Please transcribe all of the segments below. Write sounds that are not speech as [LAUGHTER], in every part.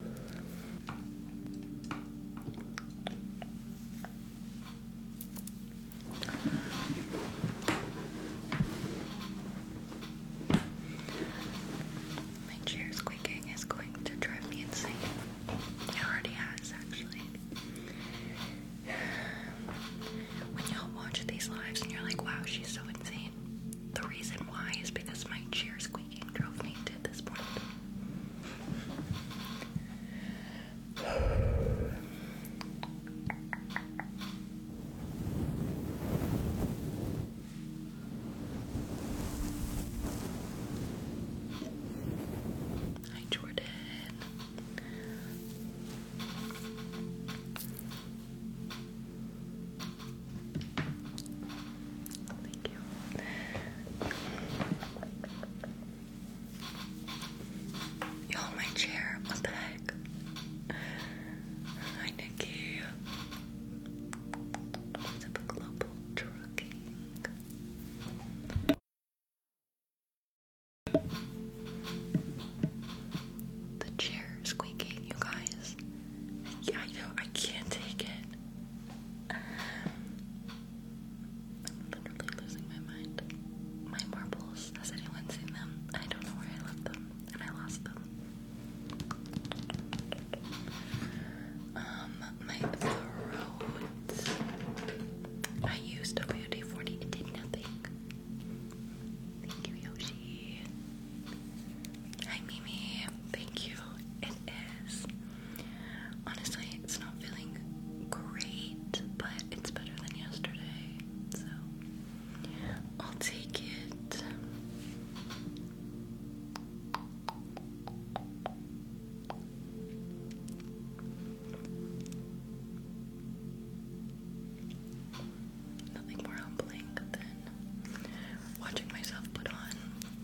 My chair squeaking is going to drive me insane. It already has, actually. [SIGHS] When y'all watch these lives and you're like, wow, she's so insane, the reason why is because my chair squeaking drove me to this point. Hi, Jordan you. You my chair. What the heck? Hi, Nikki. What's up, Global Trucking? The chair squeaking, you guys. Yeah, I know. I can't take it. I'm literally losing my mind. My marbles, has anyone seen them? I don't know where I left them, and I lost them. Um, my throat. I used WD-40, it did nothing. Thank you, Yoshi. Hi, Mimi. Thank you. It is. Honestly, it's not feeling great, but it's better than yesterday. So I'll take it. Nothing more humbling than watching myself put on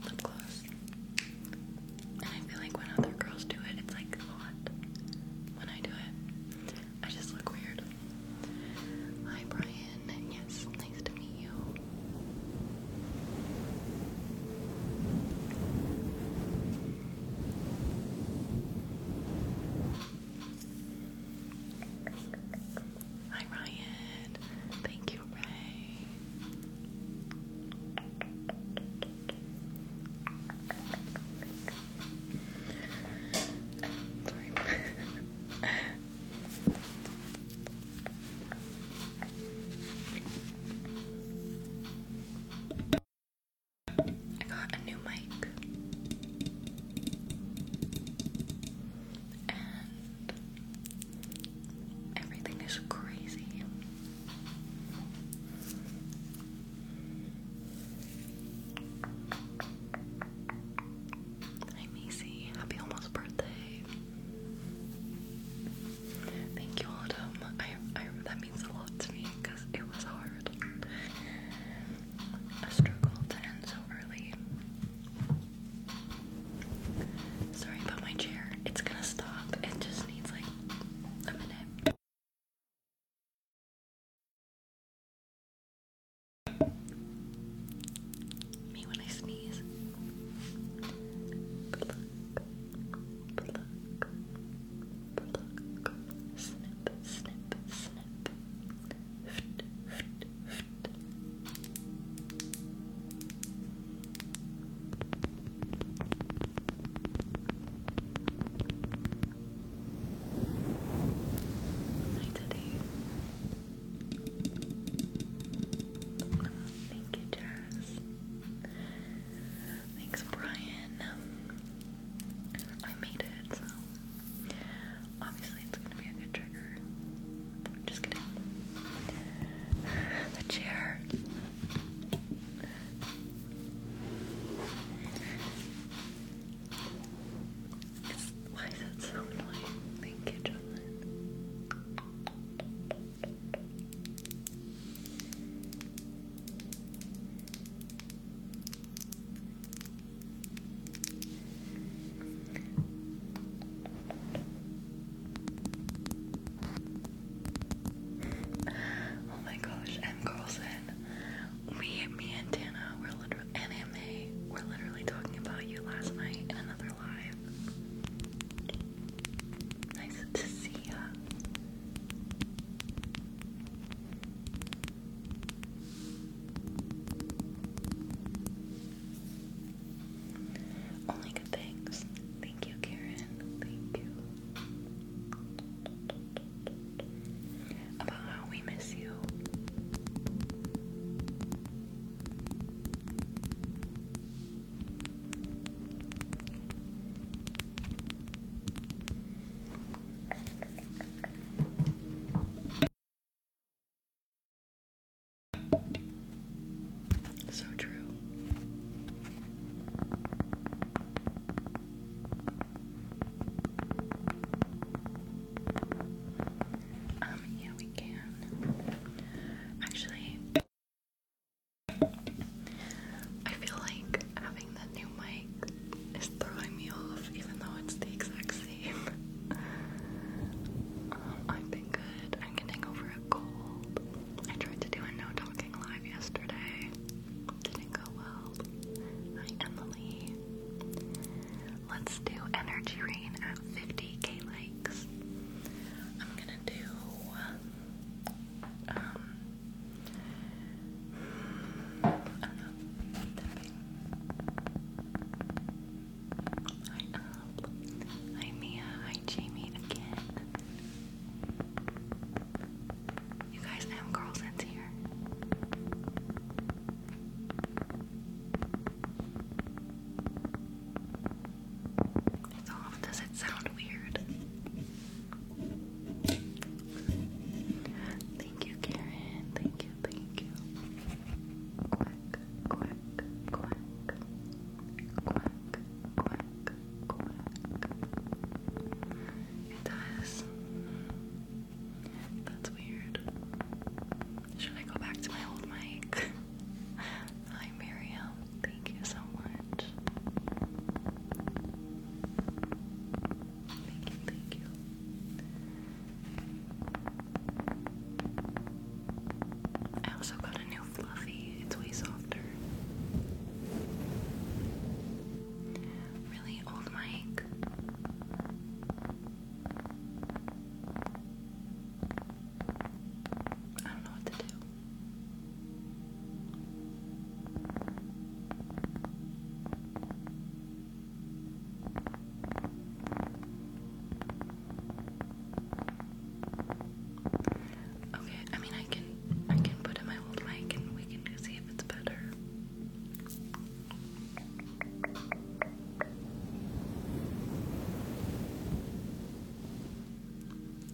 lip gloss. And I feel like when other girls do it, it's like a lot. When I do it, I just look weird. Hi, Brian. Yes, nice to meet you. Hi, Ryan. Thank you, Ray. Sorry. I got a new mic Everything is crazy. Hi, Macy. Happy almost birthday. Thank you, Autumn. that means a lot to me because it was hard. A struggle to end so early. Sorry about my chair. It's gonna stop. It just needs like a minute. Me when I sneeze. Snip, snip, snip. Hi, Teddy. thank you, Jazz. Thanks, Brian. I made it, so obviously it's gonna be a good trigger. Just kidding. [LAUGHS] The chair. why is that so annoying? Thank you, John oh my gosh, M. Carlson. Me, me and Tana were literally, and MA were literally talking about you last night in another live. Nice to see ya. Only good things. Thank you, Karen. Thank you. About how we miss you. So true. Um, yeah, we can. Actually, I feel like having that new mic is throwing me off, even though it's the exact same. [LAUGHS] Um, I've been good. I'm getting over a cold. I tried to do a no talking live yesterday. Didn't go well. Hi, Emily. Let's do energy rain at 50k likes. I'm gonna do um up? Hi Mia, hi Jamie again. You guys, M Carlson's here. Does it sound weird? Thank you, Karen. Thank you, thank you. Quack, quack, quack. Quack, quack, quack, It does. That's weird. Should I go back to my old mic? [LAUGHS] Hi, Miriam. Thank you so much. Thank you, thank you. I also got a new it's way softer. Really old mic. I don't know what to do. Okay, I mean I can I can put in my old mic and we can see if it's better.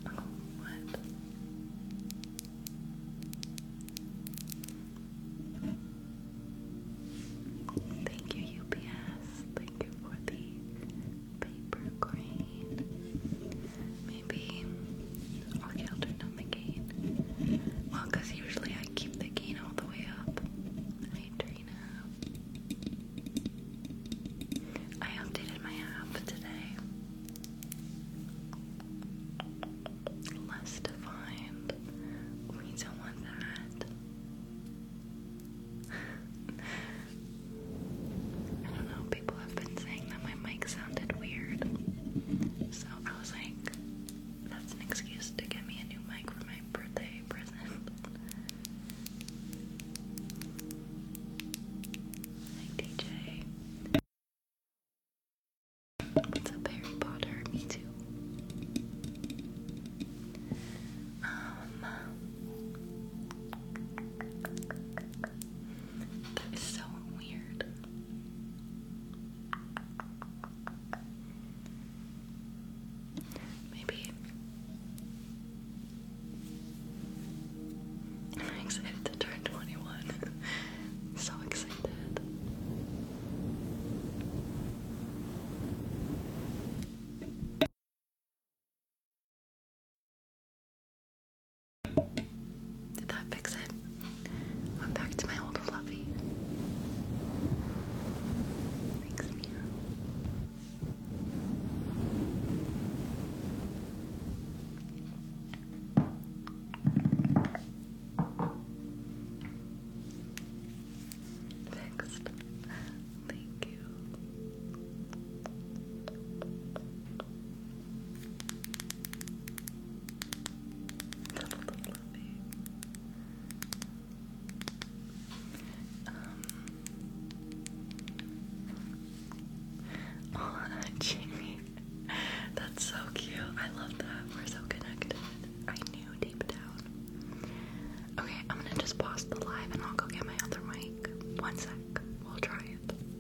Oh, what? Thank you, UPS. Thank you for the paper crane. Maybe okay, I'll turn down the gain. Well, usually I keep the gain all the way up. Hey I updated my app today. Less defined. We don't want that. [LAUGHS] I don't know, people have been saying that my mic sounded weird. So I was like, that's an excuse to get me a new mic for my birthday present. DJ. What's up, Harry Potter? Me too. Um, that is so weird. Maybe I'm excited to turn 21. [LAUGHS] so excited. Did that fix it? Went back to my old fluffy. Thanks, Mia. Fixed. Thank you. Oh, um, [LAUGHS] Jamie, that's so cute. I love that. We're so connected. I knew deep down. Okay, I'm gonna just pause the live and I'll go get my other mic. One sec. We'll try it.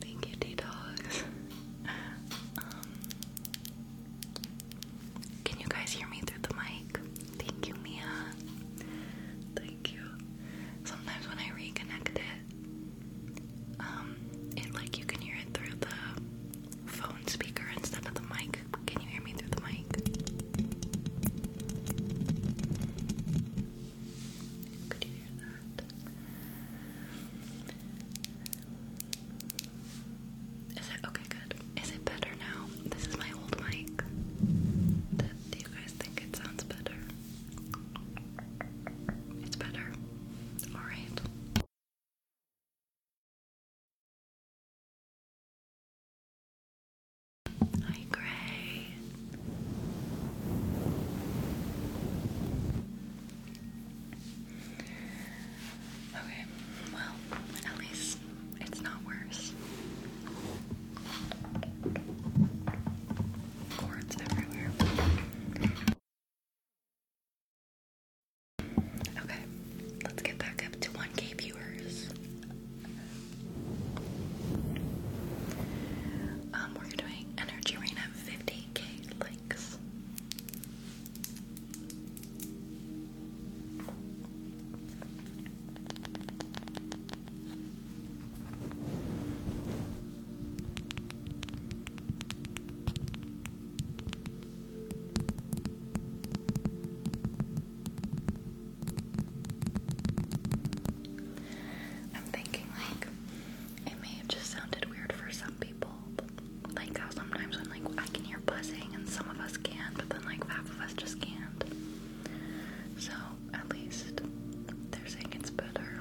Thank you, D Dogs. Um, can you guys hear me through the mic? Thank you, Mia. Thank you. Sometimes when I reconnect it, um, it like you can hear it through the phone speaker instead of the mic. Can you hear me through the mic? Is it okay? Good. Is it better now? This is my old mic. Do you guys think it sounds better? It's better. All right. Hi, Gray. Okay, well, at least it's not worse. Cords everywhere. Okay, let's get back up to 1k viewers. Um, we're doing energy rain of 50. KK links. I'm thinking, like, it may have just sounded weird for some people, like how uh, sometimes when like I can hear buzzing and some of us can, but then like half of us just can't. So at least they're saying it's better.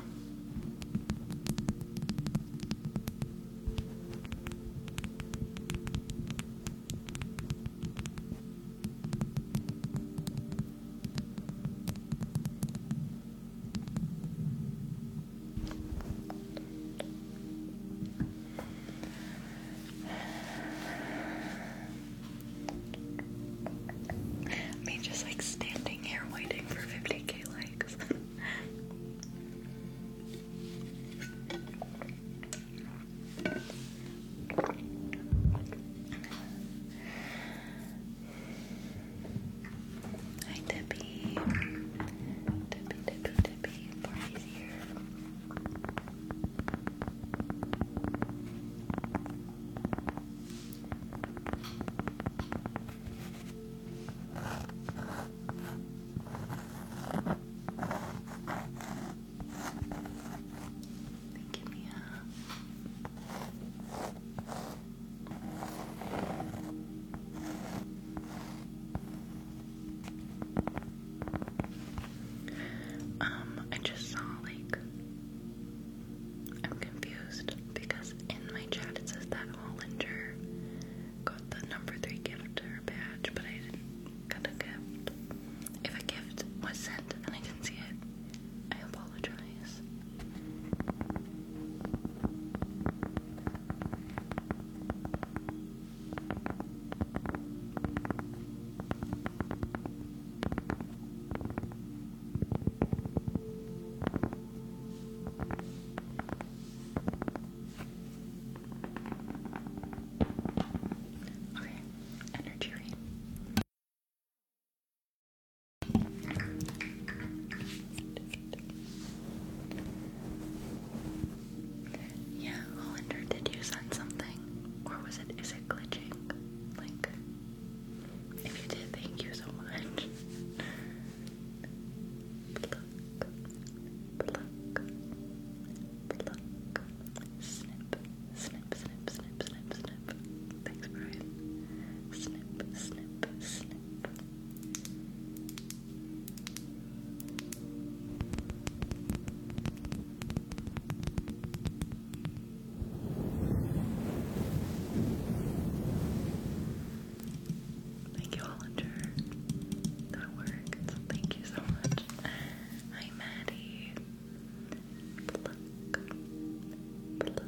Me just like standing here waiting for 50k likes. Hi, Debbie. Debbie, Debbie, Debbie. Party's here. Thank you, Mia. Um, I just saw like I'm confused because in my chat it says that Hollinger got the number three gift badge, but I didn't get a gift. If a gift was sent and I didn't see it, I apologize. Okay, energy rain. Yeah, Hollander, did you send something? Or was it, is it glitching? Like, if you did, thank you so much. pluck, pluck, pluck, snip, snip, snip, snip, snip, snip. Thanks, Brian. Snip, snip, snip. Thank you, Hollinger. That worked. Thank you so much. Hi, Maddie. Pluck, pluck, pluck,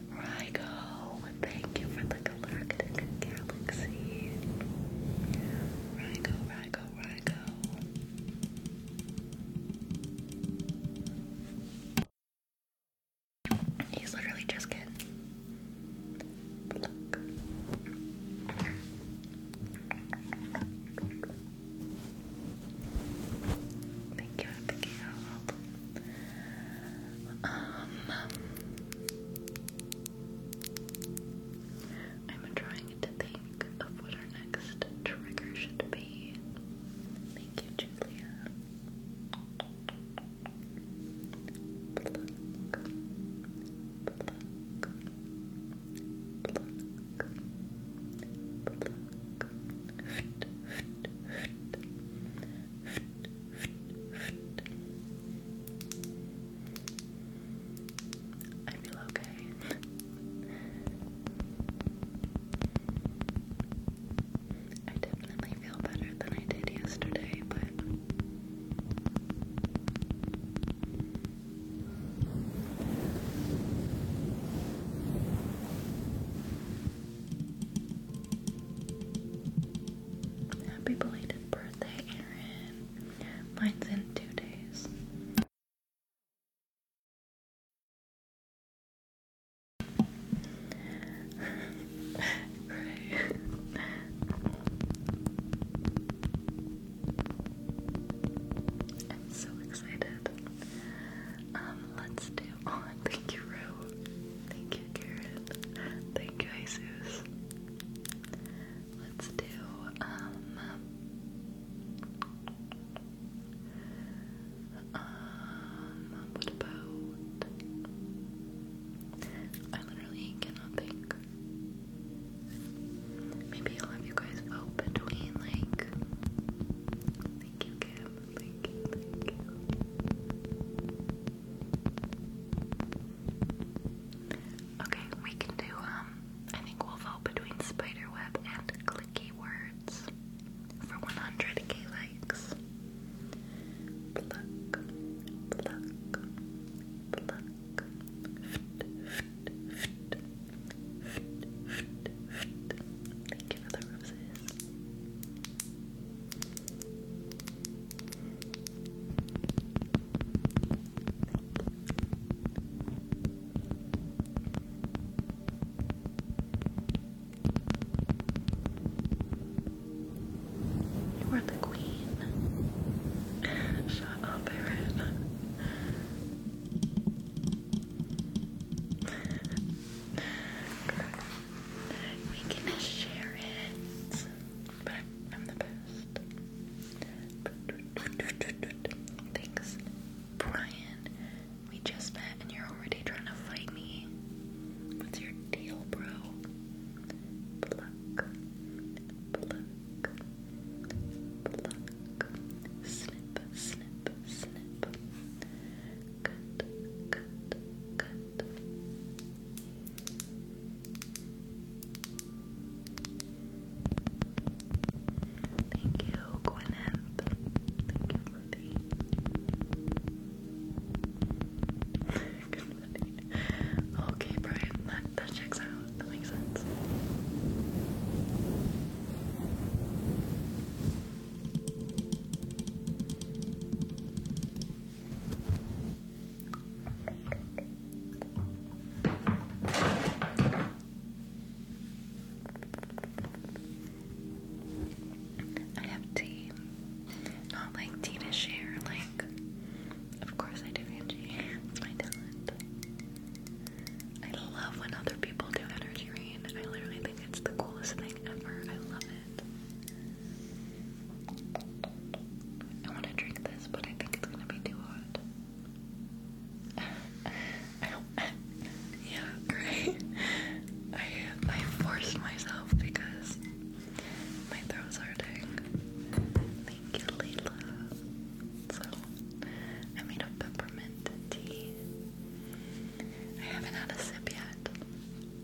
Rygo, thank you for the galactic galaxy. Rygo, Rygo, Rygo. He's literally just getting Thank you for picking um, I'm trying to think of what our next trigger should be. Thank you, Julia. I feel okay. I definitely feel better than I did yesterday, but Happy belated birthday, Erin. Mine's in two days. [LAUGHS] I'm so excited. Um, let's do Thank you, Ro. Thank you, Karen. Thank you, Jesus. Let's do, um, um, what about, I literally cannot think. Maybe I'll have you guys vote between, like, thank you, Kim. Thank you, Okay, we can do, um, I think we'll vote between spiderweb and clicky words for 100k likes. You are the queen. Shut up, Erin. We can share it. I'm, the best. Thanks, Brian. We just met and you're already trying to fight me. What's your deal, bro? Good, good, good. Thank you, Gwyneth. Thank you for good Okay, Brian, that, that checks out. That makes sense. I have tea. Not like tea to share, like, of course I do, Angie. It's my talent. I love when other people do energy rain. I literally think it's the coolest thing ever. I love it it. I want to drink this, but I think it's gonna be too hot. [LAUGHS] yeah, great. I I forced myself because my throat's hurting. Thank you, Leila. So I made a peppermint tea. I haven't had a sip yet.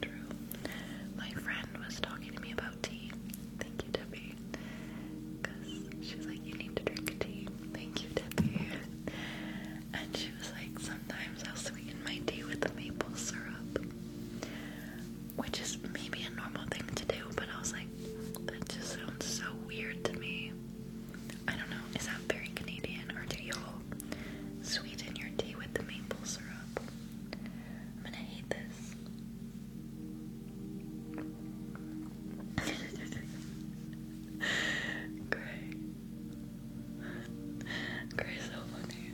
True. My friend was talking to me about tea. Thank you, Debbie. Because she's like, you need to drink tea. Thank you, Debbie. And she was like, sometimes i sweeten my tea with maple syrup. Which is maybe a normal thing to do, but I was like, that just sounds so weird to me. I don't know, is that very Canadian or do you Sweeten your tea with the maple syrup. I'm gonna hate this. [LAUGHS] Gray. Gray's so funny.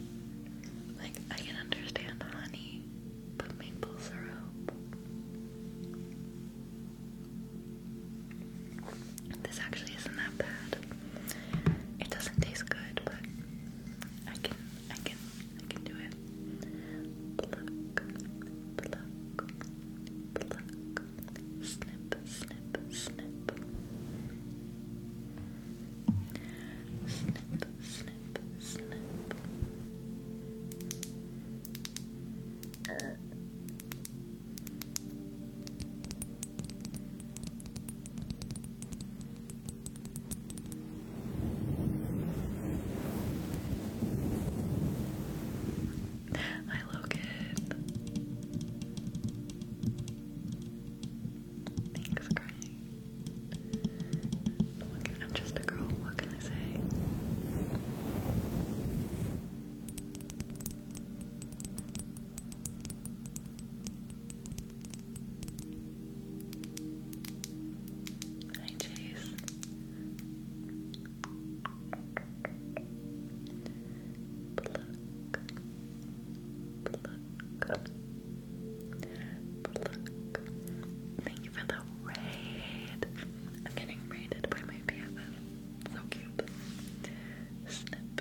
Like, I can understand honey, but maple syrup. This actually isn't that bad. It doesn't taste good, but I can, I can, I can do it. Snip, snip, snip. Snip, snip, uh. snip. Hi, Logan. Thanks, crying. I'm just a girl. What can I say? Hi, Chase. Pluck. Pluck. Pluck. Thank you for the raid. I'm getting raided by my BFF. So cute. Snip,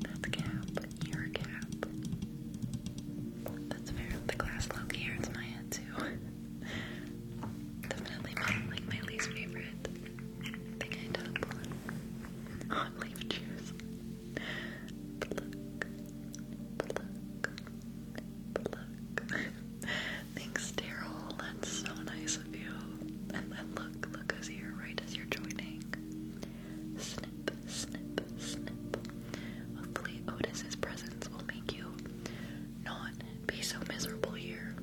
That's cap. Your cap. That's fair. The glass look here, it's my head too. [LAUGHS] Definitely my, like my least favorite thing I top Hot leaf juice. [LAUGHS] Thanks, Daryl. That's so nice of you. And, and look, look you're right as you're joining. Snip, snip, snip. Hopefully, Otis's presence will make you not be so miserable here.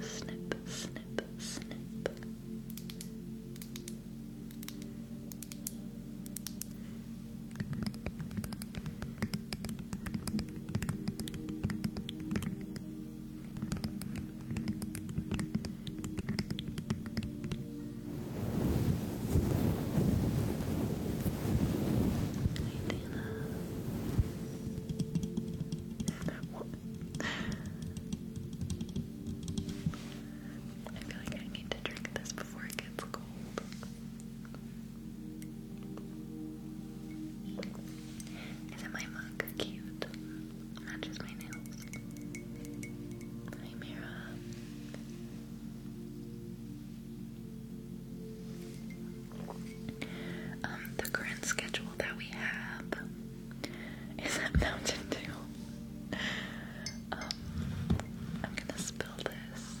Snip, snip, snip. What? I feel like I need to drink this before it gets cold. Isn't my mug cute? Matches my nails. Hi, Mira. Um, the current schedule that we have is at Mountain Dew. Um, I'm gonna spill this.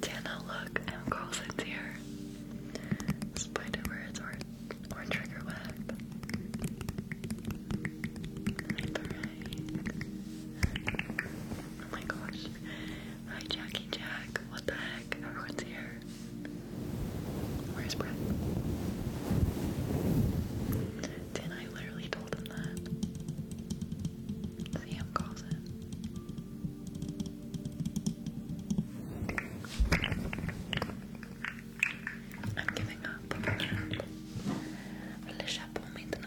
Tana, look, M Girls is here. Spider words or trigger web. Oh my gosh. Hi Jackie Jack. What the heck? Everyone's here. Where's Brett? did I literally told him that? Sam calls it. I'm giving up. Le chapeau maintenant.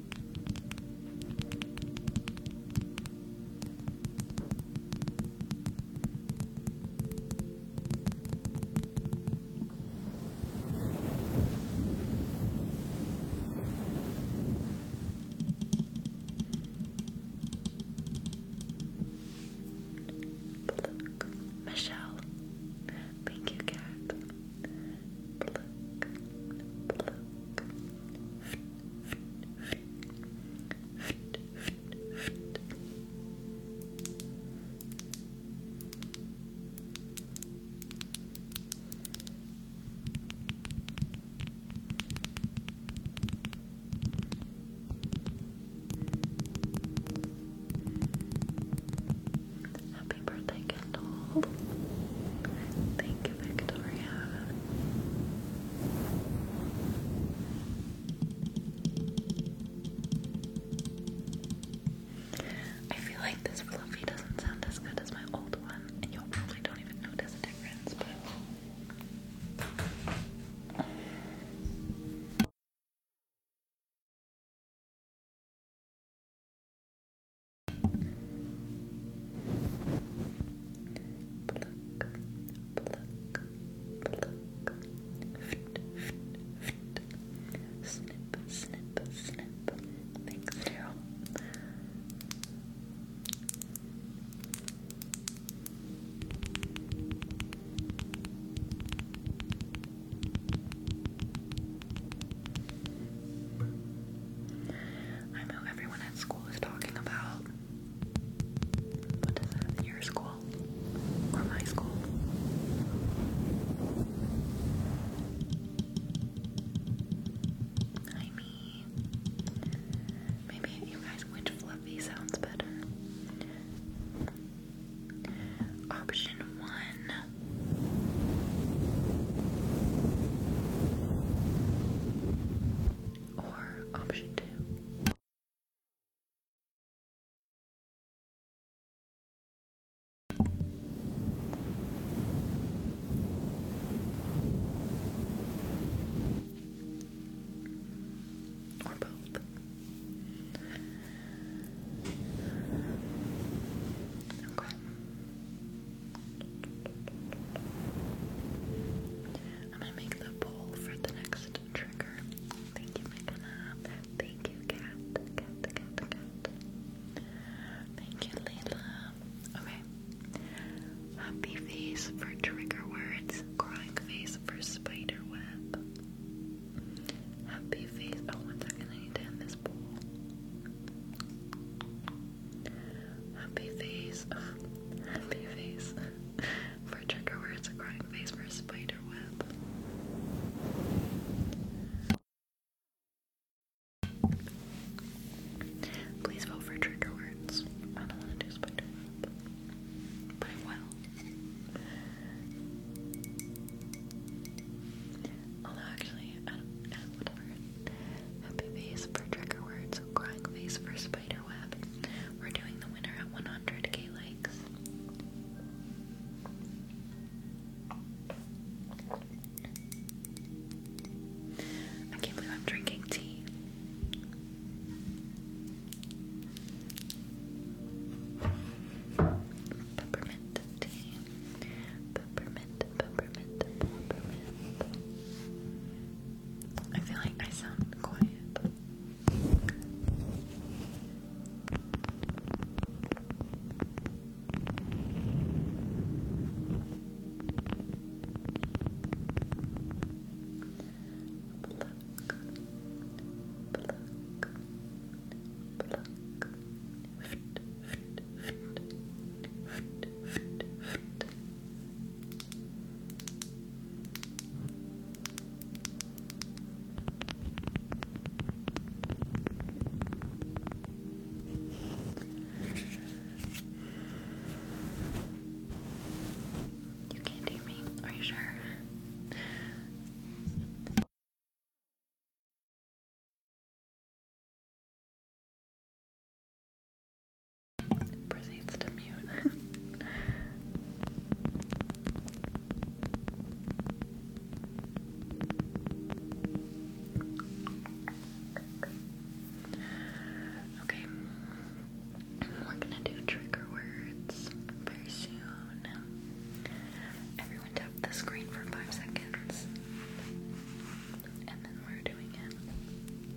Pluck. Michelle. Thank you, cat. Pluck. Pluck. Happy birthday, Kendall. Thank you, Victoria. I feel like this fluffy doesn't sound as good as my old one, and you probably don't even notice a difference, but. Pluck, pluck, Thanks, Daryl. I know everyone at school is talking about what does that in your school? Or my school? I mean, maybe you guys, which fluffy sounds better? Option one or option two. Or both. Okay. I'm gonna make the poll for the next trigger. Thank you, Megana. Thank you, Cat. Cat, Cat, Cat. Thank you, Layla. Okay. Happy face for trigger words. Crying face for spider web. Happy face. Oh, one second. I need to end this poll. Happy face. [LAUGHS] Happy face. [LAUGHS] for trigger words, a crying face for a spider web. Please vote for trigger words. I don't want to spider web. But I will. actually, Happy face for trigger words, crying face for spider we're doing the winner at 100k likes. I can't believe I'm drinking tea. Peppermint tea. Peppermint, peppermint, peppermint. I feel like I sound quiet. Pluck, pluck, pluck. You can't hear me. Are you sure? Proceeds to mute. okay, we're gonna do trigger words very soon. Everyone tap the screen for five seconds, and then we're doing it.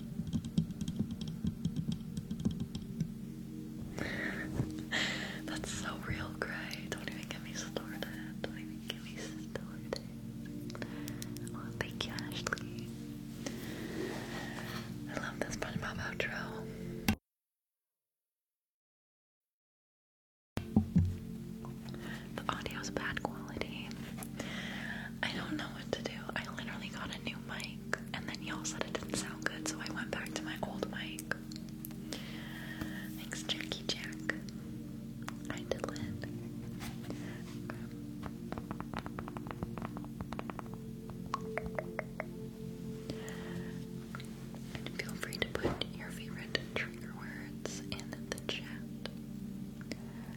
[LAUGHS] That's so real, Gray. Don't even get me started. Don't even get me started. Oh, thank you, Ashley. I love this part SpongeBob outro the audio is bad quality. I don't know what to do. I literally got a new mic, and then y'all said it didn't sound good, so I went back to my old mic. Thanks, Jackie Jack. I did it. feel free to put your favorite trigger words in the chat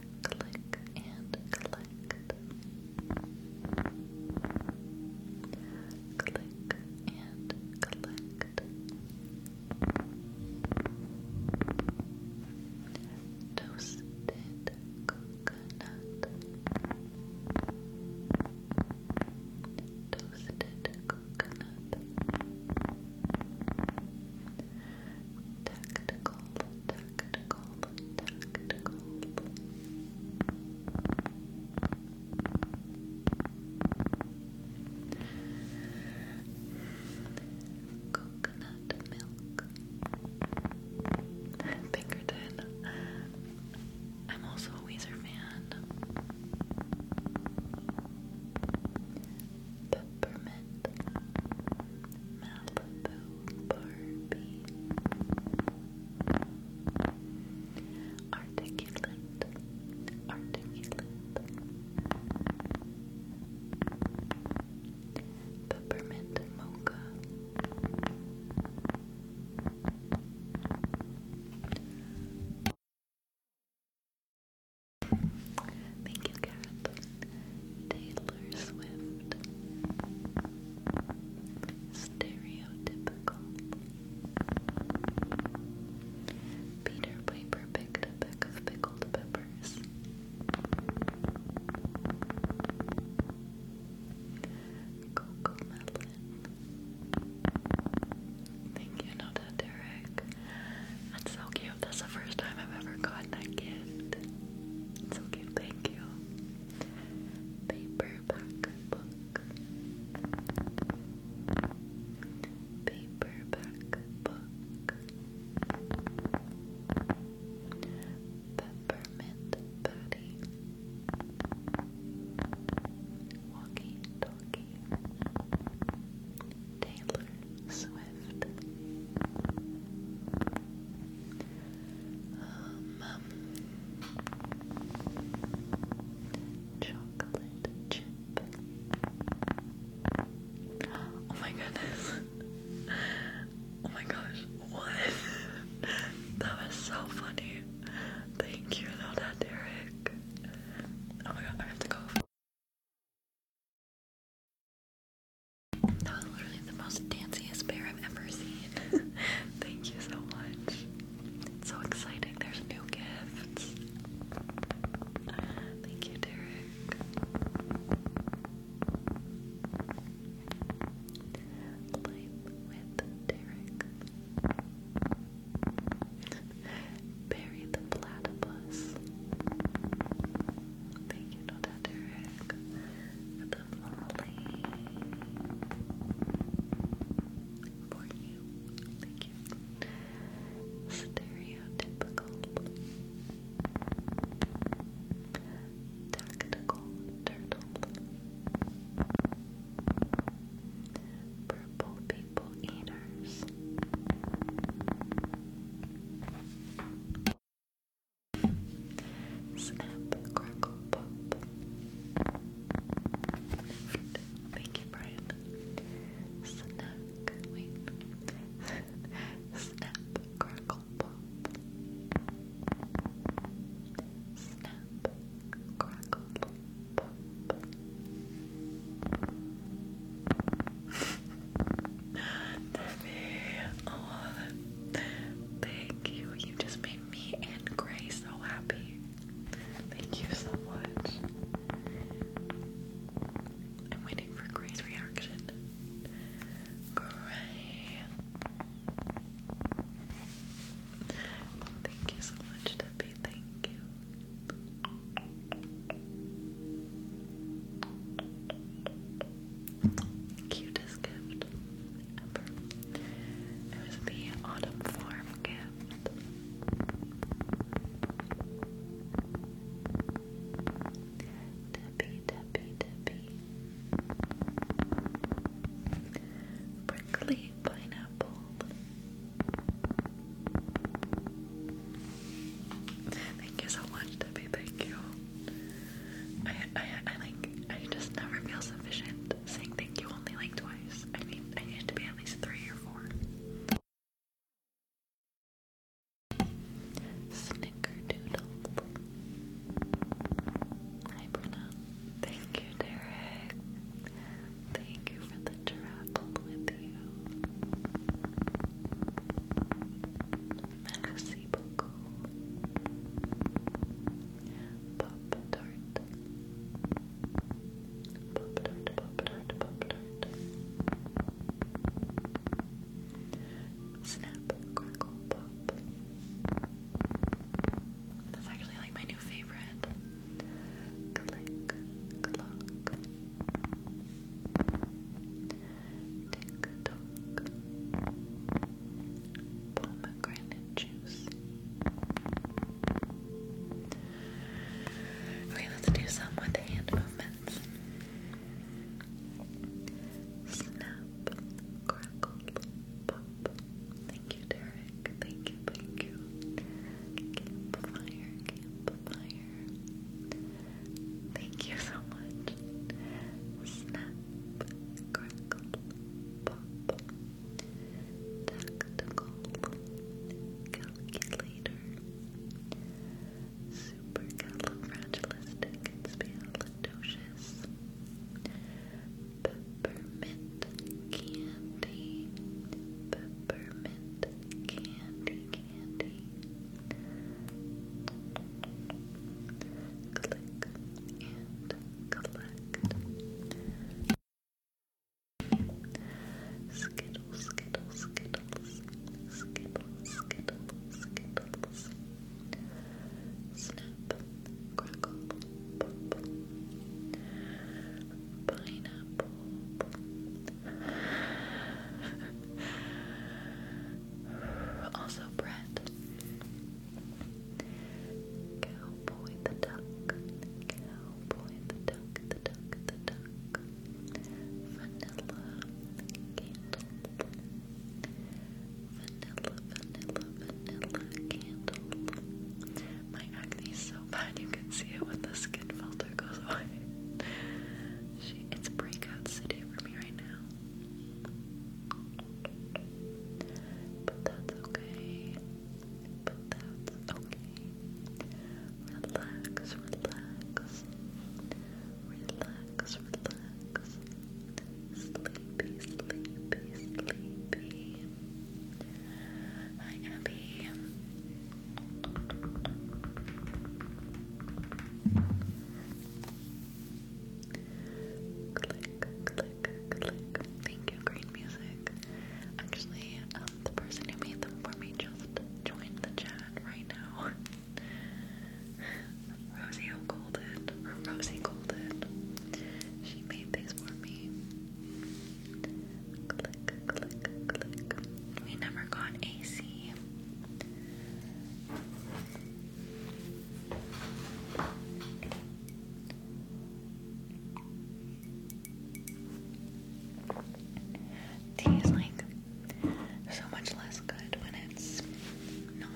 click and collect. Click and collect. Toasted coconut. Toasted coconut. Tactical, tactical, tactical. Coconut milk. [LAUGHS] Pinkerton. I'm also a Weezer fan. Peppermint, Malibu Barbie, Articulate, Articulate, Peppermint Mocha, Thank you, Gareth. Taylor Swift Stereotypical Peter Piper picked a peck of pickled peppers Coco Melon Thank you, Noda Derek That's so cute that's the first time I've ever gotten that gift. It's so thank you. Paperback book. Paperback book. Peppermint buddy. Walkie talkie. Taylor Swift. Um, chocolate chip. Oh my goodness. Oh my gosh, what? [LAUGHS] that was so funny. Thank you, no, Derek. Oh my god, I have to go. That was literally the most danciest bear I've ever seen. [LAUGHS] Thank you so much. It's so exciting. There's new gifts. Thank you, Derek. Life with Derek. Bury the platypus. Thank you, Derek, beautifully for Thank you. tactical turtle, purple people eaters. Snap, crackle, pop. Thank you, Brian. Snack, wait. Snap, crackle, pop. Snap, crackle, pop. Oh, thank you. You just made me and Gray so happy. Thank you so much. I'm waiting for Gray's reaction. Gray. Thank you so much, Debbie. Thank you. Cutest gift ever. It was the autumn farm gift. Debbie, Debbie, Debbie. Prickly pineapple. Thank you so much, Debbie. Thank you. I, I, like, I just never feel sufficient saying thank you only like twice. I mean, I need to be at least three or four. Snickerdoodle. Hi, Bruna. Thank you, Derek. Thank you for the travel with you. Merci beaucoup. Pop tart. Pop tart, pop tart, pop tart. Snap, crackle, pop. That's actually like my new favorite. Click, clock. Tick tock. Pomegranate juice. Okay, let's do some with hand movements. Snap, crackle, pop. Thank you, Derek. Thank you, thank you. Campfire, campfire. Thank you so much. Snap, crackle, pop, tactical, calculator, supercalifragilisticexpialidocious, peppermint candy, peppermint candy, candy. Click, and collect. Skittle, skittle, skittles, skittle, skittle, skittles. Snap, crackle, pop, pineapple. [LAUGHS] Also bread. Cowboy the duck, cowboy the duck, the duck, the duck. Vanilla, candle. Vanilla, vanilla, vanilla candle. My acne is so bad you can see it when the skin filter goes away. it's breakout city for me right now. But that's okay. But that's okay. Relax, relax. Relax, relax. Sleepy, sleepy, sleepy. Hi, Abby. Click, click, click. Thank you, Green Music. Actually, the person who made them for me just joined the chat right now. Rosie Golden, or Rosie Golden. She made these for me. Click, click, click. We never got AC. Tea is like so much less good when it's not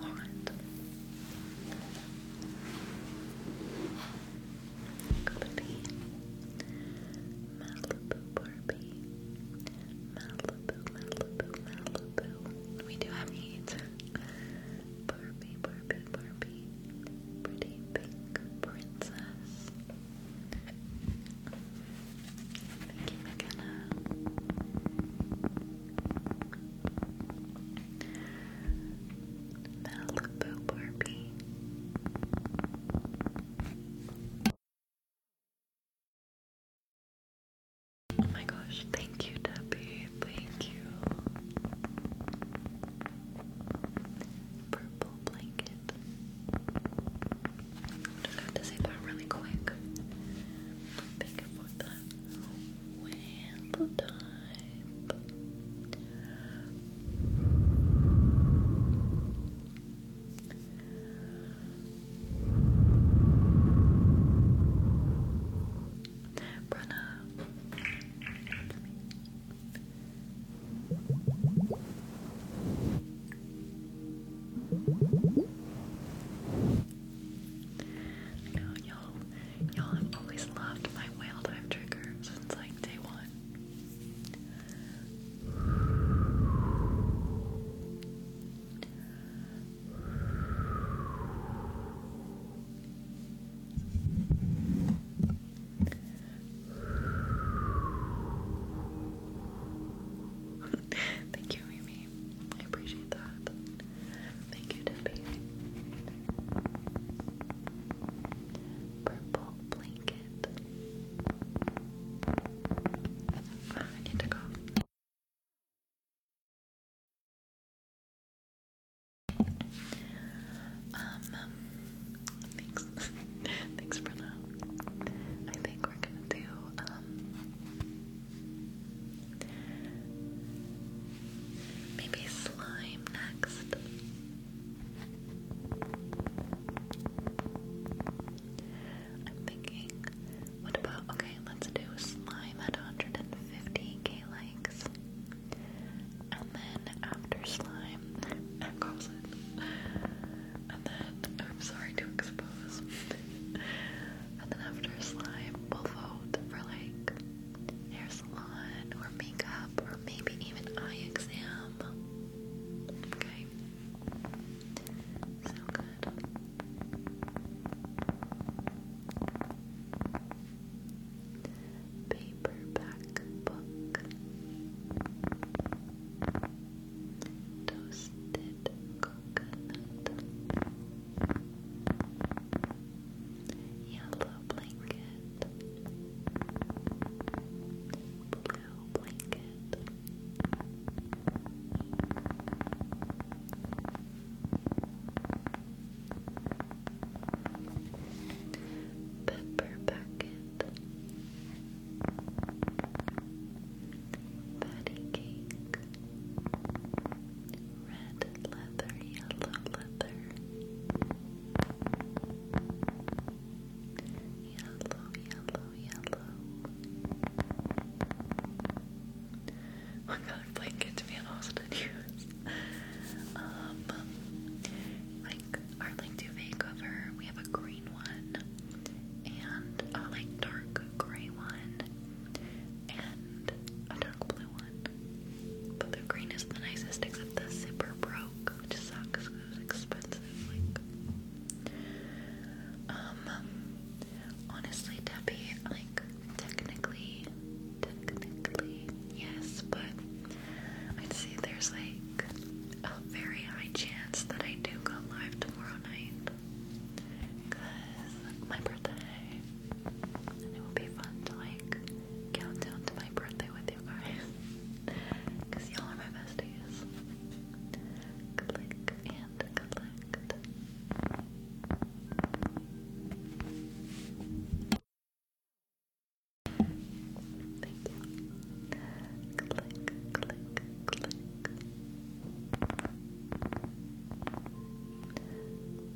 hot. Cup of tea. Malibu Barbie. Malibu, Malibu, We do have heat. Barbie, Barbie, Barbie, pretty pink princess. Thank you, McKenna. Malibu Barbie. Oh my gosh, thank you, Debbie. Thank you. Purple blanket. Just have to say that really quick. Thank you for that. Well type. Brenna. I y'all, y'all have always loved my whale dive trigger since like day one. [LAUGHS] Thank you, Mimi. I appreciate that. Thank you, Debbie. Purple blanket. Ah, I need to go. Um, [LAUGHS] thanks. [LAUGHS] thanks for that. I think we're gonna do, um, maybe slime next. I'm thinking, what about, okay, let's do slime at 150k he likes. And then after slime, that calls And then, I'm sorry to expose. and then after slime, we'll vote for like hair salon or makeup or maybe even eye exam. Okay. So good paperback book, toasted coconut, yellow blanket, blue blanket. Pepper Bucket Patty Cake Red Leather, Yellow Leather Yellow, Yellow, Yellow my [LAUGHS] god, blanket to be honest with you. Um, like our LinkedIn makeover, we have a green one and a like dark gray one and a dark blue one. But the green is the nicest, except the zipper broke, which sucks because it was expensive. Like, um, honestly, Debbie, like technically. Technically, yes, but I'd say there's like a very high chance that I do go live tomorrow night. Because my birthday. And it will be fun to like count to my birthday with you guys. Because [LAUGHS] y'all are my besties. Click and collect. Thank you. Click, click, click.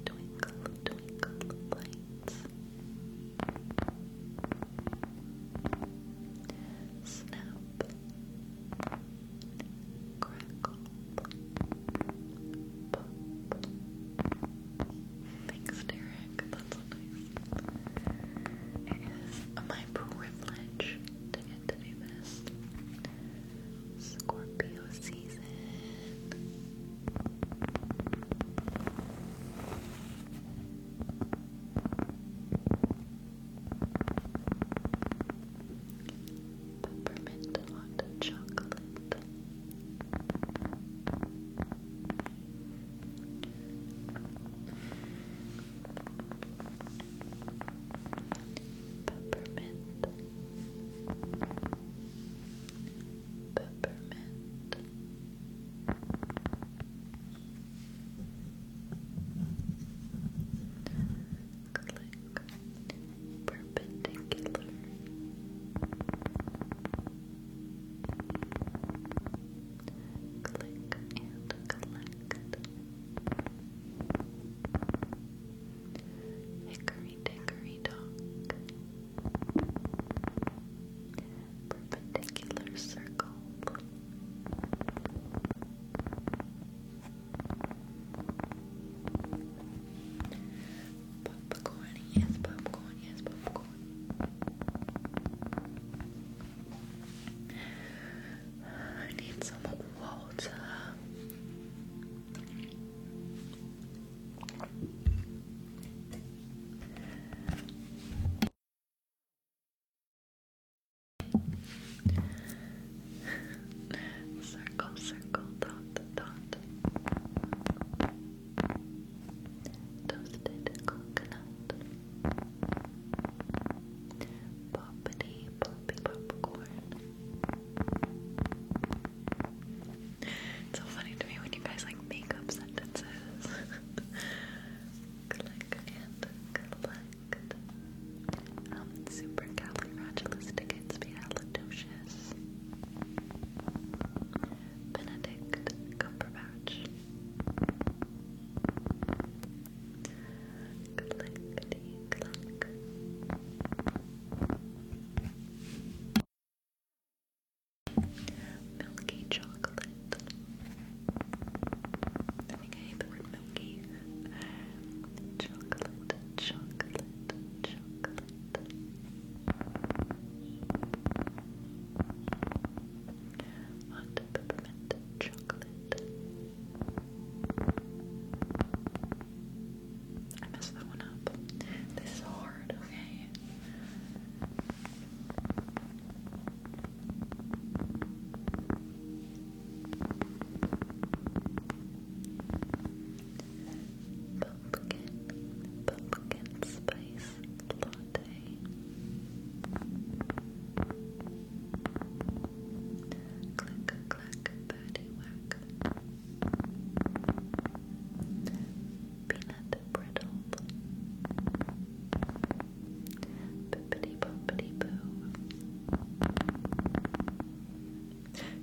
Twinkle, twinkle lights. Snap. Crackle. Thanks, Derek. That's my privilege to get to do this. Scorpio season. Peppermint hot chocolate. Peppermint, peppermint, click, perpendicular. Click and collect. Hickory dickory dock. Perpendicular circle. Popcorn, yes, popcorn, yes, popcorn. I need some water. circle, circle, dot, dot toasted coconut, poppity poppy popcorn. It's so funny to me when you guys like make up sentences. Click [LAUGHS] and collect. Um, supercalifragilisticexpialidocious. Benedict Cumberbatch. Milky chocolate. I the word milky. Um, chocolate, chocolate, chocolate. Hot peppermint chocolate. I messed that one up. This is hard, okay? Pumpkin, pumpkin spice latte. Click, clack, patty whack. Peanut brittle. Bippity boppity boo.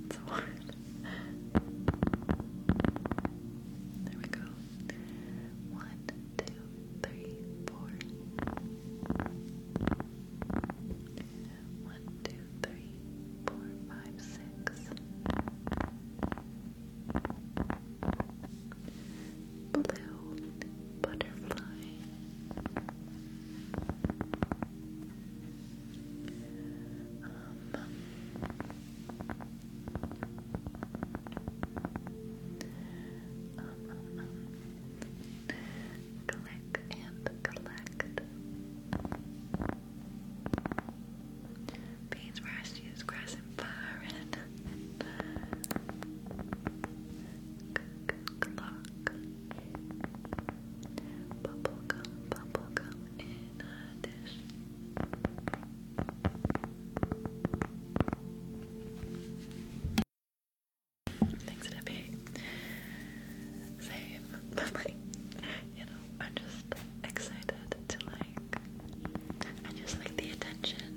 It's hard. There we go. One, two, three, four. One, two, three, four, five, six. Blue butterfly. Um, um, um, and collect. Beans, rice, cheese, grass, and fire. Clock. Bubblegum, bubblegum in a dish. Things to same, [LAUGHS] but like, you know, I'm just excited to like, I just like the attention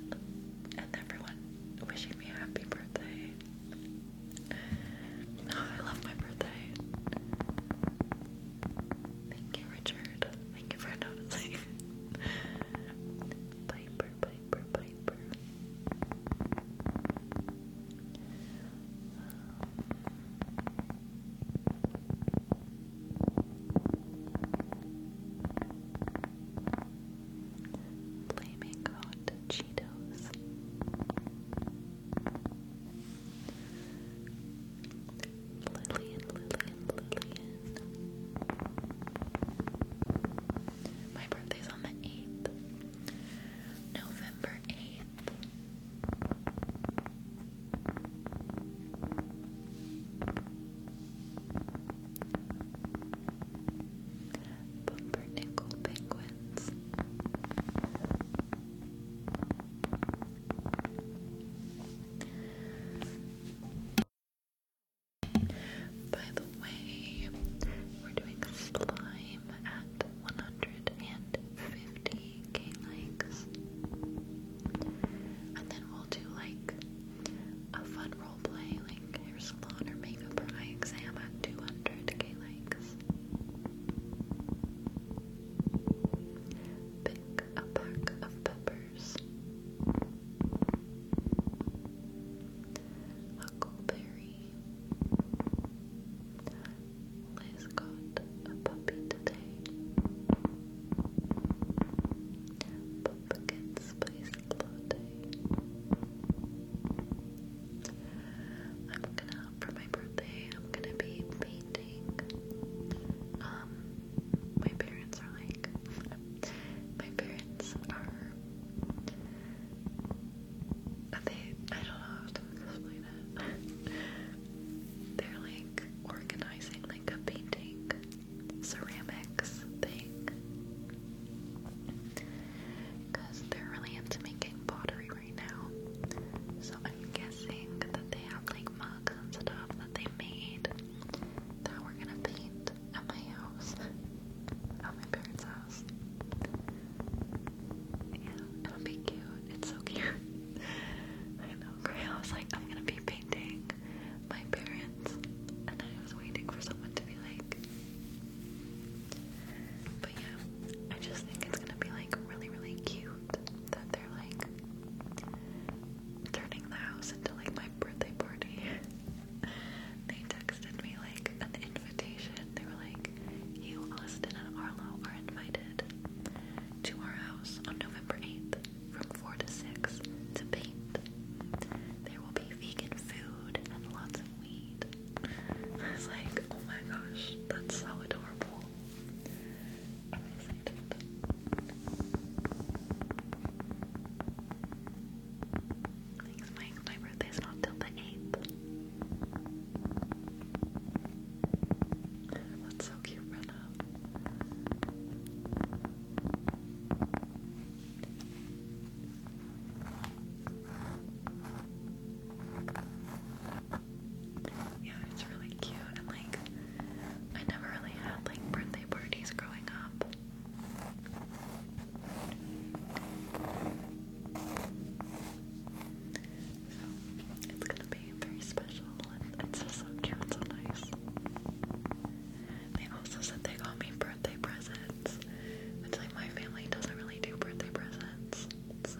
and everyone wishing me a happy birthday. Oh, I love my birthday. Thank you, Richard. Thank you for noticing. [LAUGHS] Piper, Piper, Piper. Flaming hot Cheetos. Lillian, Lillian, Lillian. My birthday's on the 8th. November 8th. Pumpernickel penguins. By the way, we're doing slime at 150k likes. And then we'll do like a fun role like hair salon or makeup or eye exam at 200k likes. Pick a pack of peppers pears, huckleberry. Liz got a puppy today. Pumpkin spice latte. I'm gonna for my birthday. I'm gonna be painting. Um, my parents are like my parents are they I don't know explain it. They're like organizing like a painting ceramics thing. Cause they're really into making pottery right now. So I'm guessing that they have like mugs and stuff that they made that we're gonna paint at my house, at my parents' house. Yeah, it'll be cute. It's so cute. [LAUGHS] I know, I was like, I'm gonna be painting my parents, and I was waiting for someone to be like. But yeah, I just think it's gonna be like really, really cute that they're like turning the house into like my birthday party. [LAUGHS] they texted me like an invitation. They were like, You, Austin, and Arlo are invited to our house on November 8th from 4 to 6 to paint. There will be vegan food and lots of weed. [LAUGHS] I was like, Oh my gosh, that's so adorable. Thanks, Mike. My birthday's not till the 8th. That's so cute, Rena. Yeah, it's really cute and like I never really had like print parties growing up. So it's gonna be very special it's just so cute, so nice. They also said they got me birthday presents. Which like my family doesn't really do birthday presents. So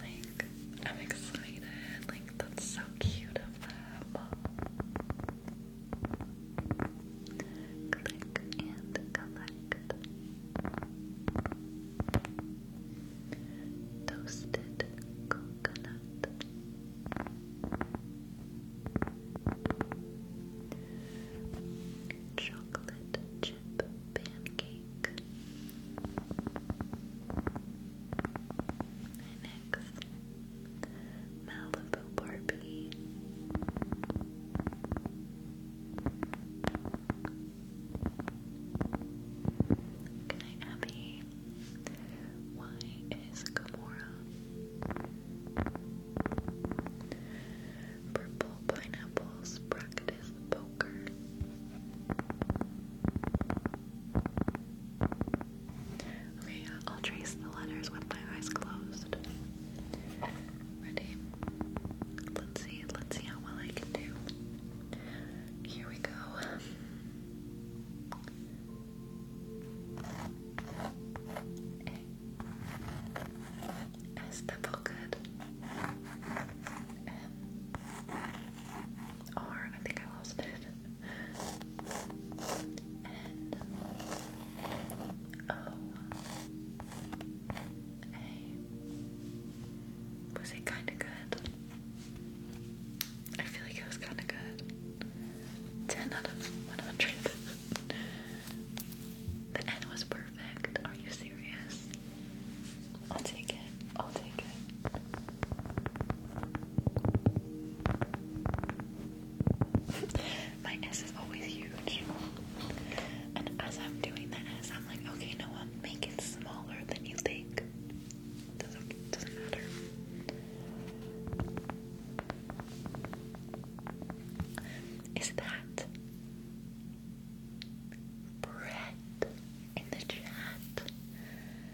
like I'm excited. Like that's so cute of them. Click and collect. Toasted coconut. Chocolate chip pancake. next Malibu Barbie. Good Abby. Why is Gamora purple pineapples practice poker? Okay, uh, I'll trace the letters with my eyes closed. Ready? Let's see. Let's see how well I can do. Here we go. Está boca. M. R. I think I lost it. N. O. Oh, A. Was it kind of good? I feel like it was kind of good. 10 out of 100. the N was perfect. Are you serious? I'll take it. I'll take it. [LAUGHS] My S is always huge. And as I'm doing the i I'm like, okay, no one, make it smaller than you think. Doesn't, matter. Is that Brett in the chat?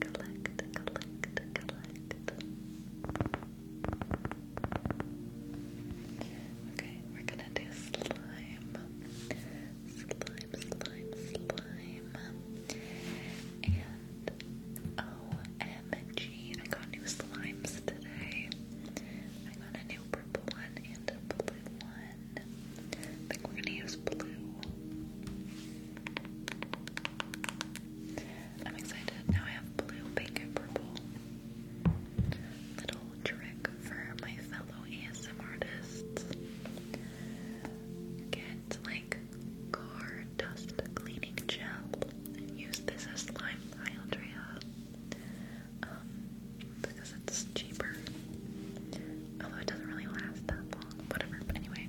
Collect, collect, collect. Okay, we're gonna do slime. Slime, slime, slime. And OMG, got new slimes today. I got a new purple one and a blue one. I think we're gonna use blue. I'm excited. Now I have blue, pink, and purple. Little trick for my fellow ASM artists. Get like car dust cleaning gel use this as slime. Hi Andrea. Um, because it's cheaper. Although it doesn't really last that long. Whatever. But anyway.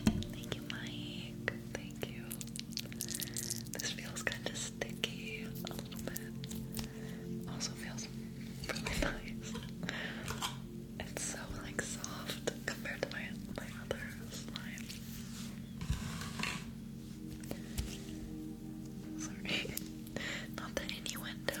Thank you, Mike. Thank you. This feels kind of sticky a little bit. Also feels really [LAUGHS] nice. It's so like soft compared to my my other slime. Sorry, [LAUGHS] not the innuendo.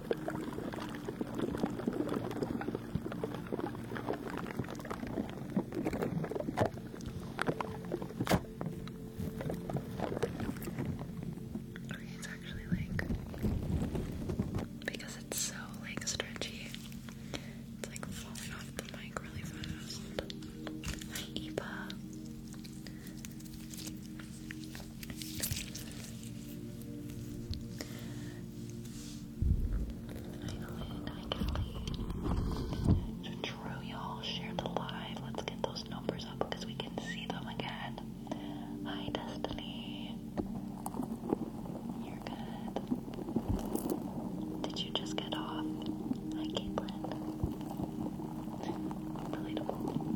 Okay, it's actually like because it's so like stretchy, it's like falling off the mic really fast. Hi Eva. So true, y'all. Share the live. Let's get those numbers up because we can see them again. Hi, Destiny. You're good. Did you just get off? Hi, Caitlin. Relatable.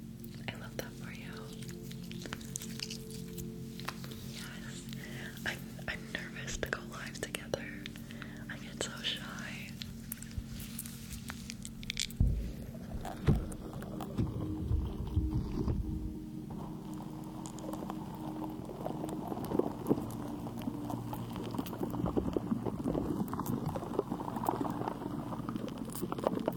I love that for you. Yes. I'm, I'm nervous to go live together. I get so shy. I feel like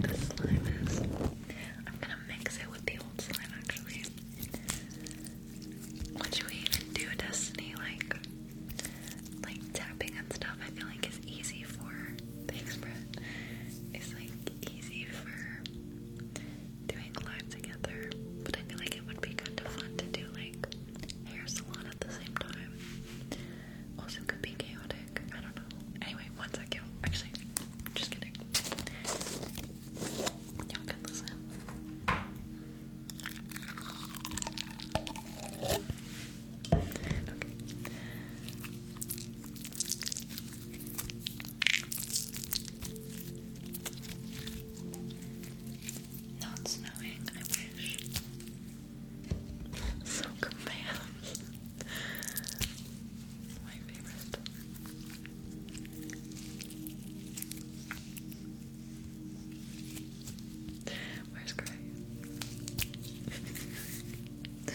this slime is. I'm gonna mix it with the old slime actually. What should we even do, Destiny? Like, like tapping and stuff. I feel like is easy for. Thanks, Brett. It's like easy for doing live together, but I feel like it would be kind of fun to do like hair salon at the same time. Also, could be chaotic. I don't know. Anyway, one second. Actually, just kidding. Y'all can listen. Okay. Not snowing, I wish. [LAUGHS] so commands. [LAUGHS] My favorite. Where's Gray? [LAUGHS]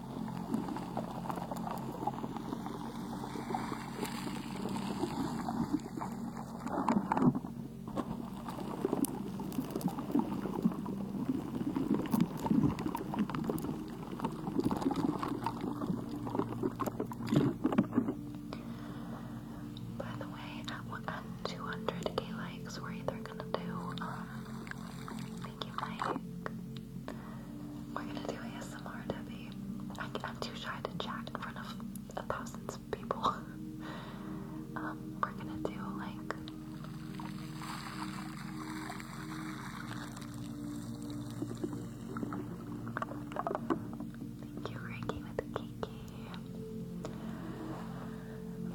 By the way, at 200k likes, we're either gonna do um, Thank you, We're gonna do ASMR, Debbie. I, am too shy to chat in front of a thousand people. [LAUGHS] Um, we're gonna do like. Thank you, Ricky, with Kiki.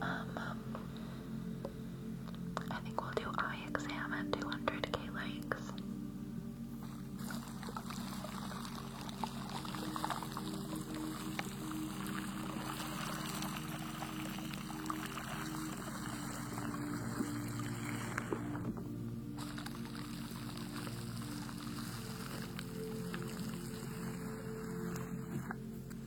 Um, um, I think we'll do eye exam at 200k likes.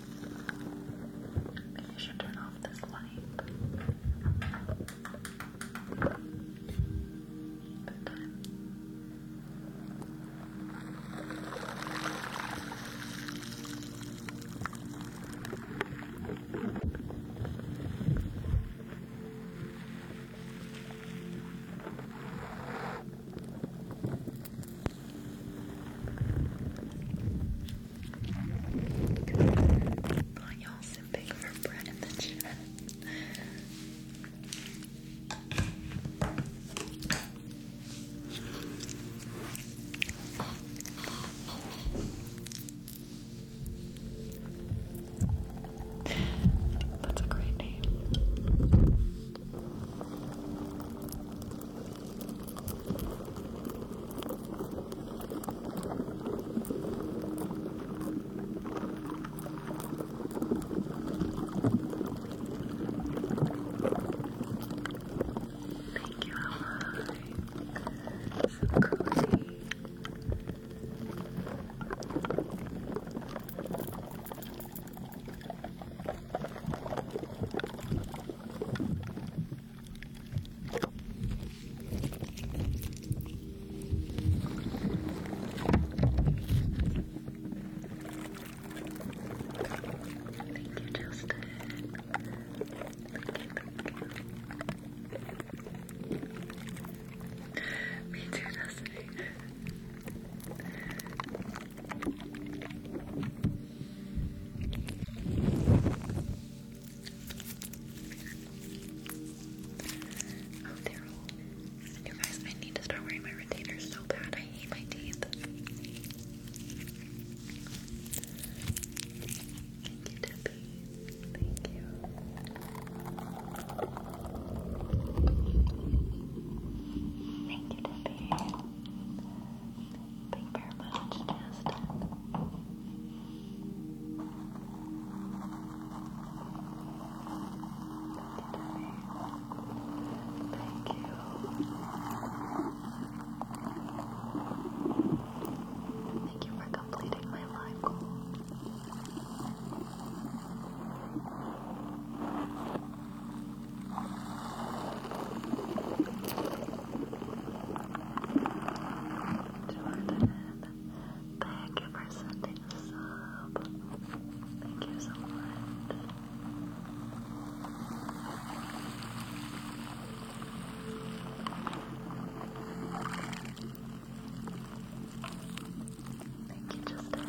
Maybe I should turn off this light. Bedtime. Oh, y'all simping for bread in the chat. That's a great name. Thank you, Alma. Thank you, Justin. Me too, Justin. Oh, they You guys, I need to start wearing my retainers so bad. I hate my teeth. Thank you, Debbie. Thank you. Thank you, Debbie. Thank you very much, Justin. Thank you. Thank you for completing my life goal. Jordan, thank you for sending a sub. Thank you so much. Thank you, Justin.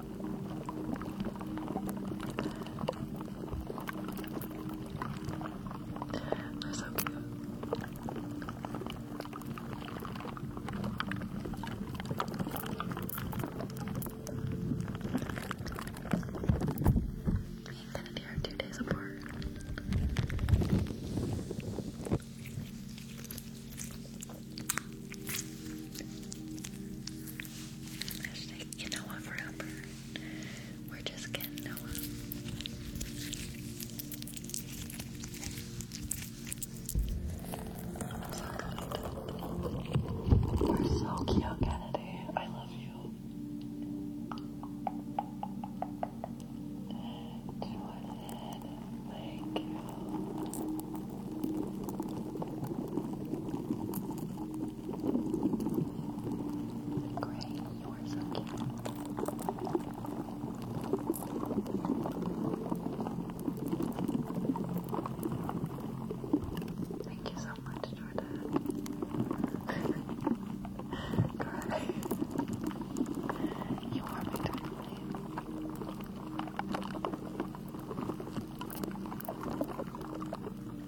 They're gonna Me and two days apart. Hashtag you know what, for Albert? We're just getting Noah. We're so cute, Kennedy. I love you. Jordan, thank you. Gray, you are so cute. Thank you so much, Jordan. Gray, [LAUGHS] you are my darling.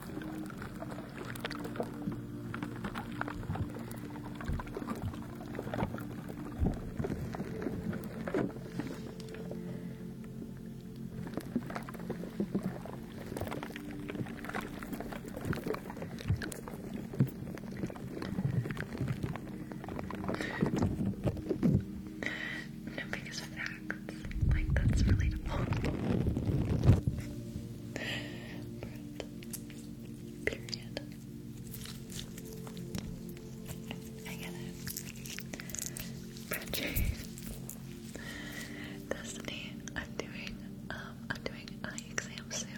No biggest facts. Like that's relatable. Period. I get it. Frenchie. Destiny, I'm doing um I'm doing eye exam soon.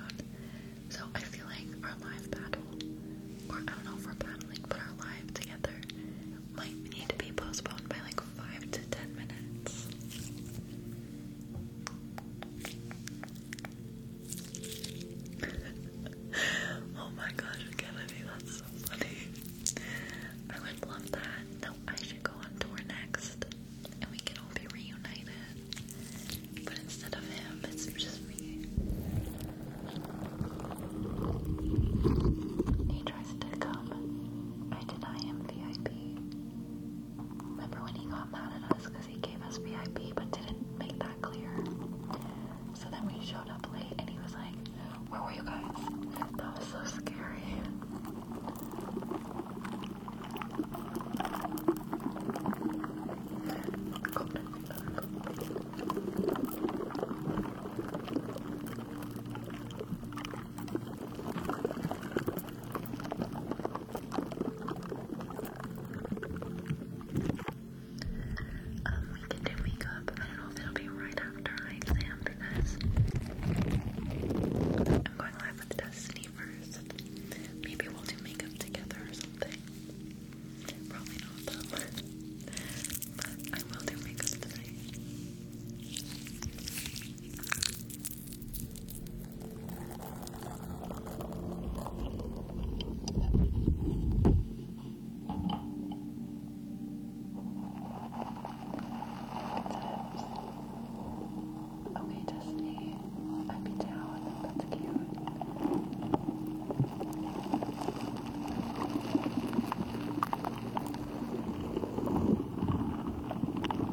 So I feel like our live battle, or I don't know if we're battling, but our live together might need to be postponed by like five to ten minutes. [LAUGHS] oh my gosh, Kennedy, that's so funny. I would love that. No, I should go on tour next and we can all be reunited. But instead of him, it's just me. He tries to come. I deny VIP. Remember when he got mad at us because he gave us VIP but didn't make that clear? So then we showed up late and he was like, Where were you guys? That was so scary. Um, we can do makeup. I don't know if it'll be right after I exam because I'm going live with Destiny first. Maybe we'll do makeup together or something. Probably not [LAUGHS] but I will do makeup tonight. Okay, Destiny, I'd be down. That's cute.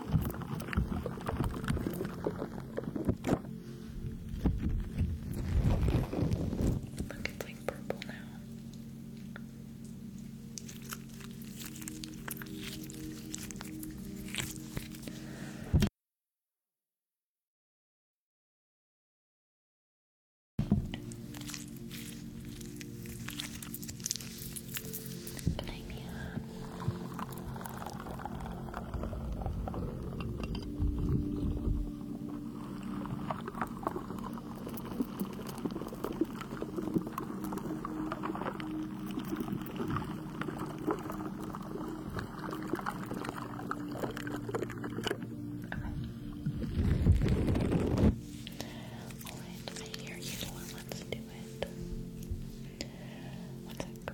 Look, it's like purple now. Good All right, I hear you. Let's do it. One sec.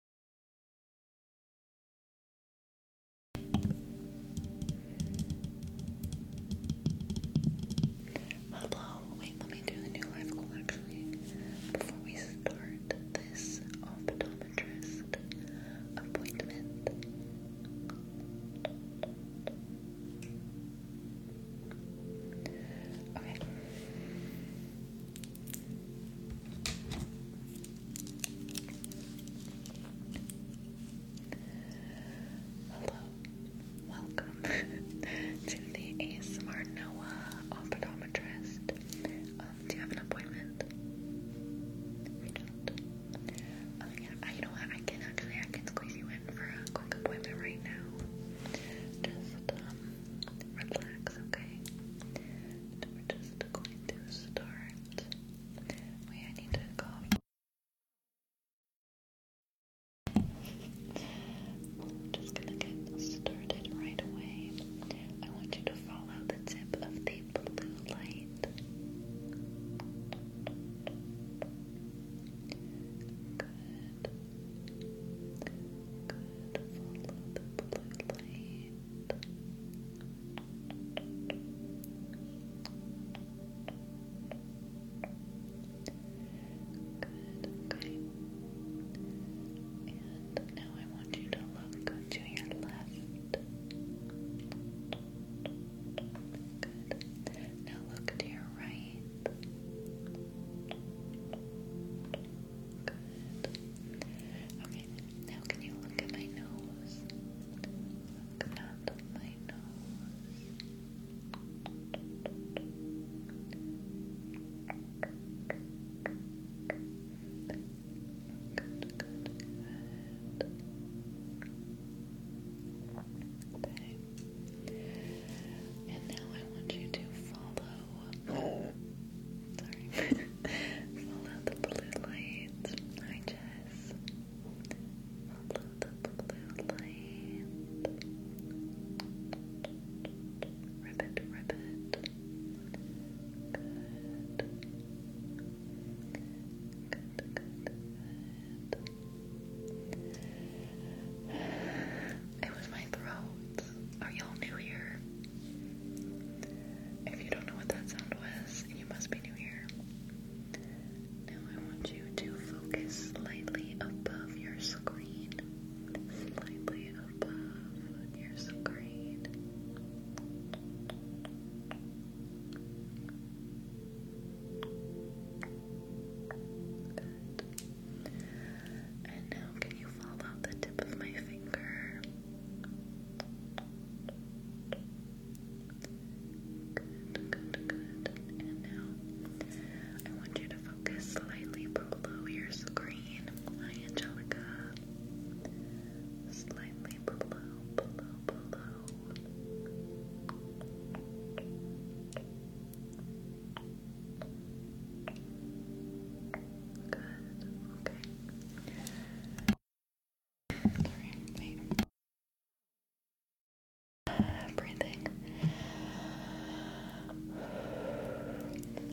Blah blah. Wait, let me do the new life goal actually. Before we start this optometrist appointment. Okay. Hello, welcome [LAUGHS] to the ASMR Noah Optometrist. Um, do you have an appointment? You um, Oh yeah, you know what? I can actually I can squeeze you in for a quick appointment right now. Just um, relax, okay? we're just going to start. We need to go. just gonna get started right away. I want you to follow the tip of the blue light. Good. Good. Follow the blue light. Good, okay. And now I want you to look to your left. Good. Now look to your right. Good. Okay, now can you look at my nose? Good, good, And now I want you to follow. [LAUGHS] Sorry. [LAUGHS] follow the blue light. Hi, Jen eyes. It was my throat. Are y'all new here? If you don't know what that sound was, you must be Happy Now I want you to focus slightly above your screen. Slightly above your screen. And now can you follow the tip of my finger? Good, good, good. And now I want you to focus slightly below your screen. Angelica. Slightly below, below, below. Good, okay breathing.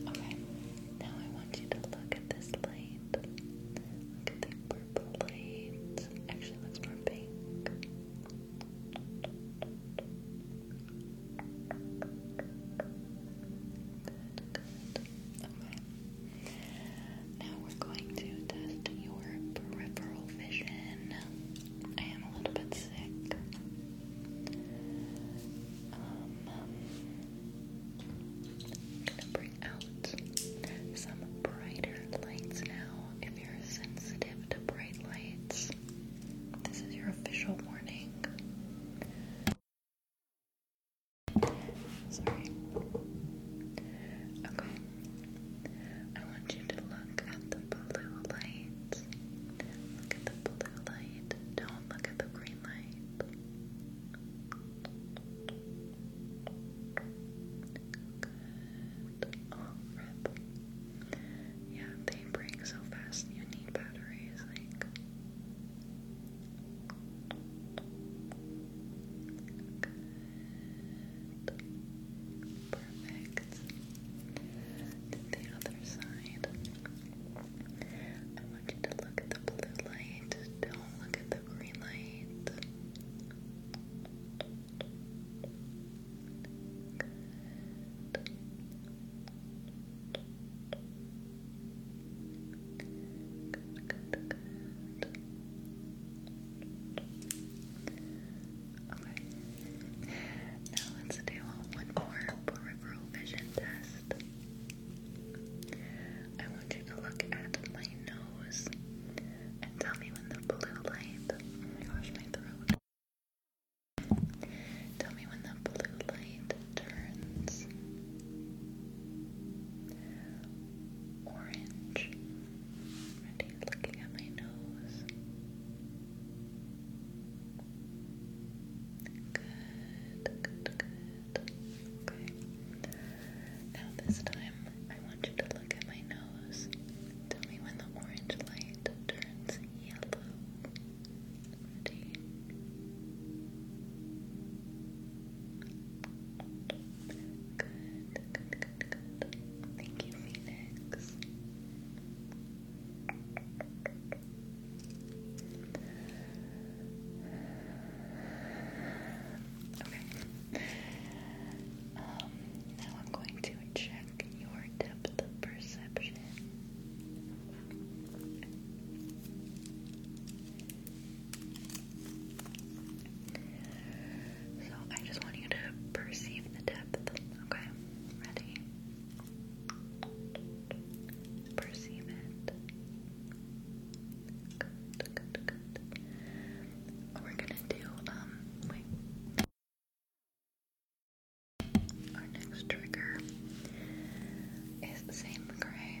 Okay, now I want you to look at this light. Look at the purple light. Actually, looks more pink. Good, good. Okay. Now we're going to test your peripheral vision. I am a little bit sick. Um, gonna bring out some brighter lights now. If you're sensitive to bright lights, this is your official warning. Sorry. Okay. I want you to look at the blue light. Look at the blue light. Don't look at the green light. Oh, rip. Yeah, they break so fast. You need batteries, like. Good. Perfect. To the other side. I want you to look at the blue light. Don't look at the green light good. Okay. Now let's do one more peripheral vision test. I want you to look at my nose and tell me when the blue light. Oh my gosh, my throat. Tell me when the blue light turns orange, Ready, looking at my nose. Good, good, good. Okay. Now this time, I want you to look at my nose. Tell me when the orange light turns yellow. Ready? Good, good, good, good. Thank you, Phoenix. Okay. Um, now I'm going to check your depth of perception. So I just want you to perceive the depth, okay? Ready? Perceive it. We're gonna do, um, wait. Our next trigger is the same gray.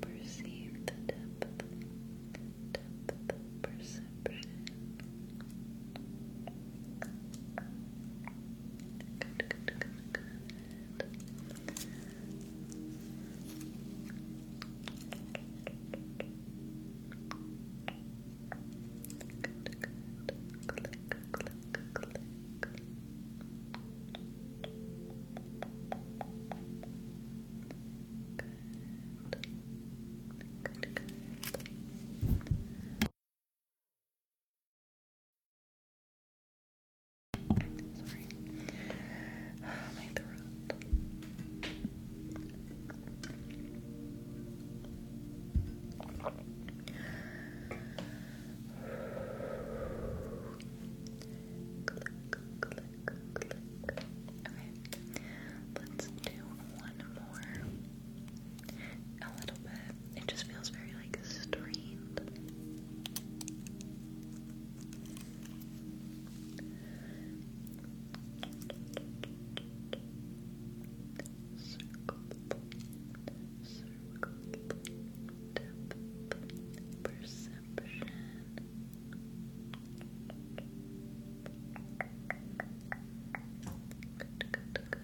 Perceive the depth, depth perception. Good, good, good, good. Good, good. Click, click, click. Good, good. Sorry. my throat. Okay, let's do one more. A little bit. It just feels very like strained circle, circle, depth, perception. Good, good, good.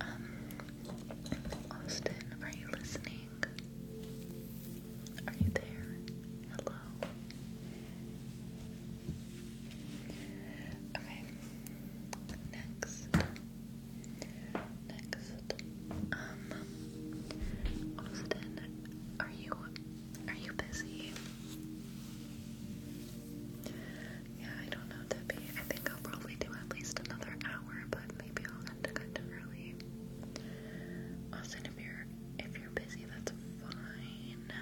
Um, Austin, are you listening? Are you there? Hello. Okay. Next. Next. Um Austin, are you are you busy? Yeah, I don't know, Debbie. I think I'll probably do at least another but maybe I'll end it kind of early. Austin, if you're if you're busy, that's fine.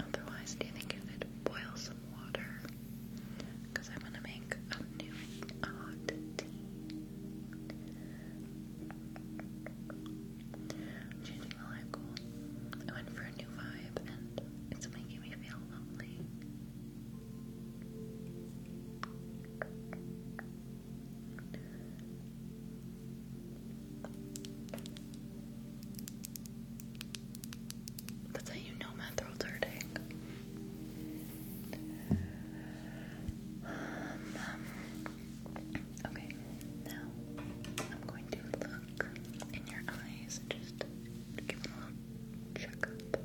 Otherwise, do you think you could boil some water? Because I'm gonna make a new hot tea. Changing the light goal. for a new vibe, and it's making me feel lonely. That's how you know my throat's hurting. Um, um, okay, now I'm going to look in your eyes and just give a little checkup.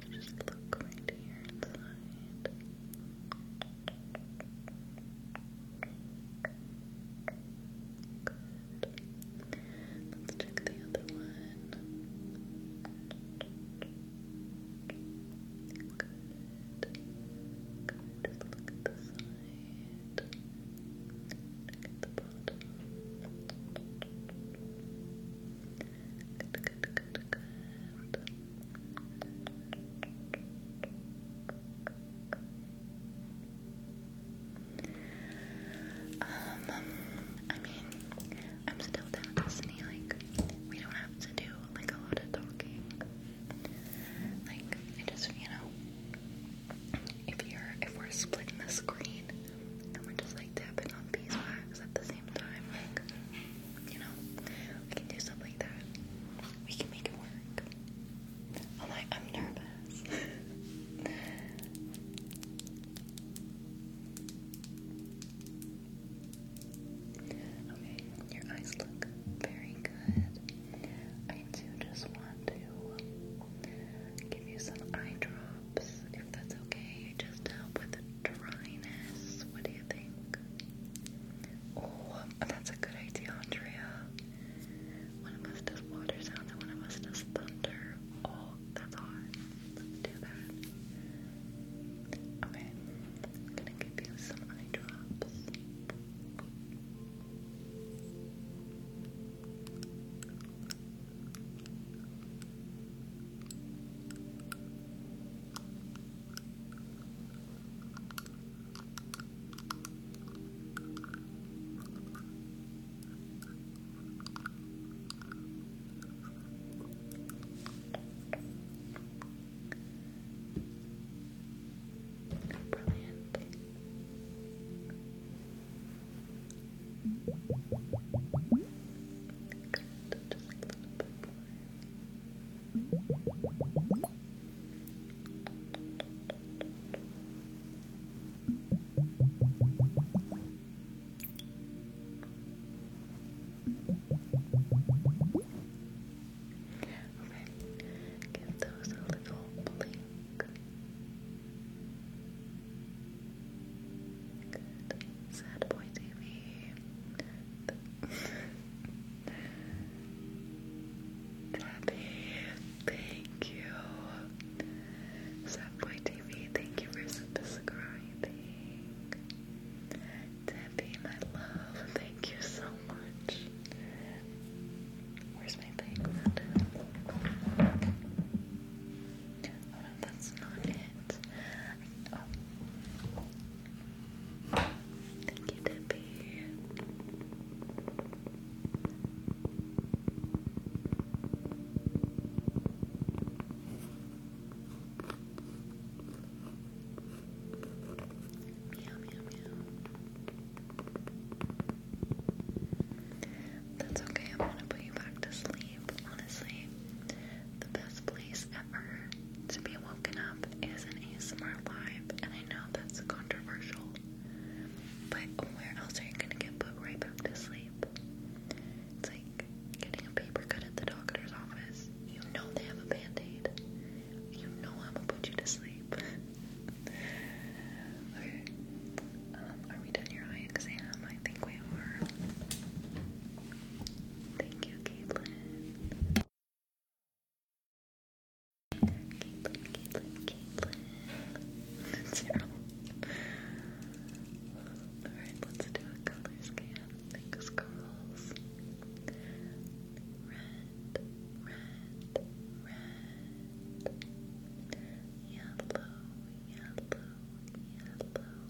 Let's just look right here inside. Let's check the other one. Just look at the side. Look at the bottom. Good, Um, I mean, I'm still down Disney, like, we don't have to do, like, a lot of talking. Like, I just, you know, if you're, if we're splitting the screen, and we're just, like, tapping on these marks at the same time, you know, we can do stuff like that. We can make it work. I'm like, I'm nervous. [LAUGHS] okay, your eyes look very good. I do just want to give you some eye drops if that's okay, just help with dryness. What do you think? Oh, that's a good idea, Andrea. One of us does water sounds and one of us does thunder. Oh, that's hot. Let's do that. Okay, I'm gonna give you some eye drops. Brilliant. Good, just a little bit Okay, give those a little blink. Sad Boy TV. Daddy, thank you. Subway TV, thank you for subscribing. Debbie, my love, thank you so much. Where's my background? that's not it. oh. Thank you, Debbie. Meow, meow, meow. That's okay, I'm gonna put you back to sleep sleep, honestly. The best place ever to be woken up is an ASMR live, and I know that's controversial, but where else are you gonna get put right back to sleep? It's like getting a paper cut at the doctor's office. You know they have a band aid, you know I'm gonna put you to sleep. [LAUGHS] okay, um, are we done your eye exam? I think we are. Thank you, Caitlyn, Caitlin, Caitlin, Caitlin. Zero. Alright, let's do a color scan. Thanks, girls. Red, red, red. Yellow, yellow, yellow.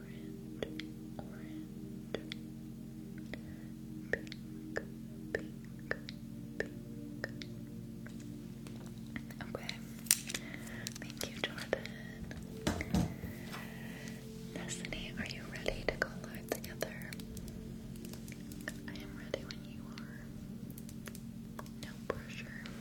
Okay. Thank you, Jordan. Destiny, are you ready to go live together? I am ready when you are. No pressure.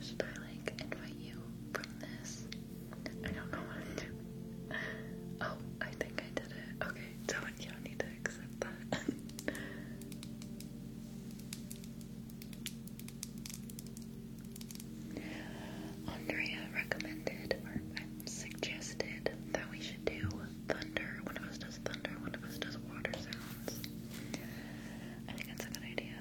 Should I like invite you from this? I don't know Oh, I think I did it. Okay, so you don't need to accept that. Andrea recommended or suggested that we should do thunder. One of us does thunder, one of us does water sounds. I think that's a good idea.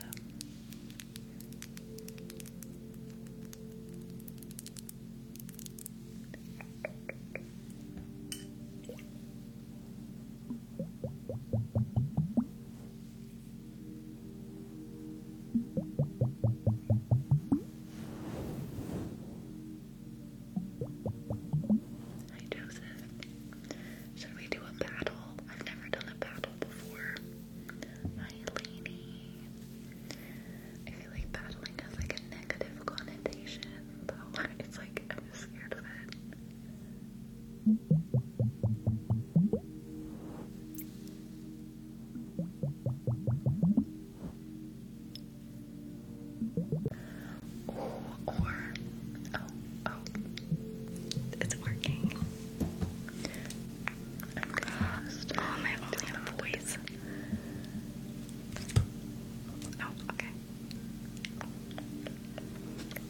Hi Joseph. Should we do a battle? I've never done a battle before. Hi Lainey. I feel like battling has like a negative connotation, though. [LAUGHS] It's like I'm just scared of it. Oh, oh, oh, it's working. Oh, my only voice. Oh, okay.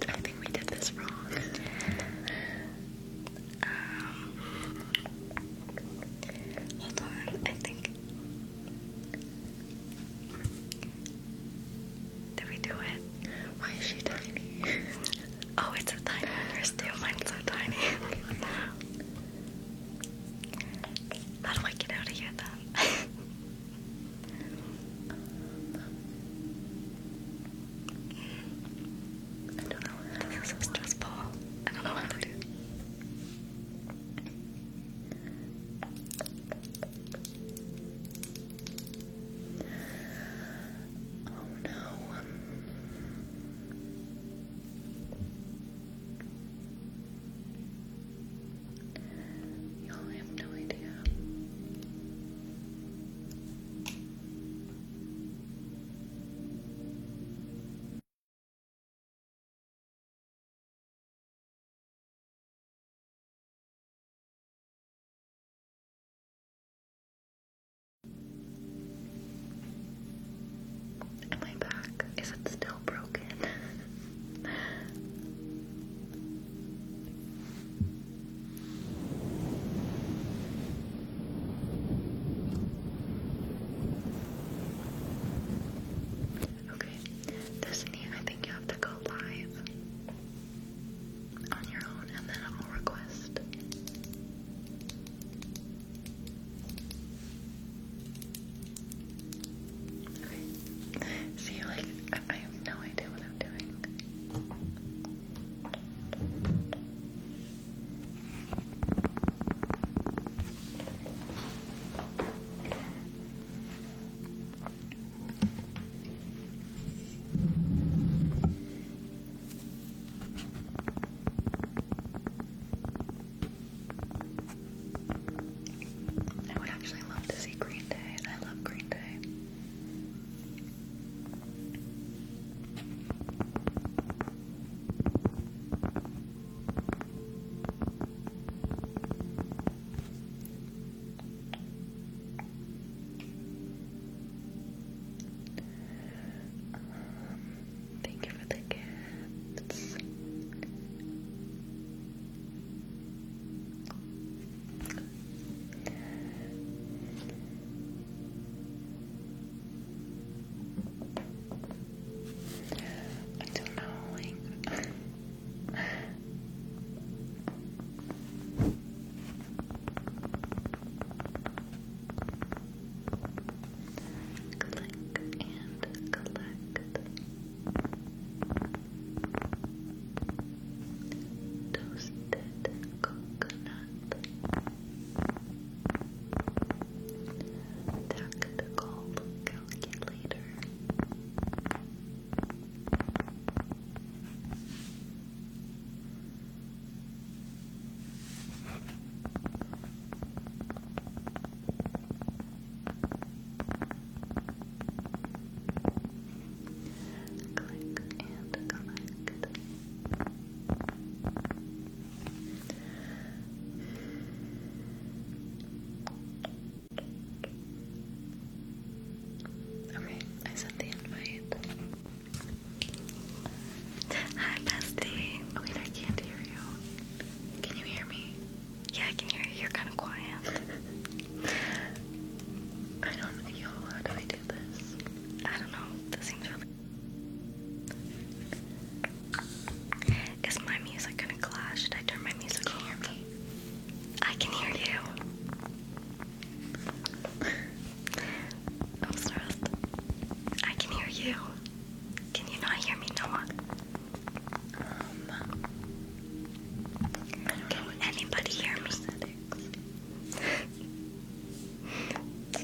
I think we did this wrong. Um, hold on. I think did we do it? Why is she tiny? [LAUGHS] oh, it's a tiny one. too. Mine's so tiny. [LAUGHS] How do I get out of here then? [LAUGHS] I don't know. This is stressful. I don't know what to do. Oh no. Y'all have no idea. And my back, is it still broken? Okay, Destiny, I think you have to go live on your own, and then I'll request. Okay. See, like, I have no idea what I'm doing. I would actually love to see Green Day, and I love Green Day thank you for the gifts. I don't know, like click and collect toasted coconut tactical calculator Click and collect. Click Okay, I sent the invite. Hi, bestie. Oh, I can't hear you. Can you hear me? Yeah, I can hear you. You're kind of quiet. I don't know. how do I do this? I don't know. This seems really. Is my music gonna clash? Should I turn my music can I can hear you. [LAUGHS] I'm stressed. I can hear you. Can you not hear me, Noah? Um, can anybody hear me?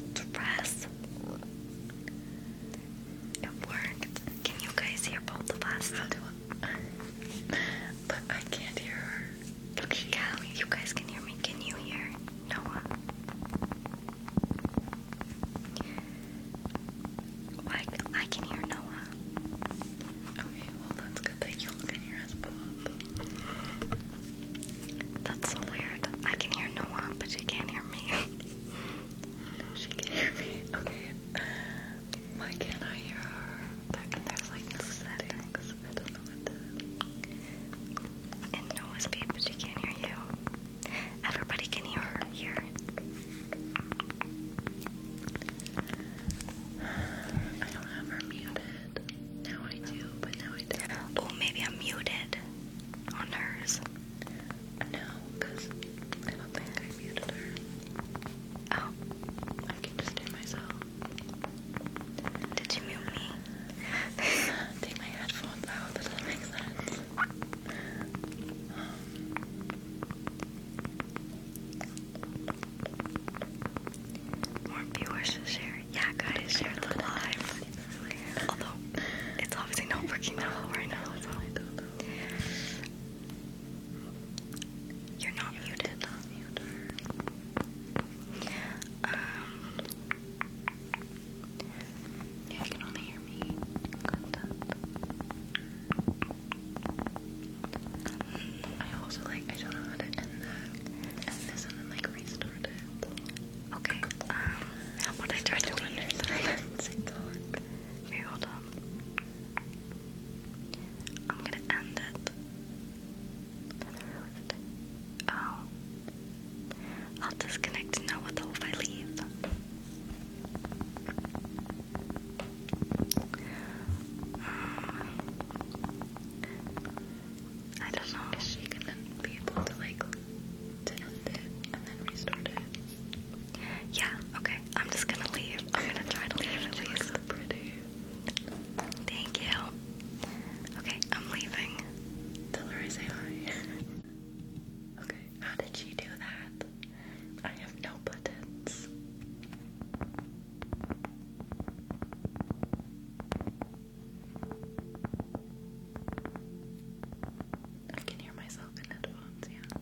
[LAUGHS] Press. It worked. Can you guys hear both of us? but I can't hear her. Okay, yeah, you guys can hear me. Can you hear Noah? Well, I, can hear Noah. Okay, well that's good that you can hear us both. That's so weird. I can hear Noah, but she can't hear me. [LAUGHS] she can't hear me. Okay. Uh, why can't I hear her? there's like settings. I don't know what that. And Noah's beat, but she can't hear you. Everybody can hear her here. I don't have her muted. Now I do, but now I don't. Oh, maybe I'm muted on hers. No, because I don't think I muted her. Oh, I can just do myself. Did you mute me? [LAUGHS] Take my headphones out, does that make sense? Um, more viewers to share. Yeah, guys, share the live. Although, it's obviously not working that well right now, you're not muted. yeah, um, you can only hear me. I also like I don't know how to and then like restart it. Okay. Um, how I try to understand? Maybe hold on. I'm gonna end it. Oh. I'll disconnect now with I leave. I don't know. she gonna be able to like to end it and then restart it? Yeah, okay. I'm just gonna leave. I'm gonna try to leave at least. So pretty. Thank you. Okay, I'm leaving. Tell her I say hi. [LAUGHS] okay, how did she do that? I have no buttons. I can hear myself in headphones, yeah.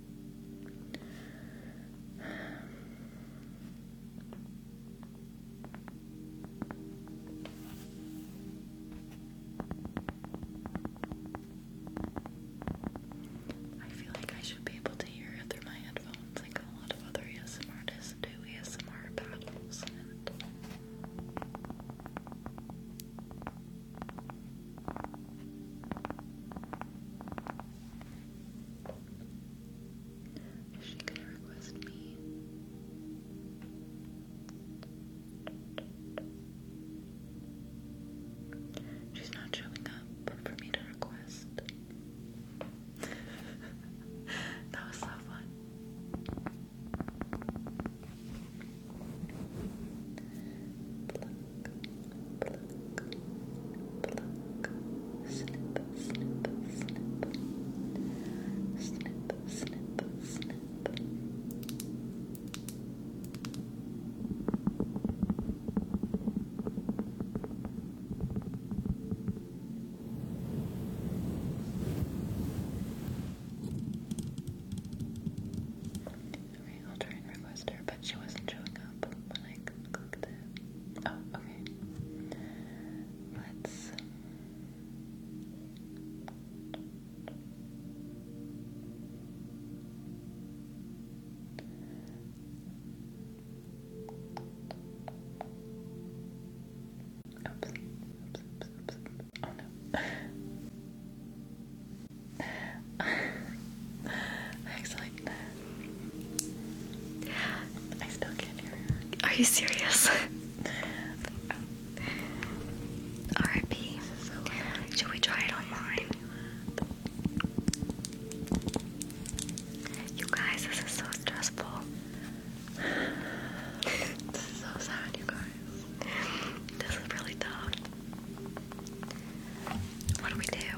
I feel like I should be able to hear it through my headphones, like a lot of other ASMR do ASMR battles is she gonna request me? She's not showing up for me to request. [LAUGHS] that was so fun pluck, I'll try and request her, but she wasn't showing up when I Oh, okay. Let's. Oops. Oops, oops, oops, oops. Oh no. I [LAUGHS] Are you serious? oh. [LAUGHS] RIP. Should we try it online? You guys, this is so stressful. this is so sad, you guys. This is really tough. What do we do?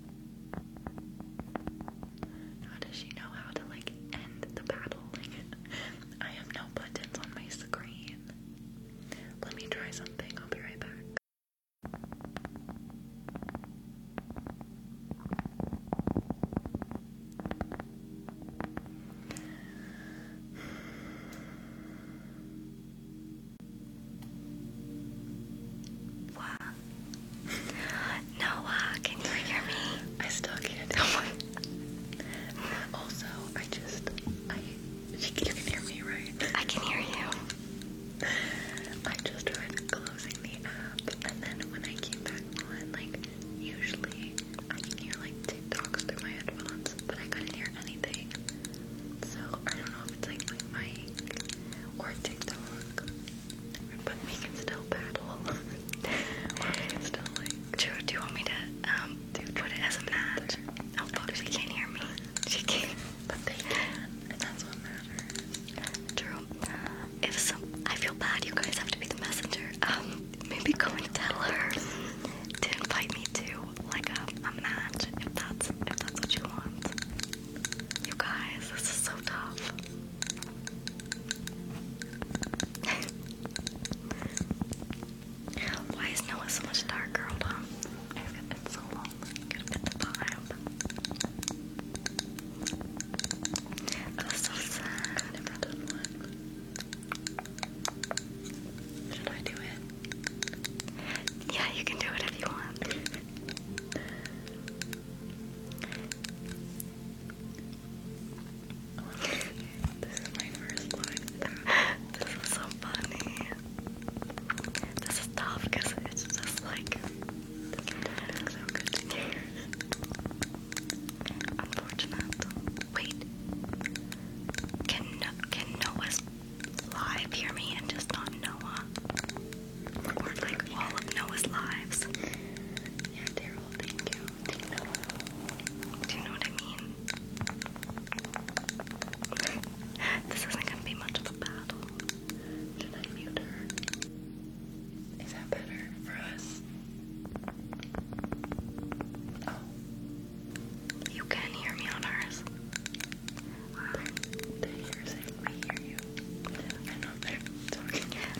How does she know how to like end the battle? I have no buttons on my screen. Let me try something. I'll be right back. Noah, can you hear me? I still can't. [LAUGHS] Also, I just, you can hear me, right? I can hear you. I just tried closing the app, and then when I came back on, like, usually I can hear like TikToks through my headphones, but I couldn't hear anything. So I don't know sounds like my mic or But we can still battle. [LAUGHS] or do you want me to um do put it as a match? Oh fuck, she can't hear me. But that's what matters. Drew, if some, I feel bad. You guys have to be the messenger. Um, maybe go and tell her to invite me to like a, match if that's if that's what you want. You guys, this is so tough. [LAUGHS] Why is Noah so much darker? Hold on. I've got so long. Should I do it? Yeah, you can do it if you want. This is my first live. [LAUGHS] This is so funny. This is tough because it's just like Wait. Can can Noah's live hear me and just not Noah? or like all of Noah's lives. Yeah, Daryl, thank you. Do you know what I mean? [LAUGHS] this isn't gonna be much of a battle. Should I mute her? Is that better for us? Oh. You can hear me on hers.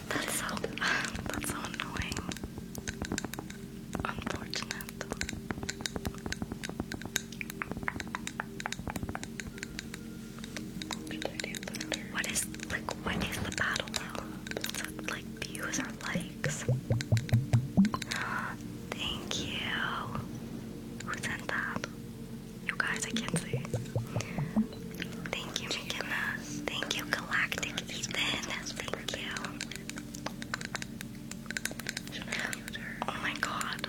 That's so that's so annoying. Unfortunate. What is like what is the battle What's like views or likes? [GASPS] Thank you. Who sent that? You guys, I can't see. Thank you, Thank you, Galactic Ethan. Thank you. Oh my god.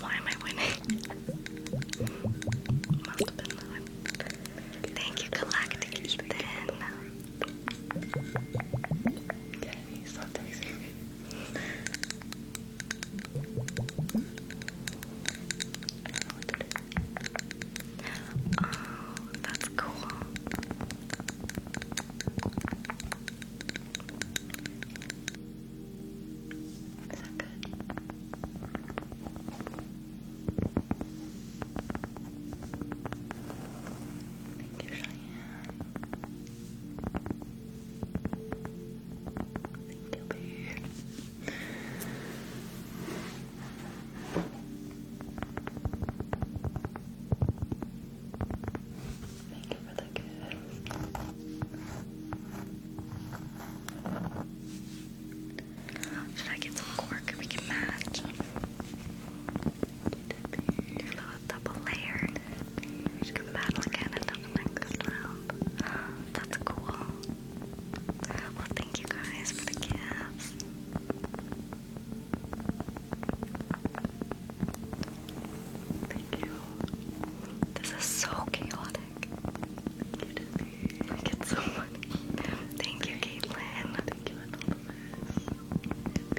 Why am I winning? Thank you, Galactic Ethan. Oh, that's cool. Is good? Thank you, Cheyenne. Thank you, babe. Thank you for the Should I get some cork? We can match. Your little double layered. You can battle again in the next round. [GASPS] That's cool. Well, thank you guys for the gifts. Thank you. This is so chaotic. Thank you, Disney. I so funny. Thank you, Caitlin. Thank you, Anonymous. And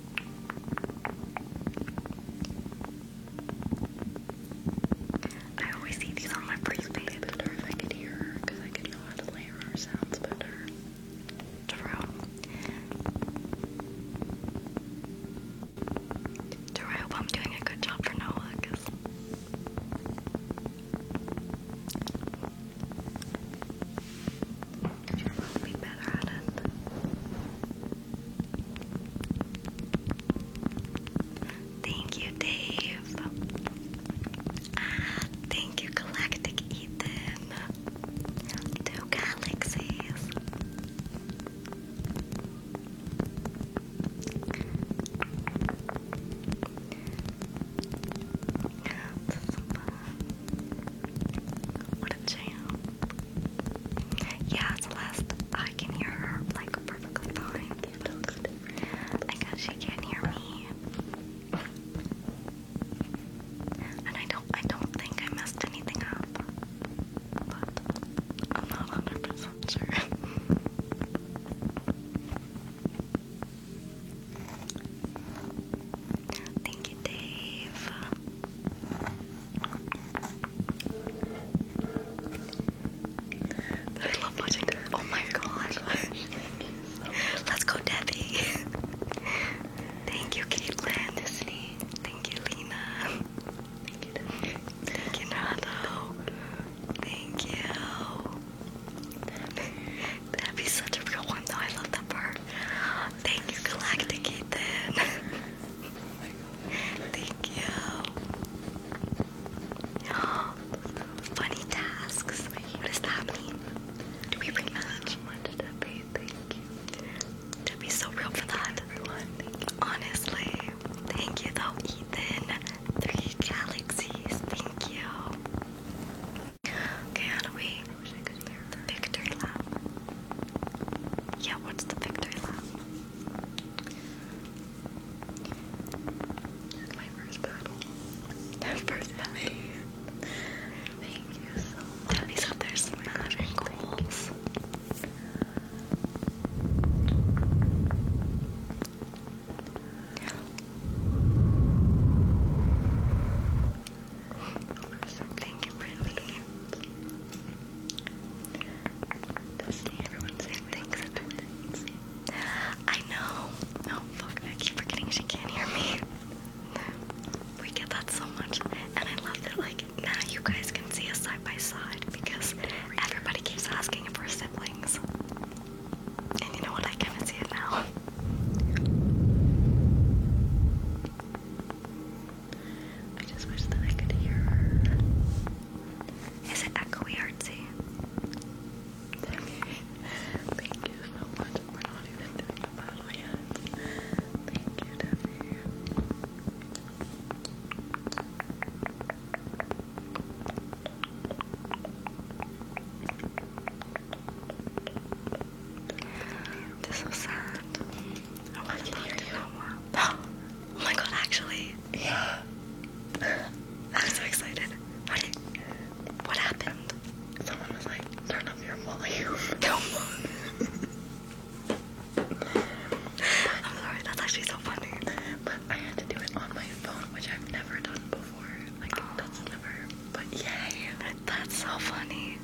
I always see these on my freeze I better if I could hear I could know how to layer sounds better. Terrell. Terrell, I hope I'm doing a good job for Noah Thank you, Dave. Ah, thank you, Galactic Ethan. Two galaxies. What a jam. Yeah, Celeste, I can hear her like perfectly fine. I guess she can't hear me. And I don't I don't think I messed anything up. But I'm not 100 sure. Thank you, Dave. I love watching Oh my god. [LAUGHS] Let's go, Debbie. Thank you, Caitlin. Thank you, Lena. Thank you, Debbie. Thank you. That'd be such a real one, though. I love that part. Thank you, Galactic Ethan. [LAUGHS] Thank you. Funny tasks. What does that mean? Do we rematch? Debbie, thank you. Debbie's so real for that. Everyone, Honestly, thank you though, Ethan. Three galaxies, thank you. Okay, we? the victory lap. Yeah, what's the victory lap? My first battle. first battle. Thank you so much. That some magic goals. I know. Oh fuck, I keep forgetting she can't hear me. We get that so much. And I love that like now you guys can see us side by side because everybody keeps asking if siblings. And you know what? I kind see it now. I just wish that I could hear her. Is it echoey artsy? Thank you so much. We're not even doing yet. Thank you, Debbie. This is sad. Oh, I can hear you. [GASPS] Oh my god, actually. Yeah. I'm so excited. What, what happened? Someone was like, turn up your volume. [LAUGHS] No. I'm sorry, that's actually so funny. But I had to do it on my phone, which I've never done before. Like, never. But yay. That's so funny.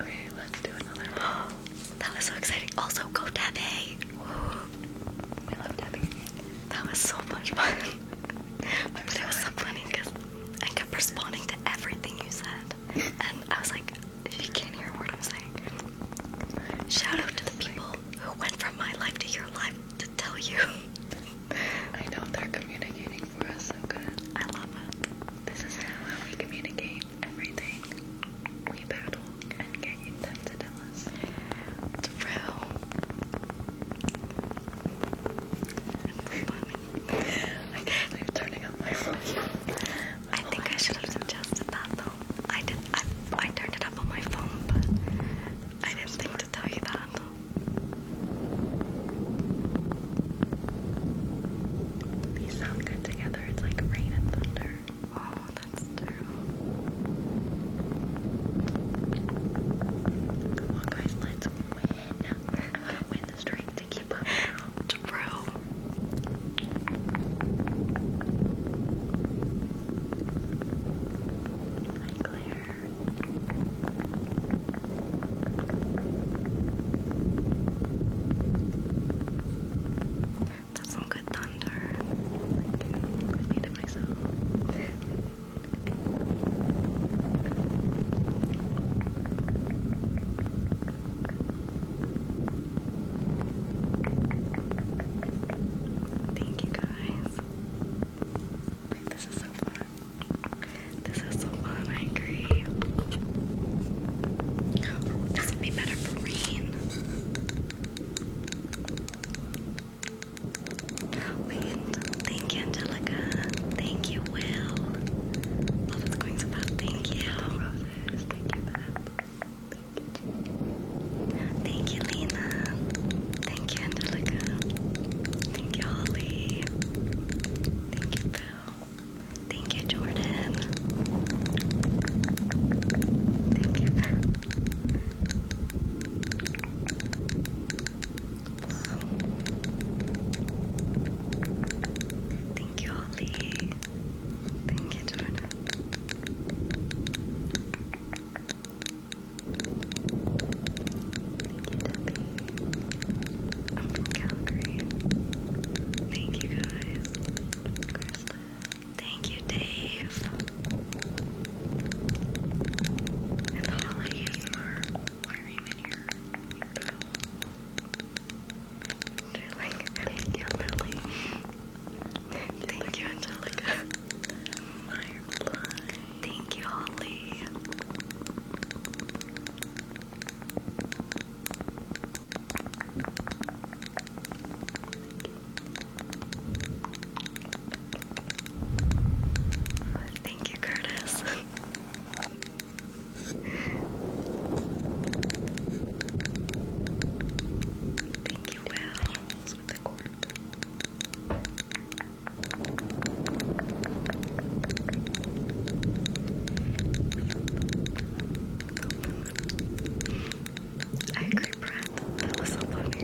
Okay, let's do another [GASPS] that was so exciting. Also, go tapping. [GASPS] I love tapping. That was so much fun. but sorry. it was so funny because I kept responding to everything you said. and I was like, "You can't hear a word I'm saying. Shout out to the people who went from my life to your life to tell you. I know they're communicating for us so good. I love it. This is how we communicate everything we battle and getting them to tell us through [LAUGHS] I I think I should have suggested that though. I did I turned it up on my phone but I didn't think to tell you that. These sound good together together. It's like rain and thunder. Oh, that's terrible. Come on, guys, let's win. the streak to keep up. True. Hi, Claire. That's some good thunder. I can repeat myself. Thank you guys. This is so fun. This is so fun, I agree. Oh, this would be better for rain. thank you, Angelica. Thank you, Will. Love oh, is going so fast. Thank you. Roses. Thank you, Beth. Thank you, Lena. Thank you, Angelica. Thank you, Holly. Thank you, Bill. Thank you, Jordan. Thank you. thank you, Ollie. Thank you, Jordan. Thank you, I'm from Calgary. Thank you guys. Thank you, Dave. And Holly for wearing in your they thank you, Lily. Thank you, Angelica. Firefly. Thank you, Holly. Thank you, Curtis. Thank you, Will. I agree, Brad. That was so I agree,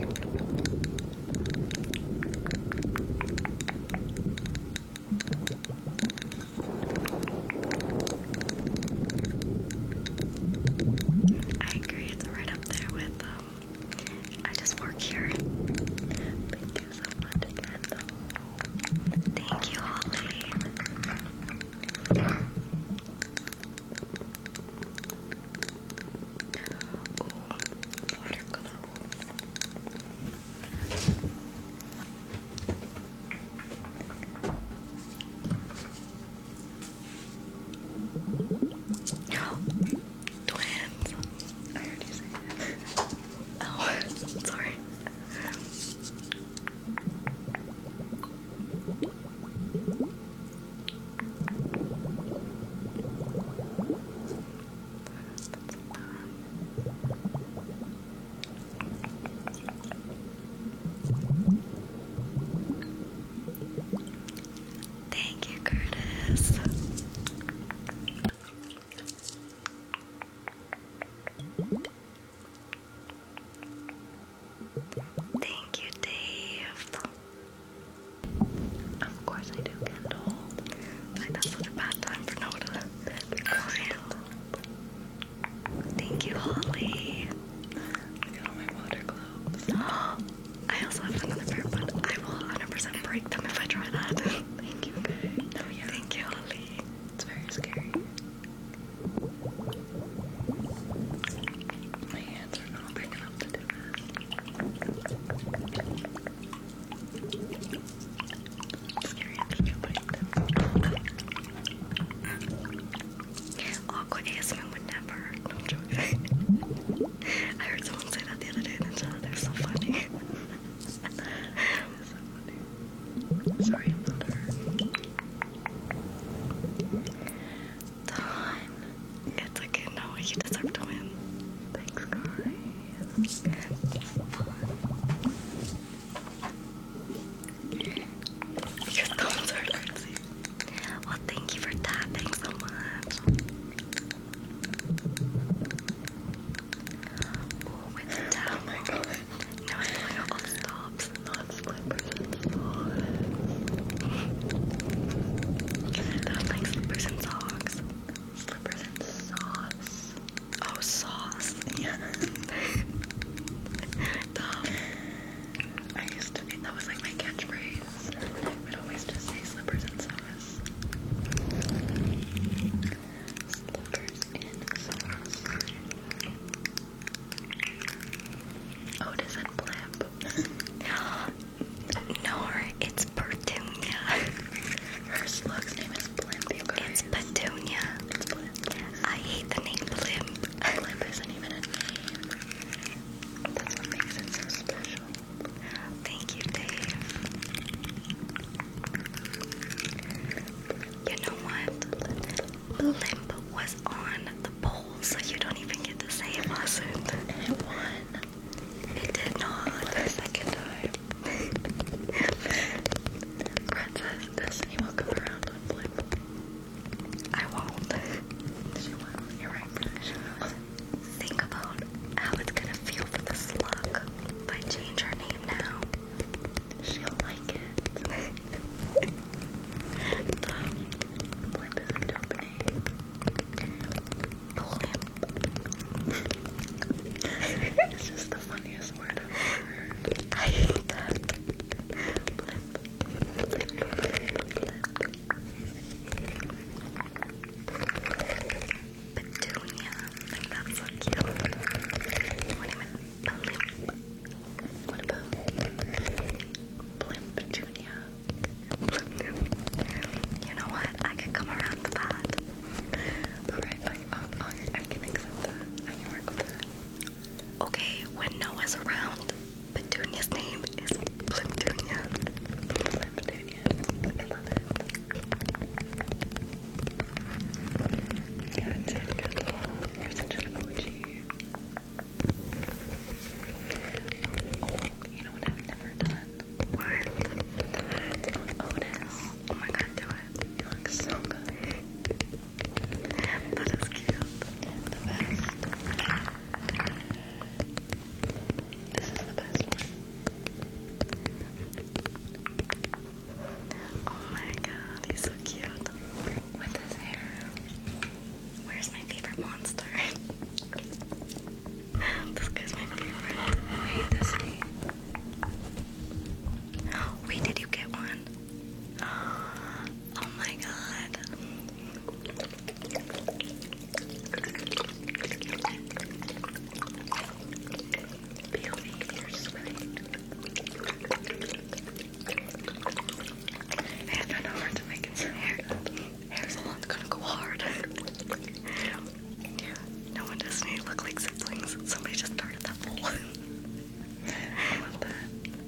it's right up there with, um, I just work here. Thank you so much Thank you, Holly watercolor. Twins. you Oh, [LAUGHS] sorry. Thank you, Curtis. Thank you, Dave. Of course I do, Kendall. Like that's such a bad time for Noah to be quiet. Thank you, Holly. I got all my water globes. [GASPS] I also have another pair, but I will 100% break them if I try that. Thank you. [LAUGHS] Okay. Oh, yeah. Thank you, Holly. It's very scary. My hands are not big enough to do that. Just Awkward ASMR never. No, i I heard someone say that the other day and the chat. They're so funny. they [LAUGHS] so funny. Sorry, i Don, it's okay, no, you deserve to win. Thanks, guys. Your thumbs are crazy. Well, thank you for that. so much. Oh, with the towel. No, I feel like all the stops and not slippers and socks. They're like slippers and socks. Slippers and sauce. Oh, sauce. Yeah. Dumb. I used to, that was like my catchphrase. I would always just say slippers and sauce. Slippers and sauce. Oh, does it Blimp? [LAUGHS] no, it's Petunia. [LAUGHS] Her slug's name is Blimp, It's Petunia. I hate the name Blimp. Blimp isn't even a name. That's what makes it so special. Thank you, Dave. You know what? blimp was on the pole, so you don't even get to say it was And it won. It did not. second time. Brett says Destiny will come around on blimp. I won't. She will You're right, She will Think about how it's gonna feel for the slug if I change her name now. She'll like it. [LAUGHS] blimp is a company. Blimp. it's just the funniest word I've ever heard. I hate that. Blimp. Blimp. Blimp. Petunia. Like, that's so cute. You won't even blimp. What about blimp you know what? I could come around the oh, oh, that. Okay, when Noah's around, Petunia's name is Blimptunia. Blimptunia. I love it. Good, good, good. You're such an OG you know what I've never done? What? Oh, oh my god, do it. You look so good. That is cute. This is the best one. Oh my god, he's so cute. With his hair. Where's my favorite monster? [LAUGHS] this guy's my favorite. Wait, did you get one? [GASPS] Oh my god. And I know hard to make it sound. Hair, hair salon's gonna go hard. no one does need to siblings. Somebody just started that poll.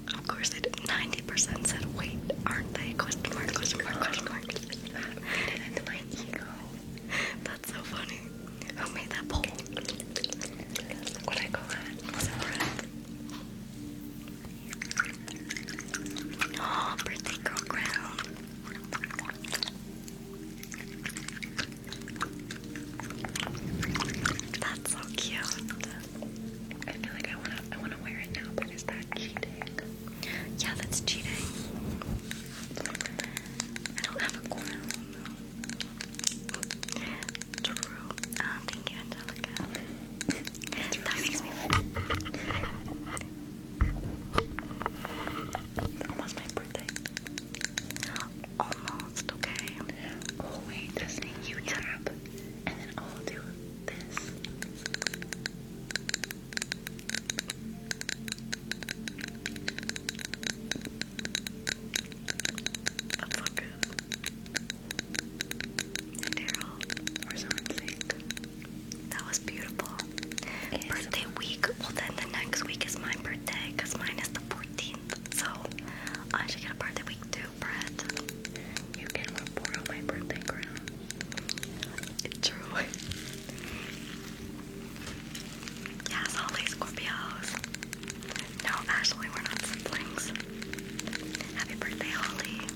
Of course, they did. 90% said, wait, aren't they? Question mark, question mark, question mark. That's so funny. Who made that poll? Look I call that. Oh, birthday girl crown. That's so cute. I feel like I wanna I wanna wear it now, but is that cheating? Yeah, that's cheating. I don't have a crown True. Um, thank you, Angelica that Almost my birthday. Almost, okay. Oh wait, that's me. You tap, and then I'll do this. That's good. Daryl or something. That was beautiful. Birthday week. Well, then the next week is my birthday because mine is the 14th. So I should get a birthday week too, Brett. You can borrow my birthday crown. It's true. yes, Holly Scorpios. No, actually, we're not siblings. Happy birthday, Holly.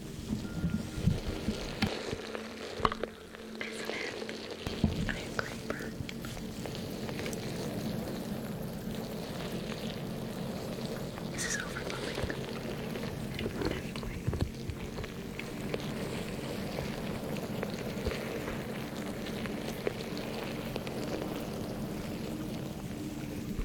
Isn't it? I agree, Bert. This is overwhelming. Anyway.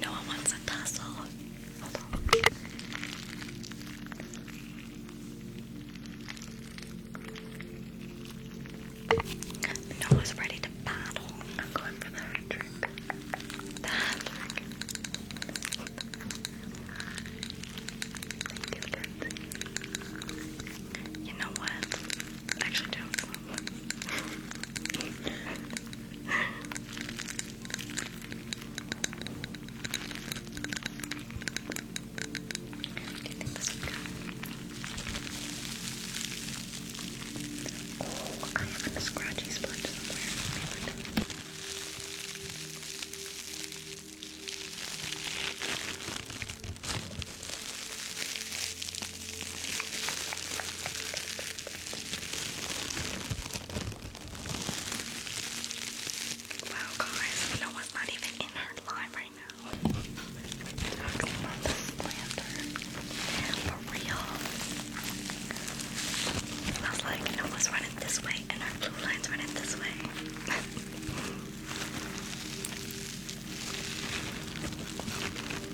no one wants a tussle. Hold on. ready to battle. I'm going for the hat you, know what? actually don't. Oh, I have a scratchy spot somewhere. Okay, Wow, guys, Noah's not even in her live right now. Talking about the slander. For real. I was like, Noah's running this way, and our blue line's running this way. [LAUGHS]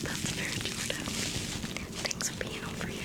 That's fair, Jordan. Thanks for being over here.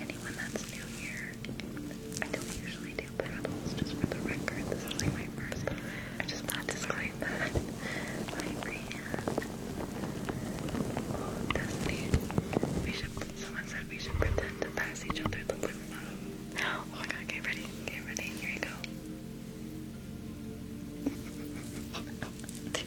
anyone that's new here, I don't usually do paddles, just for the record. This is like my first. I just want to disclaim that. My brand. Oh, Destiny. We should. Someone said we should pretend to pass each other the lip Oh my god! Get ready. Get ready. Here you go. [LAUGHS]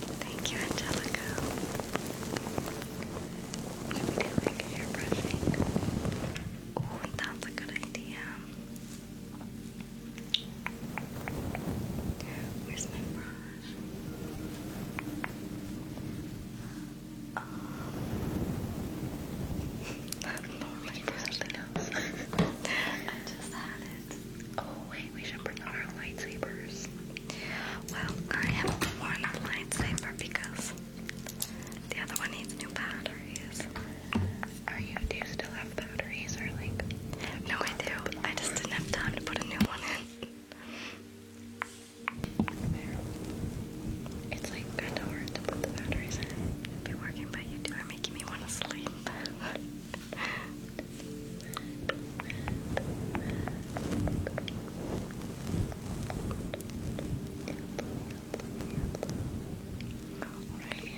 Thank you, Angelica. Should we do like hair brushing? Oh, that's a good idea. Where's my brush? Um, [LAUGHS] my brush [LAUGHS] I just had it. Oh wait, we should bring our lightsabers. Well, I haven't worn a because the other one needs new batteries. Are you? Do still have batteries, or like? No, I do. I just didn't have time to put a new one in. It's like kind of hard to put the batteries in. It'd working, but you two are making me want to sleep. [LAUGHS] Alright, mommy,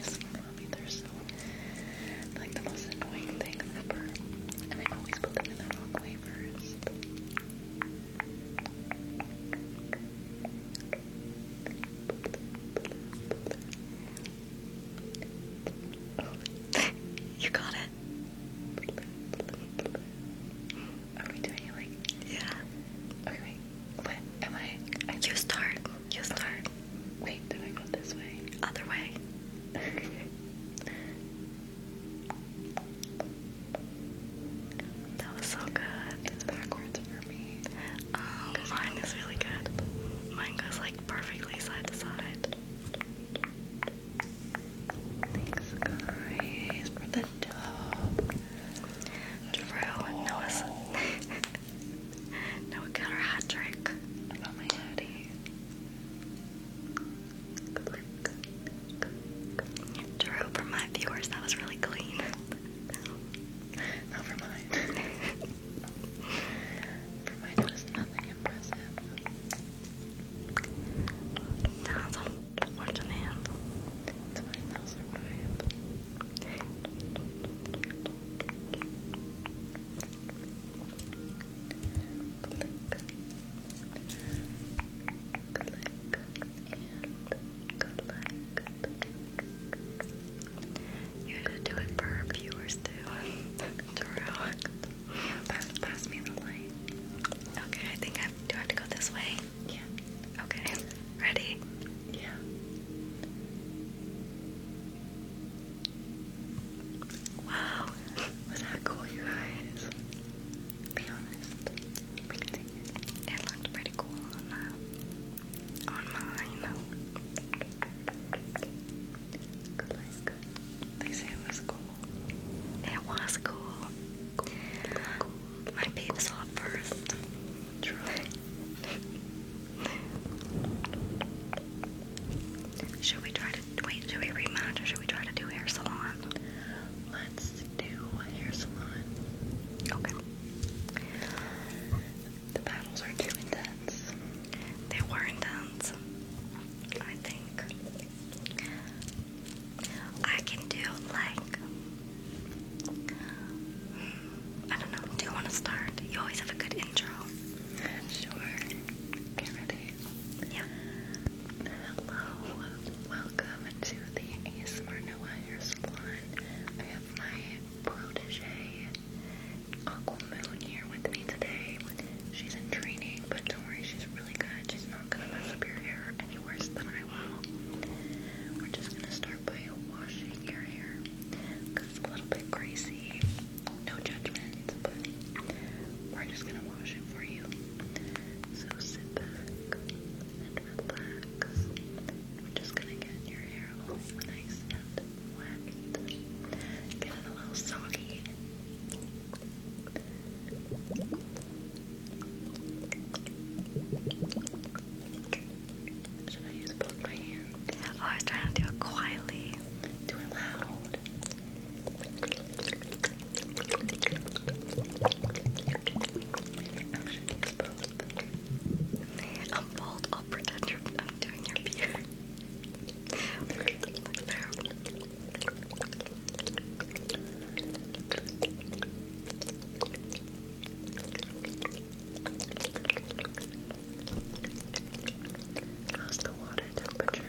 they're like the most annoying thing ever. And I always put them in the wrong way [LAUGHS] you got it. Are we doing like? Yeah. Okay, What am I? you start. You start. Wait, do I go this way? Other way. [LAUGHS] that was so good. It's backwards for me. Oh, mine is really good. Mine goes like perfectly side to side. Thanks, guys, for the dub. Drew, Noah's. [LAUGHS] Noah got her hat trick. I my hoodie. Drew, for my viewers, that was really clean. Not for mine. [LAUGHS] for mine, it nothing impressive. That's unfortunate. 20,005. Click. Click and collect. You do it for our viewers too. True. [LAUGHS] Pass, me the light. Okay, I think I do. I have to go this way. Yeah. Okay. Ready? Yeah. Wow. Was that cool, you guys? Be honest. It looked pretty cool on that. On mine. They say it was cool. It was cool. My babe saw it first. should we try to wait? Should we rematch or should we try to do hair salon? Let's do hair salon. Okay. The battles are too intense. They were intense. I think. I can do like I don't know. Do you want to start? You always have a good intro. Sure. Get ready. Yeah. Hello. Welcome to the ASMR Noah Hair Salon. I have my protege Aquamoon here with me today. She's in training, but don't worry, she's really good. She's not gonna mess up your hair any worse than I will. We're just gonna start by washing your hair because it's a little bit crazy. No judgment, but we're just gonna wash it for you. So sit back and relax. We're just gonna get your hair all nice and wet. Get it a little soggy. Should I use both hands? Oh, I was trying to do it quietly. Do it loud. I am bald. I'll pretend I'm doing your beard. [LAUGHS] Looks How's the water temperature?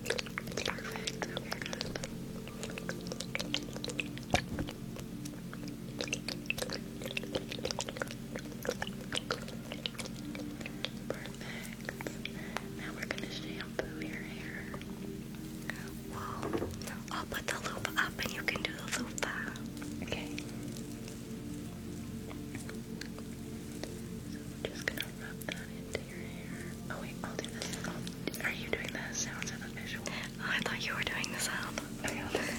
It's perfect. Okay, good. Okay, Perfect. Now we're gonna shampoo your hair. Well, I'll put the loop up and you can do the loop. Okay. just gonna rub that into your hair. Oh wait, I'll do this. are you doing the sounds or the visual? Oh, I thought you were doing the sound. [LAUGHS]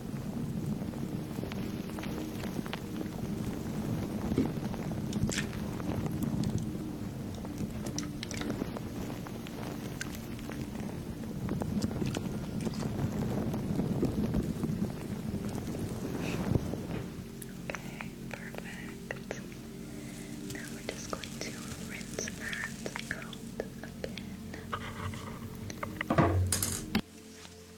Okay, perfect. Now we're just going to rinse that out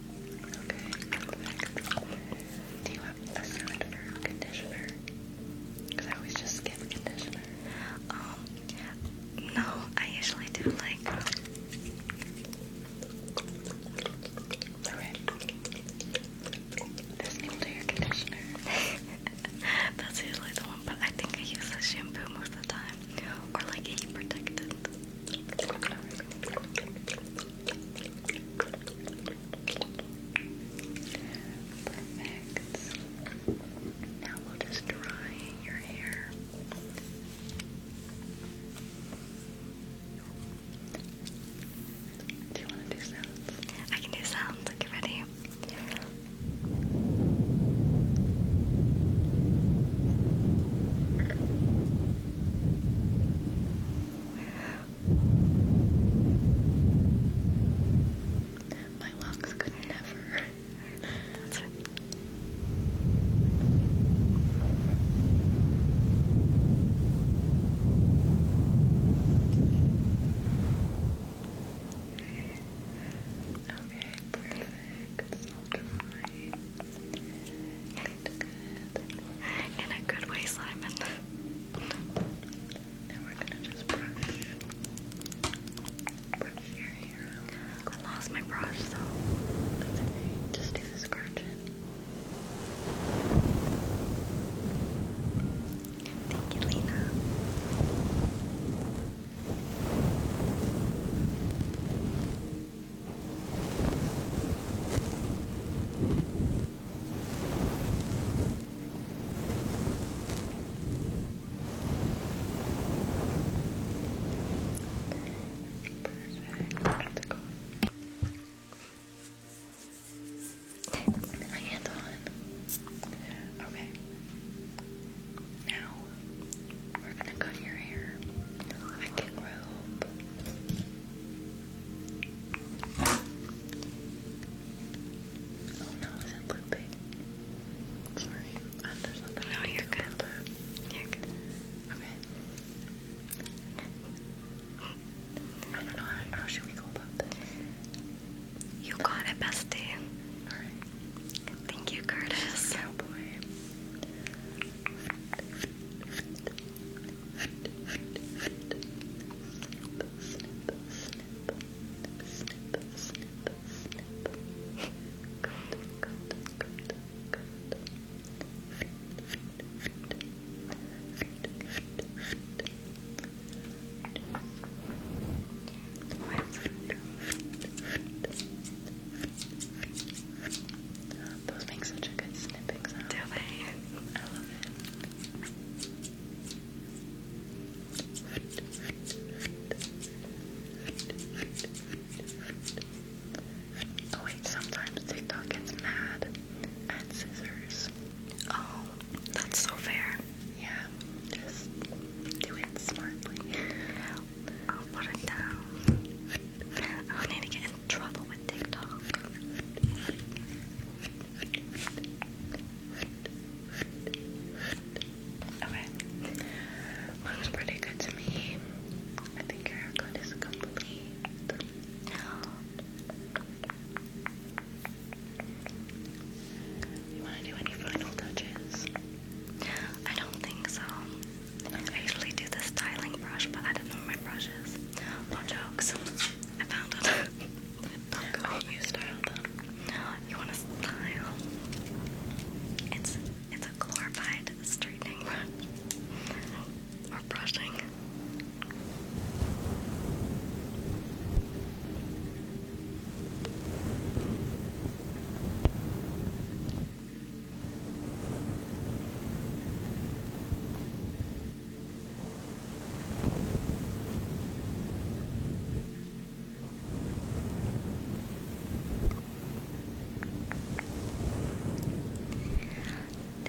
Okay. Do you have a scent conditioner? Because I always just skip conditioner. Um, no, I usually do like. This will do conditioner. [LAUGHS] That's usually the one, but I think I use a shampoo most of the time. Or like heat protectant. Perfect. Now we'll just dry your hair. Do you want to do sounds? I can do sounds. Okay, ready? My lungs could never. Okay, perfect. I'll Good. In a good way, Simon. [LAUGHS] Now we're gonna just brush, your hair. I lost my brush, so Just do the scratching. Thank you, Lena. Perfect. My hand's on. Okay. Now we're gonna cut your hair with a kick Oh no, is it looping? Sorry, uh, there's nothing no, I you're good. you Okay. I don't know, how, how should we go about You got it, bestie. Alright. Thank you, Curtis. Cowboy. Those make such a good snipping sound. Do they? I love it. Oh wait, sometimes TikTok gets mad at scissors. Oh, that's so fair. Yeah, just do it smartly. I'll put it down. I need to get trouble with TikTok. Okay. Looks pretty good to me. I think your haircut is complete. You want to do any final touches? I don't think so. I usually do the styling brush, but I don't know my brushes. No jokes. I found it. oh, style though. You want a style? It's it's a glorified straightening or brushing.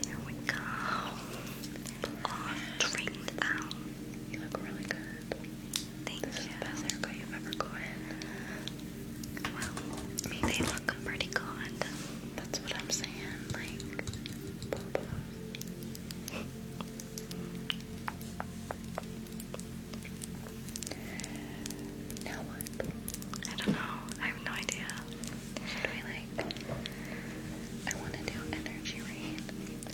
There we go. All You look really good. Thank you. This is the best haircut you've ever gotten. Well, they look pretty good. That's what I'm saying. Like, now what? I don't know. I have no idea. Should we like? I want to do energy rain.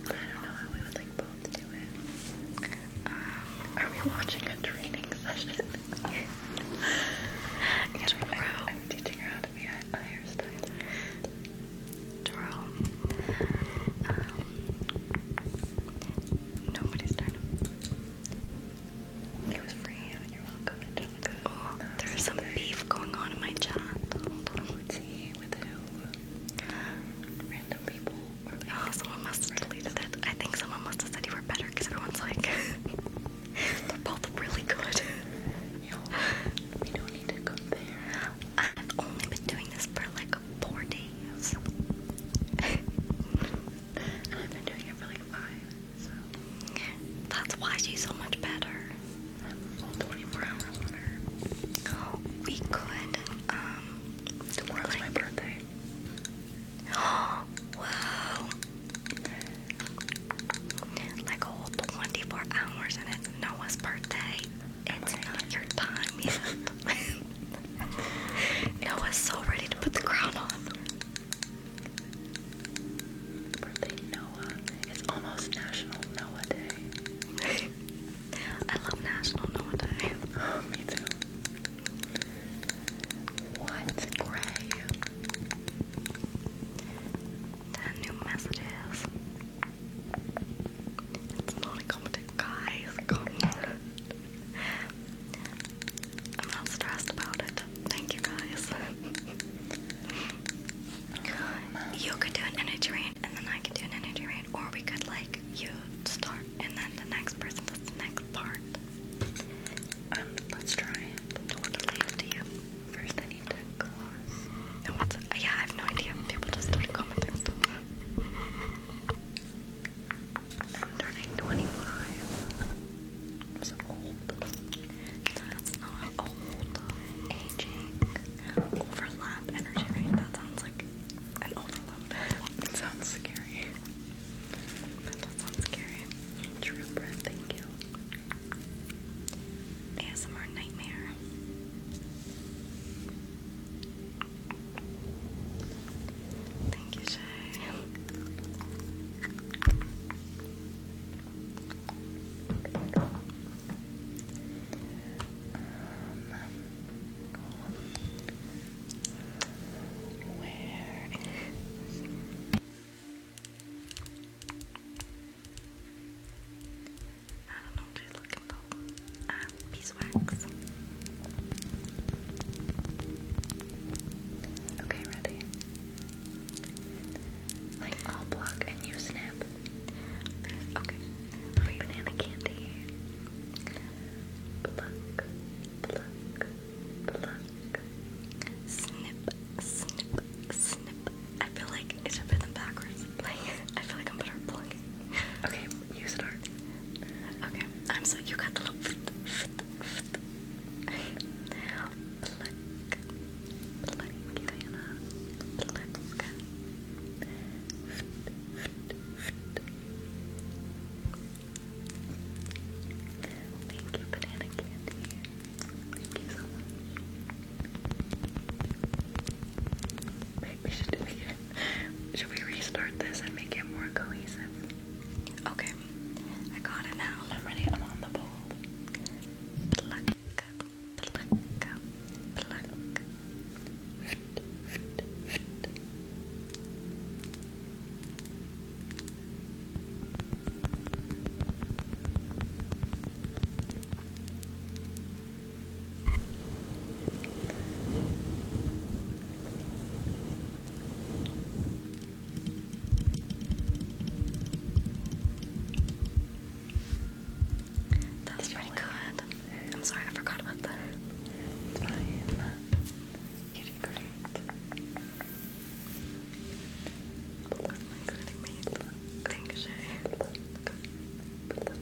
I don't know how we would like both do it. Um, Are we watching a training session? yes. True. I'm, I'm teaching her how to be a hairstylist. Um, oh, there's some beef going on in my chat. oh, someone must have deleted it. I think someone must have said you were better because everyone's like, [LAUGHS] they're both really good. [LAUGHS] We don't need to go there. I've only been doing this for like four days. [LAUGHS] and I've been doing it for like five, so. That's why she's so much better. 24 hours on her. Um, Tomorrow's my birthday. [GASPS] wow like a 24 hours and it's Noah's birthday. It's oh not your time yet. Noah's [LAUGHS] so ready to put the crown on. Birthday Noah. It's almost National Noah Day. [LAUGHS] I love National Noah Day. Oh, [LAUGHS] me too. What gray? Ten new messages. It's not incompetent, guys. I'm not stressed about it. Thank you, guys. You could do an energy rain, and then I could do an energy rain, or we could like you start, and then the next person does the next part. Um, let's try. Totally up to you. First, I yeah, I have no idea. People just do commenting stuff. I'm turning That's not old. Aging. Overlap energy, That sounds like an overlap. sounds scary. That sounds scary. True breath, thank you. ASMR nightmare. Thank you, Shay. Um, I don't know what you're looking beeswax. Okay, ready? Like, I'll block and you snap. Okay. Wait. Banana candy. Pluck, pluck, pluck. Snip, snip, snip. I feel like like it should them backwards. Like I feel like I'm better at plugging. Okay, you start. Okay, I'm so you got the little pluck, pluck, Thank you, banana candy. Thank you so much should we restart this and make it more cohesive? Okay, I got it now. I'm ready. I'm on the ball. That's pretty good. I'm sorry, I forgot about that. It's fine. You did great. Look, my good made. Thank you, Shay. Look. Look.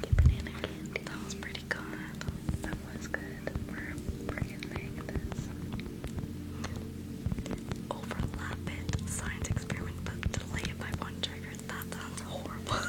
The banana candy. That was pretty good. That was good. We're, we're going this. Overlap it. Science experiment, but delay it by one trigger. That sounds horrible.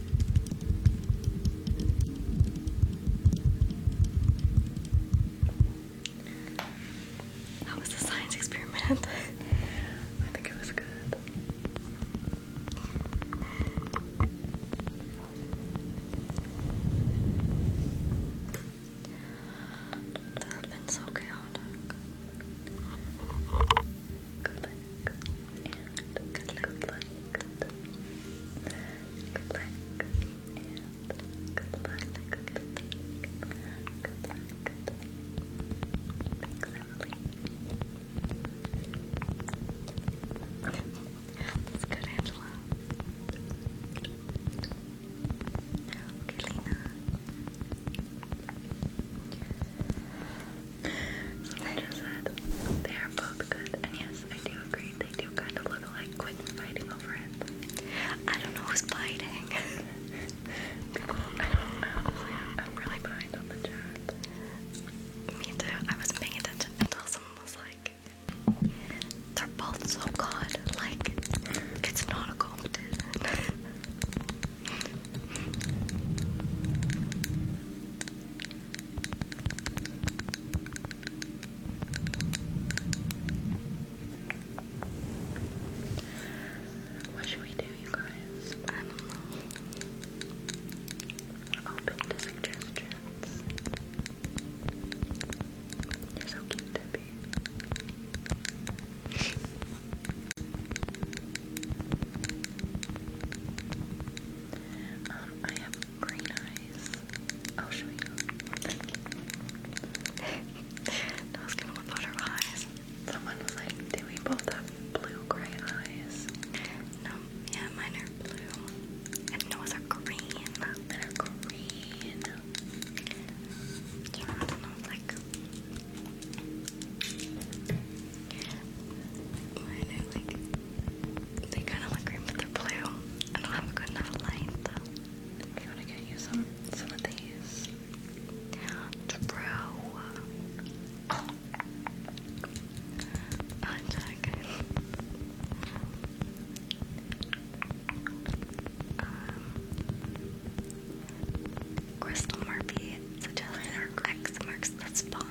How was the science experiment? [LAUGHS] I think it was good. That have been so chaotic. Good luck good luck. Good luck. Good luck. And good luck. Good luck. Good luck. Good luck. Thanks, Emily. That's good, Angela. Okay, Lena. So they just said they are both good, and yes, I do agree. They do kind of look like quit fighting over it. I don't know who's fighting. I don't know. I'm really behind on the chat. Me too. I was paying attention until someone was like, they're both so good. Like, it's not a competition. [LAUGHS] What should we do, you guys? I'm open to suggestions. You're so cute, Debbie. Um, I have green eyes. I'll show you. I [LAUGHS] was gonna about her eyes. Someone was like, do we both have blue gray eyes? No, yeah, mine are blue. And Noah's are green. Mine are green. Yeah, I don't know, like mine are like they kind of look green, but they're blue. I don't have a good enough light though. If you want to get you some some of these, True. Oh. Uh, um, crystal Murphy suggested her X marks the spot.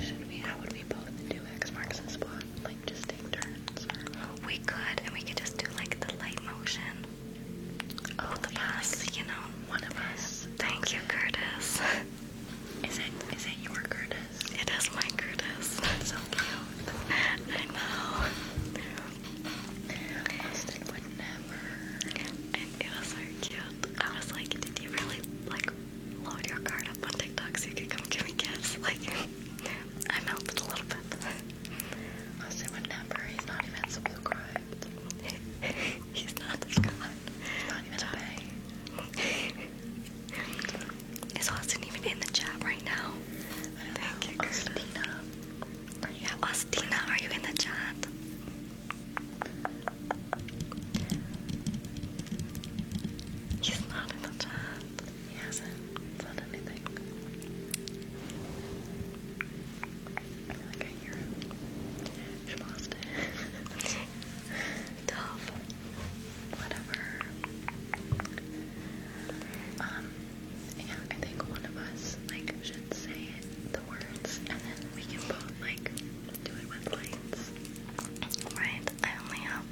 Should we? How would we both do X marks the spot? Like just take turns? We could, and we could just do like the light motion. Both of us, you know. One of us. Thank you, Curtis. Is it? Is it your Curtis? It is my Curtis. so cute. [LAUGHS] I know. Austin would never. it was so cute. I was like, did you really like load your card up on TikTok so you can come give me gifts. Like, [LAUGHS] I'm helped a little bit. [LAUGHS] I'll say not even subscribed. [LAUGHS] He's not subscribed. He's not even in the chat right now? Thank you, Christina. Yeah, Austina, are you in the chat? He's not in the chat. He hasn't said anything. I feel She lost it. [LAUGHS] Tough. Whatever. Um, yeah, I think one of us, like, should say the words, and then we can both, like, do I only have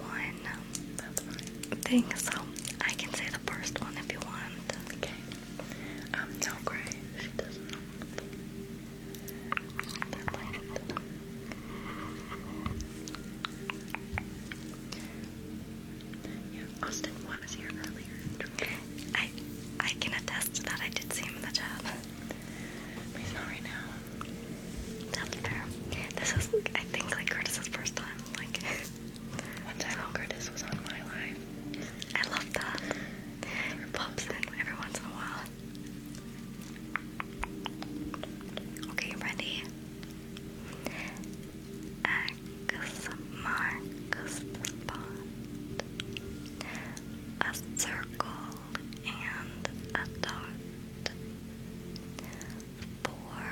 one thing, so I can say the first one if you want. Okay. Um, no, Gray, she Yeah, Austin was here earlier. I I can attest that. I did see him in the chat. But he's not right now. That's fair. This is, I think, like Curtis's first time. Like, [LAUGHS] one time oh. Curtis was on my live. I love that. It pops in every once in a while. Okay, ready? X marks the spot. A circle and a dot. Four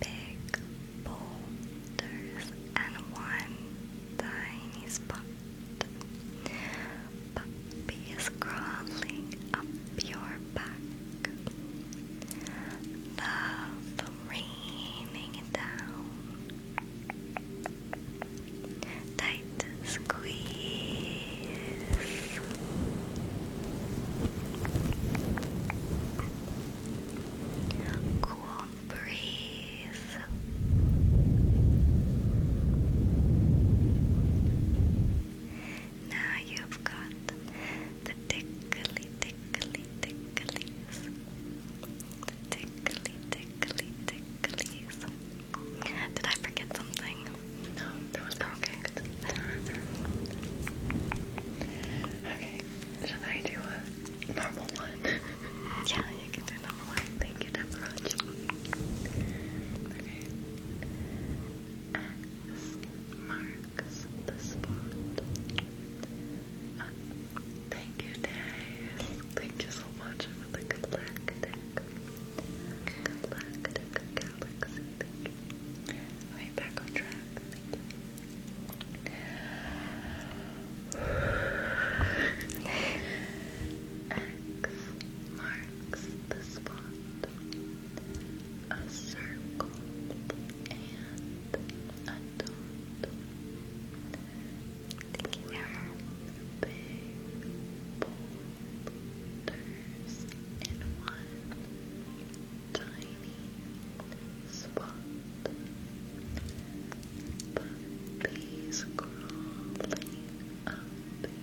big boulders and one tiny spot. Puppy is crawling up your back. Love raining down. They squeeze. Cool breeze. Now you've got the tickly, tickly, ticklies. The tickly, tickly, ticklies. Did I forget something? No, that was perfect. Okay, should I do a normal one? [LAUGHS] yeah, you can do number one. Thank you, Deborah. Okay. X marks the spot. thank you, Dave. Thank you so much for the galactic. Galactic, galactic, Alexa, thank you. back on track. X marks the spot. A circle and a dot. Thank you, Big boy boulders in one tiny spot. But these crawling up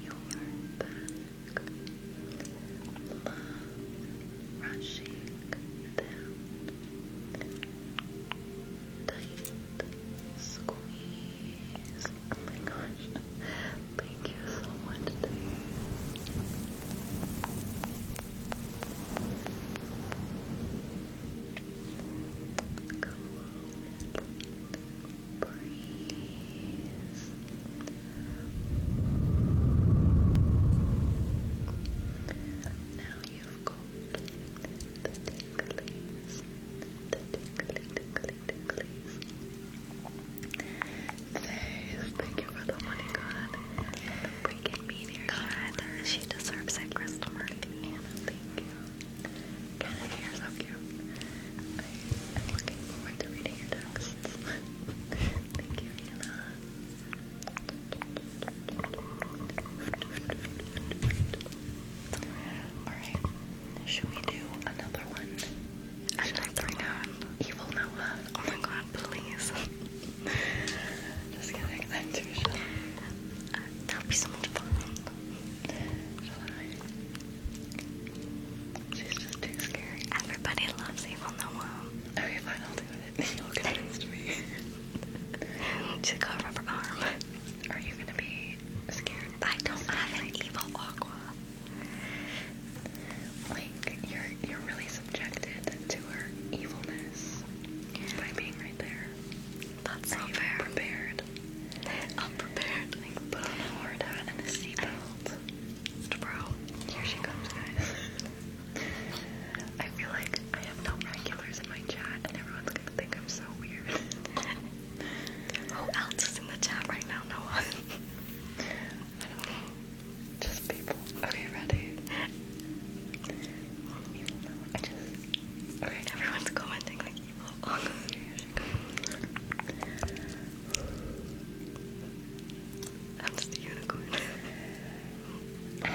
your back, love rushing down, tight squeeze Oh my gosh. Thank you so much, Dave. breeze. Now you've got the tingling, the tingling, tingling, ticklies. Faith, thank you for the money, God. We can meet here, She deserves it, Crystal Martin. Thank you. God, you're so I, am looking forward to reading texts. thank you, Anna. Alright, should we do another one? and that's renowned evil Nova. Oh my god, please. [LAUGHS] Just kidding, i that'll be so much fun. She's just too scary. Everybody loves evil Nova. Okay, fine, I'll do it. [LAUGHS] You'll convince me. [LAUGHS] She's got a rubber arm. Are you gonna be scared? I don't have an evil aqua. Like you're you're really subjected to her evilness by being right there. That's so fair. Prepared. I'm prepared. Like put on and a seatbelt. Bro, here she comes, guys. I feel like I have no regulars in my chat, and everyone's gonna think I'm so weird. Who else is in the chat right now? No one. [LAUGHS] Just people. Okay, ready? Even though everyone's commenting like evil. unicorn. [LAUGHS]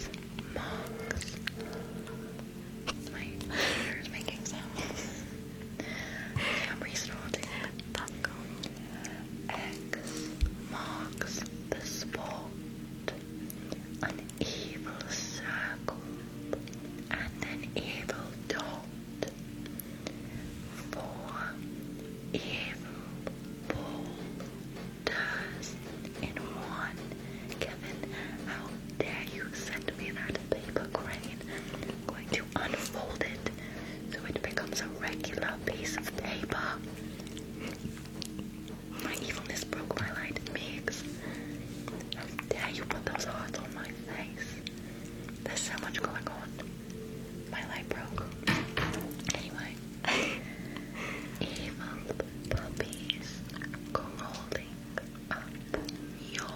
X marks. My ears making sounds. I'm restarting. X marks the spot. An evil circle and an evil dot. Four evil boulders in one. Kevin, how dare you send me that paper crane? I'm going to you unfold it so it becomes a regular piece of paper. My evilness broke my light mix. How you put those hearts on my face? There's so much going on. My light broke. Anyway, evil puppies crawling up your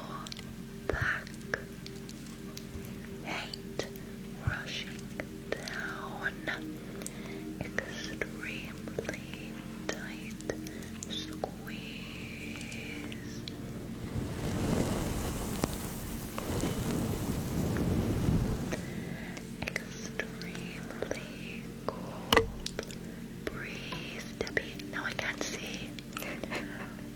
back hate rushing down. Extremely tight squeeze. Extremely cold breeze. no, I can't see. [LAUGHS]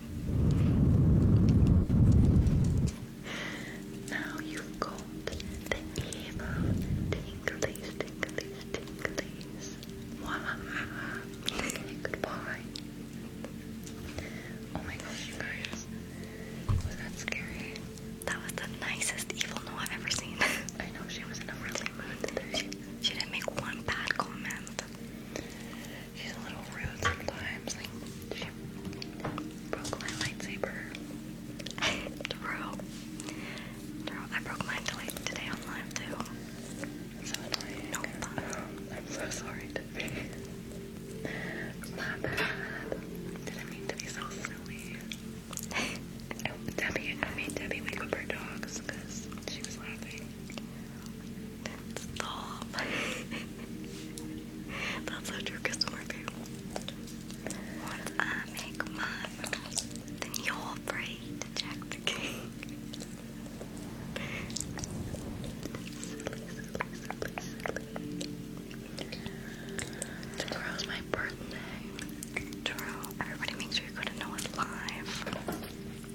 Now you've got the emo tinglies, tinglies, tinglies. okay, goodbye. Oh my gosh, Was that scary? That was the nicest evil no I've ever seen. [LAUGHS] I know, she was in a really mood today. She didn't make one bad comment. She's a little rude sometimes. she broke my lightsaber. True. [LAUGHS] True. I broke mine today on live too. No [LAUGHS] I'm so sorry, Tiffy. My bad. Didn't mean to be silly. [LAUGHS] Debbie, I made Debbie wake up her dogs because she was laughing. Stop. [LAUGHS] That's so true, customer too. Once I make mine, then you're free to check the king. Tomorrow's my birthday. True. Everybody make sure you go to Noah's live.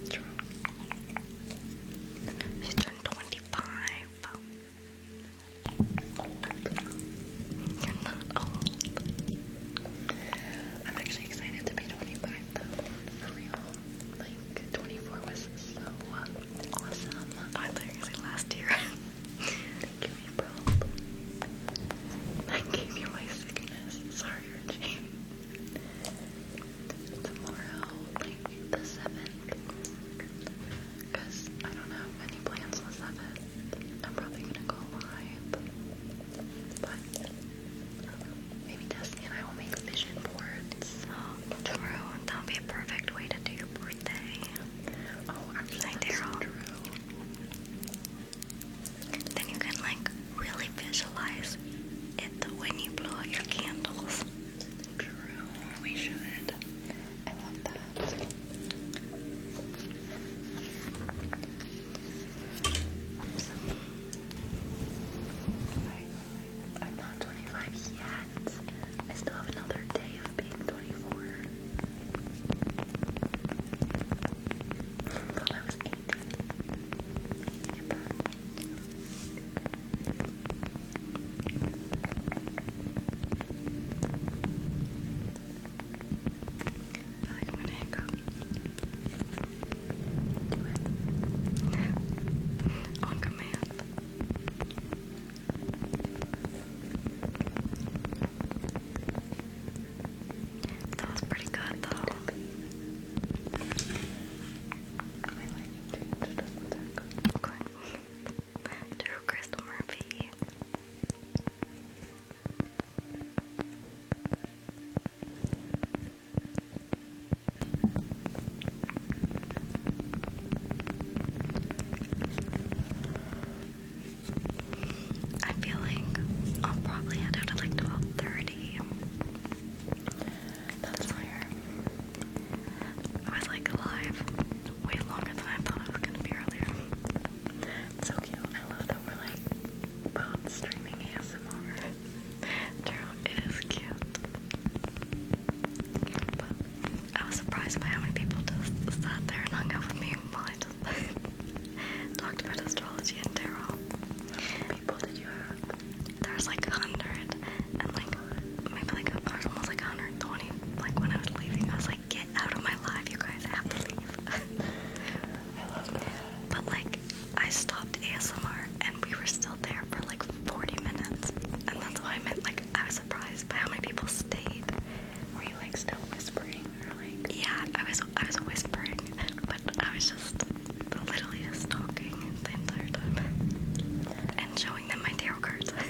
True. She turned 25. I'm actually excited to be 25 Like, 24 was so awesome. I literally last year. Thank you, April. I gave you my sickness. Sorry, Reggie. Tomorrow, the 7th. Because I don't have any plans on the 7th. I'm probably gonna go live. But maybe Destiny I will make vision boards. true. That would be a perfect way to do your birthday. Oh, actually, like that's so Then you can like really visualize it when you blow out your candles. True, we should. I love that. I'm not 25 yet. I still have another day of being 24. thought I was 18 like when I go on command. That was pretty good though. I like it. Okay to Chris Murphy. I'm feeling I'll probably end up at like twelve thirty. That's where I was like alive way longer than I thought I was gonna be earlier. It's so cute. I love that we're like both streaming ASMR. True, it is cute. I was surprised by how many people just sat there and hung out with me while I just [LAUGHS] talked about astrology and tarot. people did you have? There's like a hundred and like I feel like I was like 120. Like when I was leaving, I was like, "Get out of my life, you guys! have to leave." I love that. But like, I stopped ASMR, and we were still there for like 40 minutes, and that's why I meant like I was surprised by how many people stayed. Were you like still whispering, or like? Yeah, I was. I was whispering, but I was just literally just talking the entire time and showing them my tarot cards. [LAUGHS]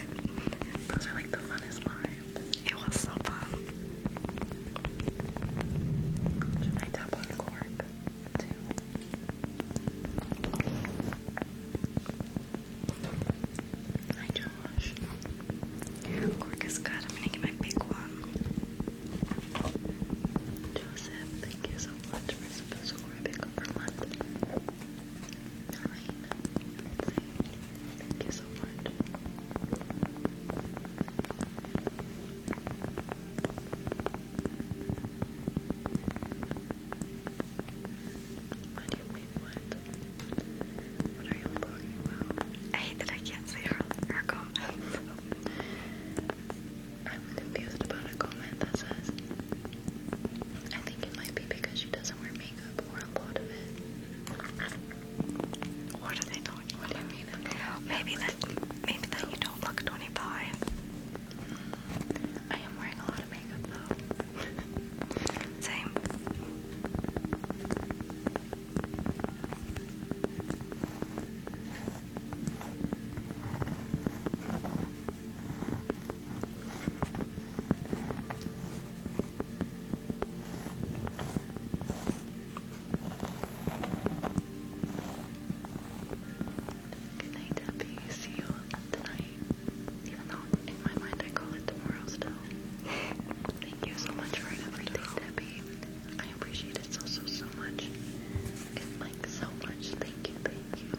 Those are like the funnest lines. It was so fun. I tap cork too? Hi Josh. Cork is good. I'm gonna get my big one. Joseph, thank you so much for subscribing for London. I hate that I can't say her, her I'm confused about a comment that says I think it might be because she doesn't wear makeup makeup you Maybe that, maybe that you don't look 25. I am wearing a lot of makeup though. [LAUGHS] Same. Good Debbie. See you tonight. Even though in my mind I call it tomorrow still. Thank you so much for everything, Debbie. I appreciate it so so so much. like so much. Thank you, thank you.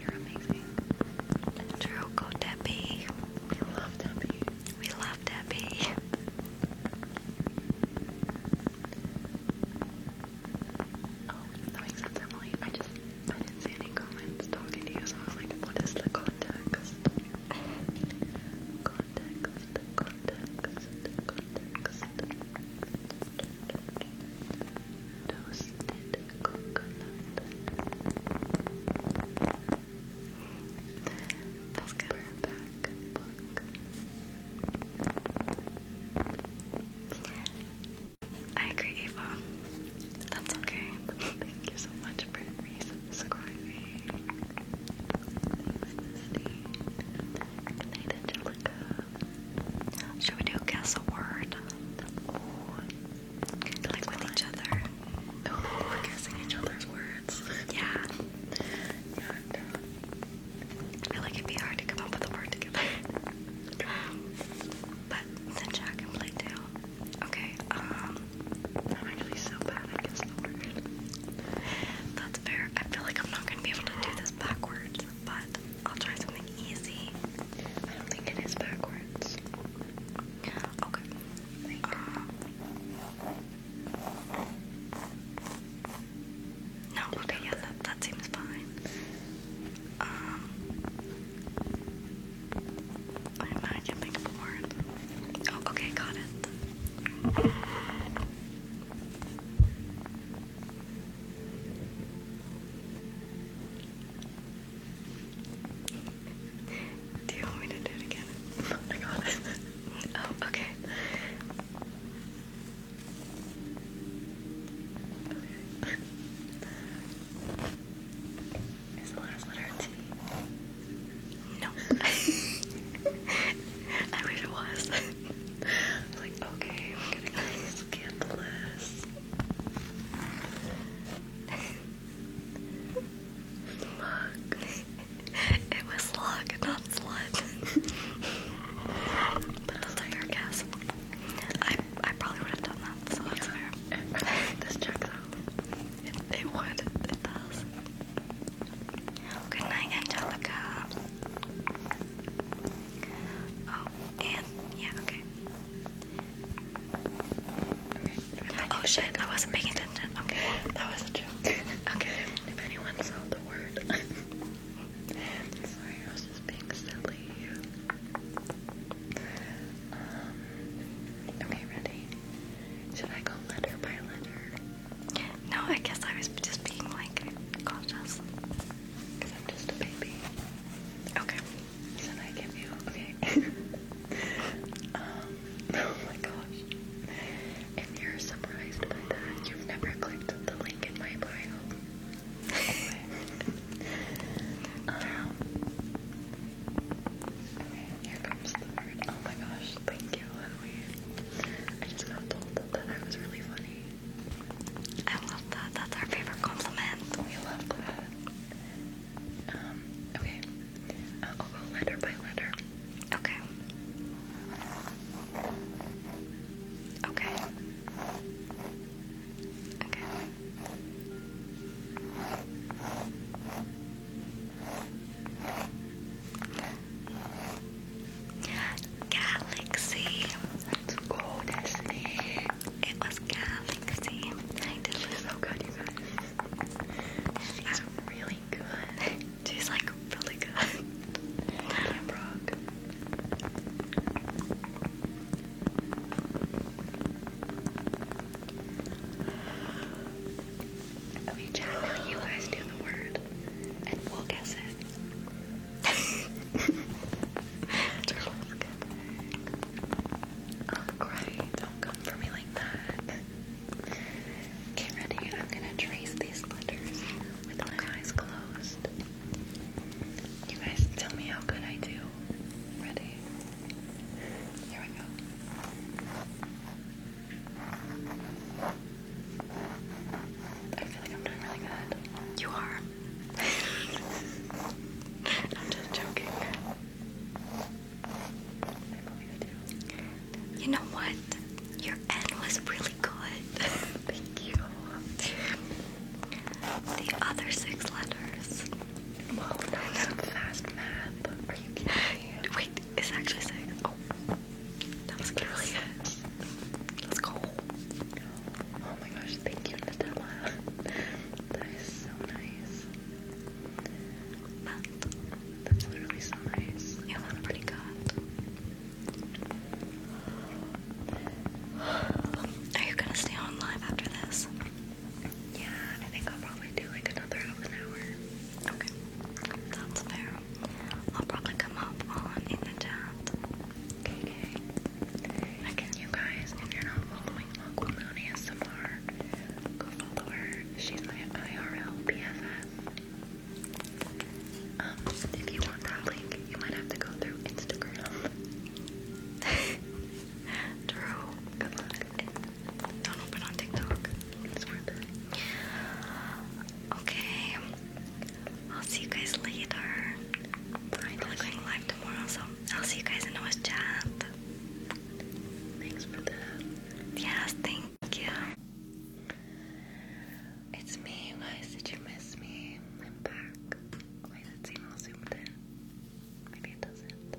You're amazing. Drogo Debbie. We love Debbie. We love Debbie. Oh, that makes sense, Emily. I just I didn't see any comments talking to you, so I was like, what is the context? Context, context, context. Toasted I agree, Eva. That's okay. Thank you so much for resubscribing. Thanks, Disney. Good Should we do guess a word? we're guessing oh, each other's words. Yeah. And, uh, I like it'd be hard to come up with a word together. but then Jack can play Okay, um I'm actually so bad I guess the word. That's fair. I feel like I'm not gonna be able to do this backwards, but I'll try something easy. I don't think it is backwards. Okay no, okay, yeah, that, seems fine. Um, I imagine think of a oh, okay, got it. Do you want me to do it again? [LAUGHS] Oh my god. [LAUGHS] oh, okay. Is the last letter No. [LAUGHS] I wish it was. like, okay, we Look. [LAUGHS] it was luck, not slut. but that's a guess. I, I probably would have done that, so [LAUGHS] this checks It, would. It does. Good night, Angelica. Oh, and yeah, okay. Oh shit, I wasn't paying attention. Okay, that was a joke. Okay, if anyone saw the word. I'm [LAUGHS] sorry, I was just being silly. Um, okay, ready? Should I go letter by letter? No, I guess I was just being like cautious. Because I'm just a baby. Okay. Should I give you? Okay. [LAUGHS] Um, [LAUGHS] oh my gosh. If you're surprised by that, you've never clicked the link in my bio. Um, here comes the word. Oh my gosh, thank you, I just got told that I was really funny. I love that. That's our favorite compliment. We love that. Um, okay. I'll uh, oh, go letter by letter. Okay. Okay. Okay. Galaxy. Let's go, Destiny. It was Galaxy. I did so good, you guys. She's really good. She's like really good. Yeah, Brooke. Okay, you guys the word and we'll guess it. [LAUGHS] Turtles. Oh, great. Don't come for me like that. Get ready. I'm gonna trace these letters with my eyes closed. You guys tell me how good I do. Ready? Here we go. I feel like I'm doing really good. You are. [LAUGHS] I'm just joking. You know what? Your end was really good. [LAUGHS] Thank you. The other six letters. Well, that's some fast math. Are you kidding Wait, it's actually six. Oh, that was really Let's go. Oh my gosh, thank you, Nutella. [LAUGHS] That is so nice. But that's really so nice. You look pretty good. Are you gonna stay on live after this? Yeah, I think I'll probably do like another half an hour. Okay, that's fair. I'll probably come up on in the chat. Okay. Okay. Again, you guys, if you're not following Aquaman ASMR, Go follow her. She's my IRL BFF. Um, if you want that link, you might have to go through Instagram. Drew, [LAUGHS] good luck. Don't open on TikTok. It's worth it. Okay. I'll see you guys later. I'm going live tomorrow, so I'll see you guys in the chat. Thanks for the yes, thank you. It's me, guys. Did you miss me? I'm back. Why does zoomed in? Maybe it doesn't.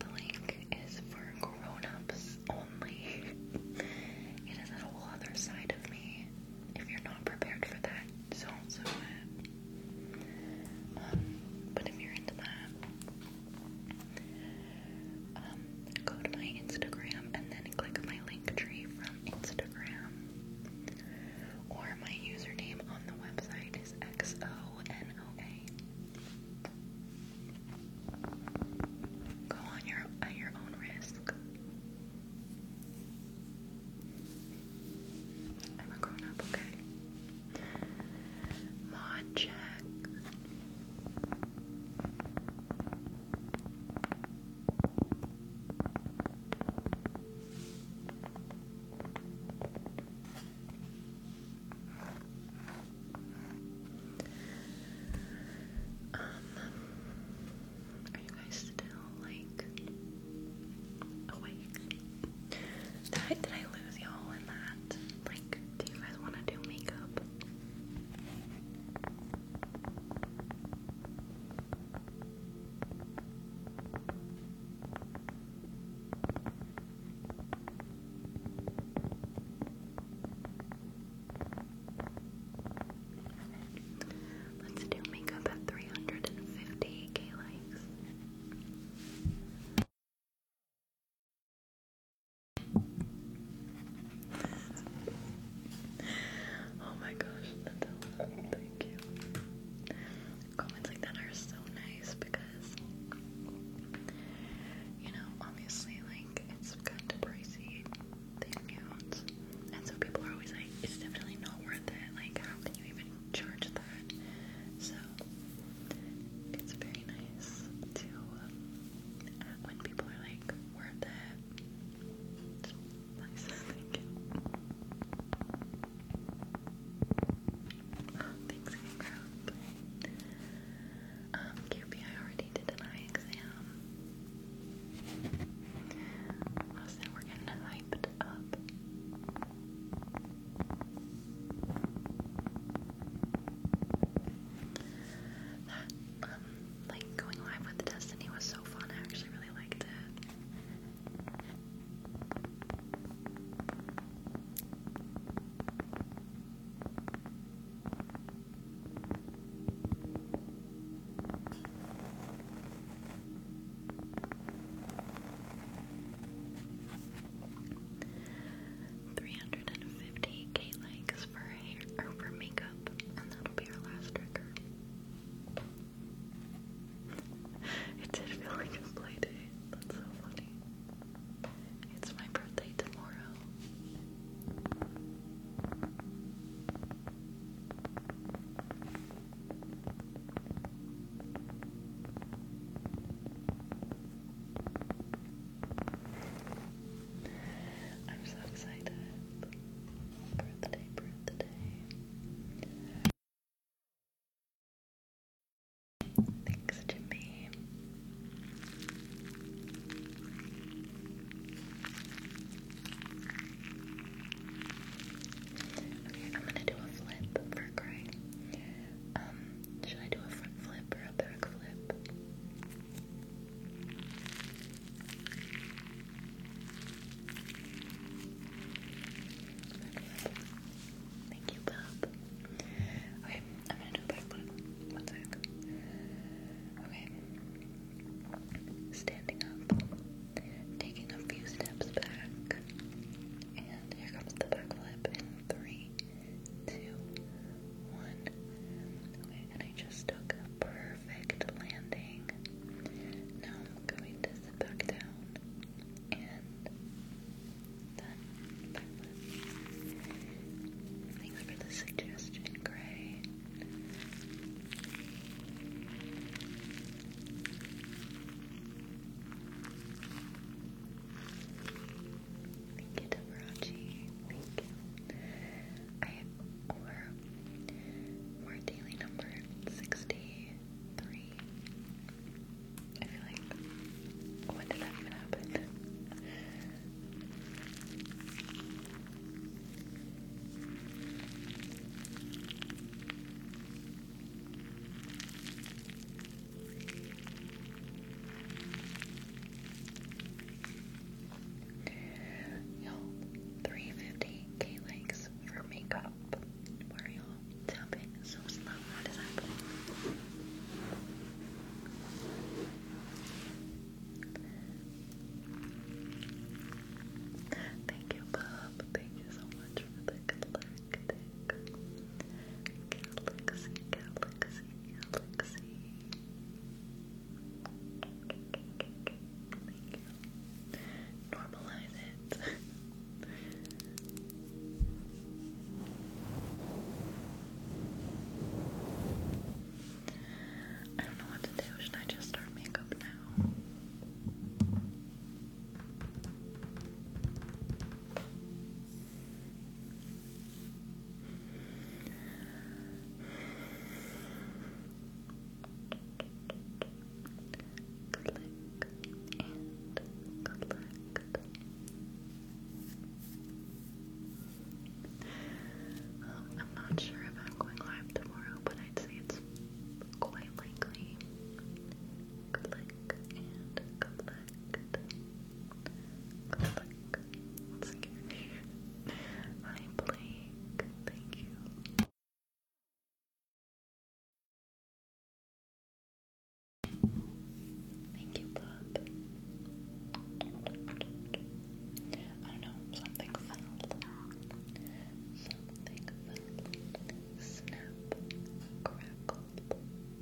The link is for grown-ups only. it is a whole other side of me. If you're not prepared for that, don't do it. Um, but if you're into that, um, go to my Instagram and then click my link tree from Instagram. Or my username on the website is XONOA. Go on your at your own risk. I'm a grown up, okay? Mod check. Um, are you guys still like awake? did I lose y'all in that? Like, do you guys want to do makeup? Let's do makeup at 350k likes. Oh my gosh, that's Thank you. Comments like that are so nice because, you know, obviously, like, it's good to pricey the accounts. And so people are always like, it's definitely not worth it. Like, how can you even charge that? So, it's very nice to, uh, when people are like, worth it. It's [LAUGHS] thank you. [GASPS] Um, Kirby, already did an eye exam. Oh, we're getting hyped up. That, um, like going live with Destiny was so fun. I actually really liked it. 350k likes for hair or makeup, and that'll be our last trigger. [LAUGHS] it did feel like a play That's so funny. It's my birthday tomorrow. I'm so excited birthday, birthday. Thanks, Jimmy. Okay, I'm gonna do a flip for Gray. Should I do a front flip or a back flip? Back flip. Thank you, Bob. Okay, I'm gonna do a back flip. One sec. Okay. Standing up, taking a few steps back, and here comes the back flip in three, two, one. Okay, and I just took a perfect landing. Now I'm going to sit back down and then Thanks for the suggestion, Gray. Thank you, Devarachi. Thank you. I or more daily number 63. I feel like, when did that even happen? Y'all, 350k likes for makeup. Why are y'all tapping so slow? What is happening? Thank you, Bob. Thank you so much for the galactic galaxy, galaxy, Thank you. Normalize it. I don't know what to do. Should I just start makeup now? Click and collect. I'm not sure if I'm going live tomorrow, but I'd say it's quite likely. Click and collect. Click. Scary. Thank you. Thank you, Bob. I don't know, something fell. Something fell. Snap,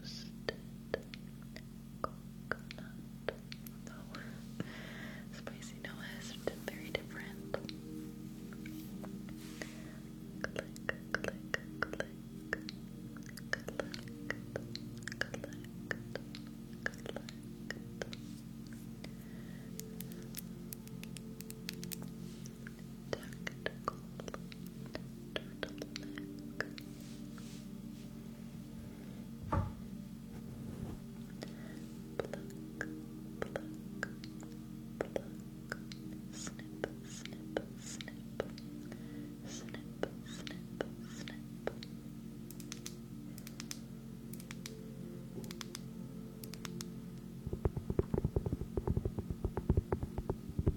roasted coconut. spicy no very different. tactical turtleneck pluck, pluck, pluck snip, snip, snip snip, snip, snip Pluck,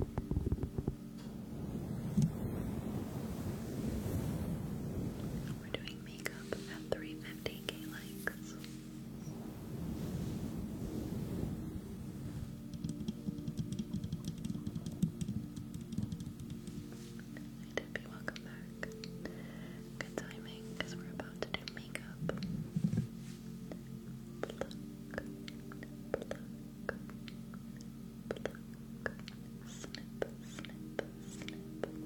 pluck, pluck, We're doing makeup at 350k likes. Hi Debbie, welcome back. Good timing, because we're about to do makeup pluck, snip, snip, snip, fit, fit, fit. Pluck,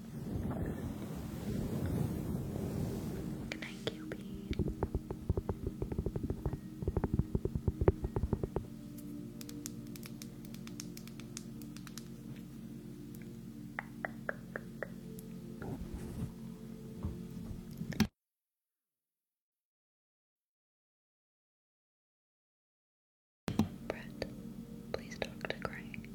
Good night, Cupid. Brett, please talk to crying.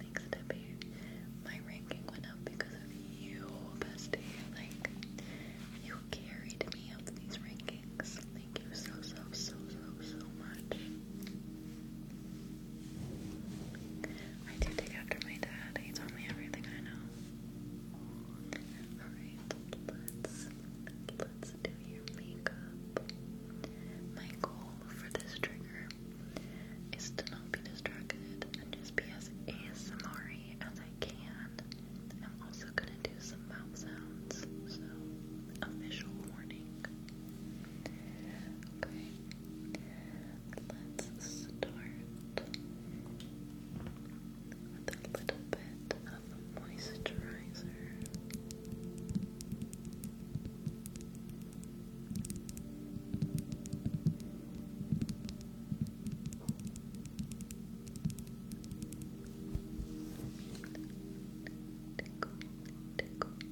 Thanks, Debbie. My ranking went up because of you, bestie. Like, you carried me up these rankings. Thank you so, so, so, so, so much. I do take after my dad. He taught me everything I know. Alright, let's let's do your makeup. My goal for this trigger is to not be distracted and just be as ASMR as I can. I'm also gonna do some mouth sounds, so official warning. Okay, let's start with a little bit of moisturizer. Tickle, tickle,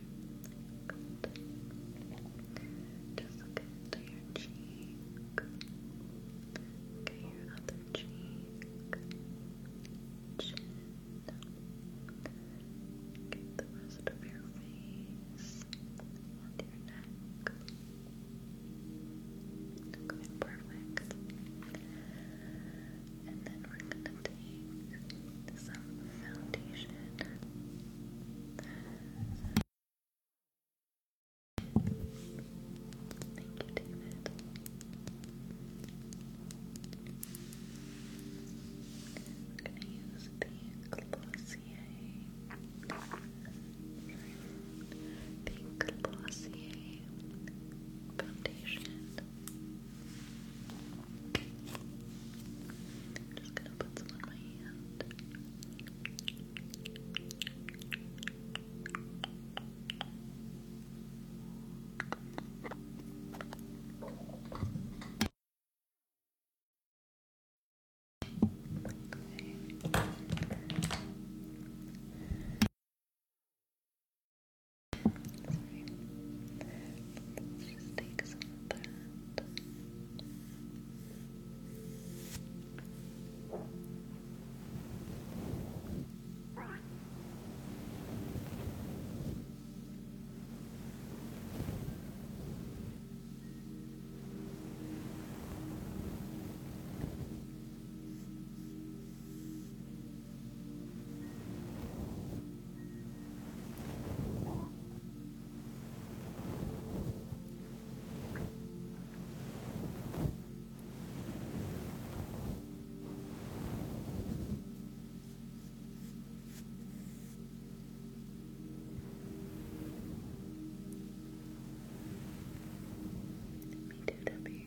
Good. Just look into your cheek. Okay, your other cheek. Chin. Okay, the rest of your face your neck. Okay, perfect and then we're gonna take some foundation. Thank you, David. We're gonna use the Glossier. The Glossier foundation. I'm just gonna put some on my hand. Sorry. Let's just take some that. Good. Me too, Debbie.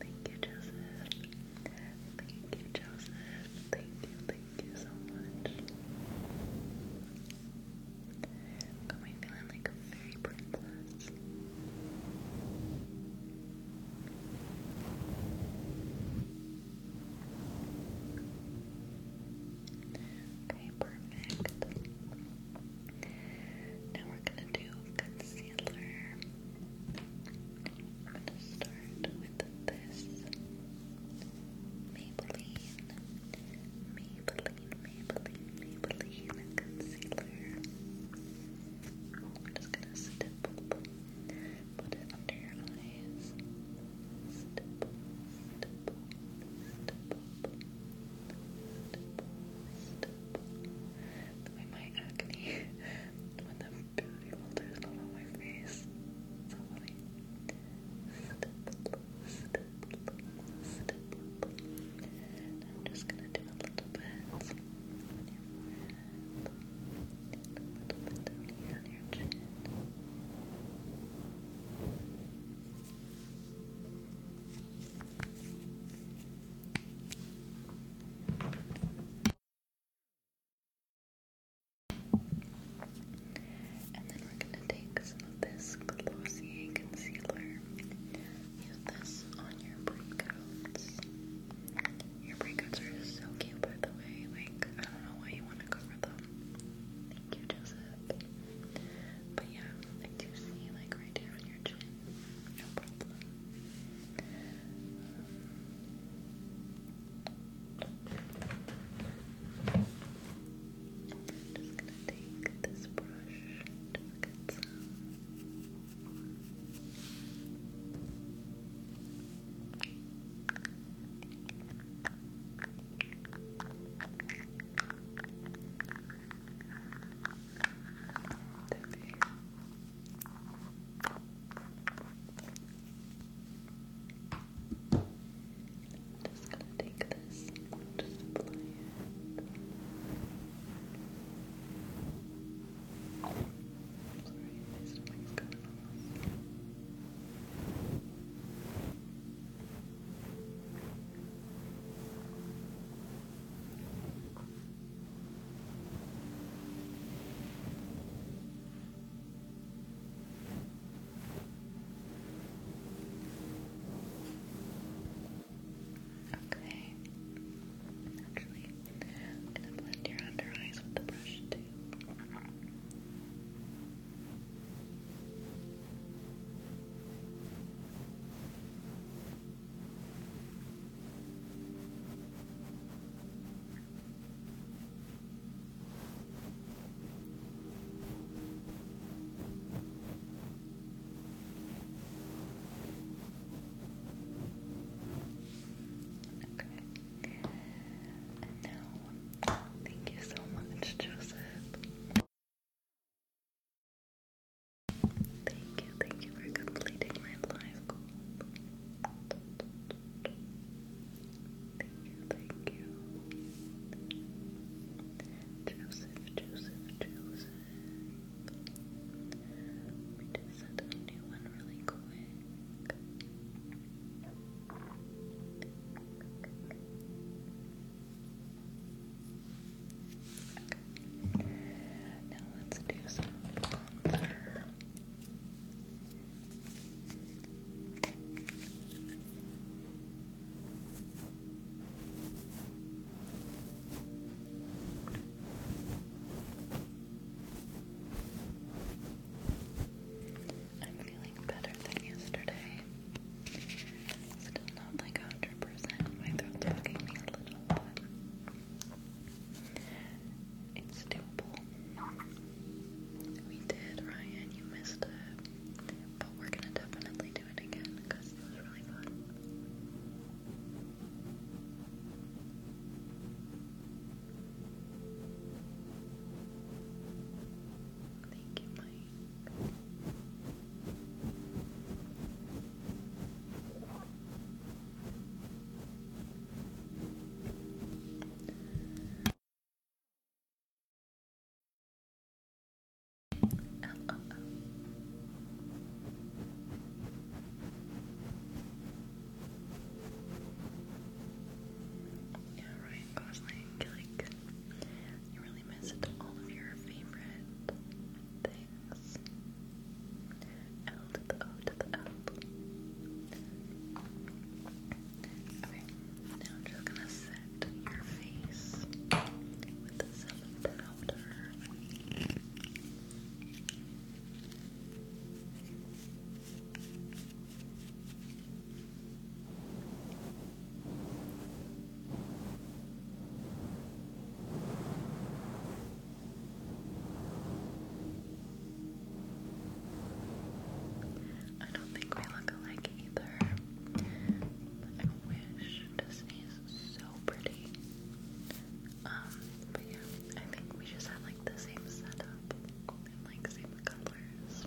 Thank you, Joseph. Thank you, Joseph. Thank you, thank you so much. Got me feeling like a fairy princess. Okay, perfect. Now we're gonna do concealer. I'm gonna start with this Maybelline, Maybelline, Maybelline, Maybelline concealer. I'm just gonna stipple, put it under your eyes. Stipple, stipple, stipple, stipple, stipple the way my acne, when the beauty filter's not on my face. So I'm just gonna do a little bit on your forehead, a little bit down here on and then we're going to take some of this Glossier concealer. Use this on your breakouts. Your breakouts are so cute, by the way. Like, I don't know why you want to cover them. Thank you, Joseph. But yeah, I do see, like, right here on your chin, no problem. I'm just gonna take this brush to get some. Tabii. I'm just gonna take this and just apply it. sorry, my stomach's kind Okay. Actually, I'm gonna blend your under eyes with the brush too. Okay. And thank you so much, Joseph. Thank you, thank you for completing my live goal. Thank you, thank you. Joseph, Joseph, Joseph. Let just set a new one really quick. Okay. Now let's do some bronzer. Uh, I'm feeling better than yesterday. Still not like 100%. My throat's bugging me a little, it's doable. We did, Ryan. You missed it, but we're gonna definitely do it again because it was really fun. Thank you, Mike. Yeah, Ryan Gosling, like you really missed all of your favorite things. L to the O to the L. Okay, now I'm just gonna set your face with some powder. I don't think we look alike either. I wish Disney is so pretty. Um, but yeah, I think we just have like the same setup and like same colors.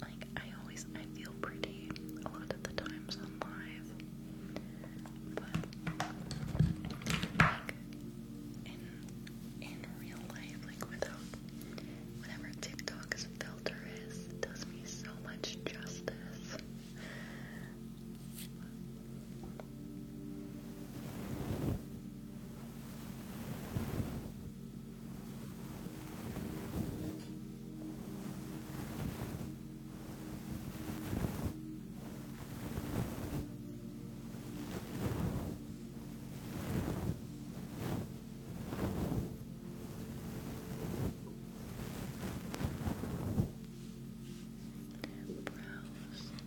like I always I feel pretty a lot of the times on live, but like in in real life, like without whatever TikTok's filter is, does me so much justice. Brows.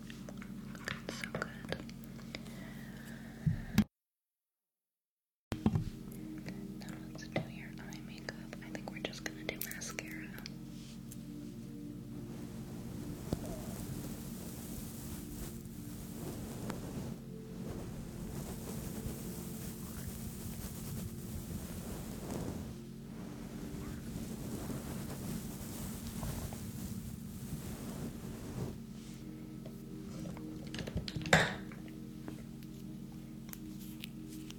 Looking so good. Now let's do your eye makeup. I think we're just gonna do mascara. [LAUGHS]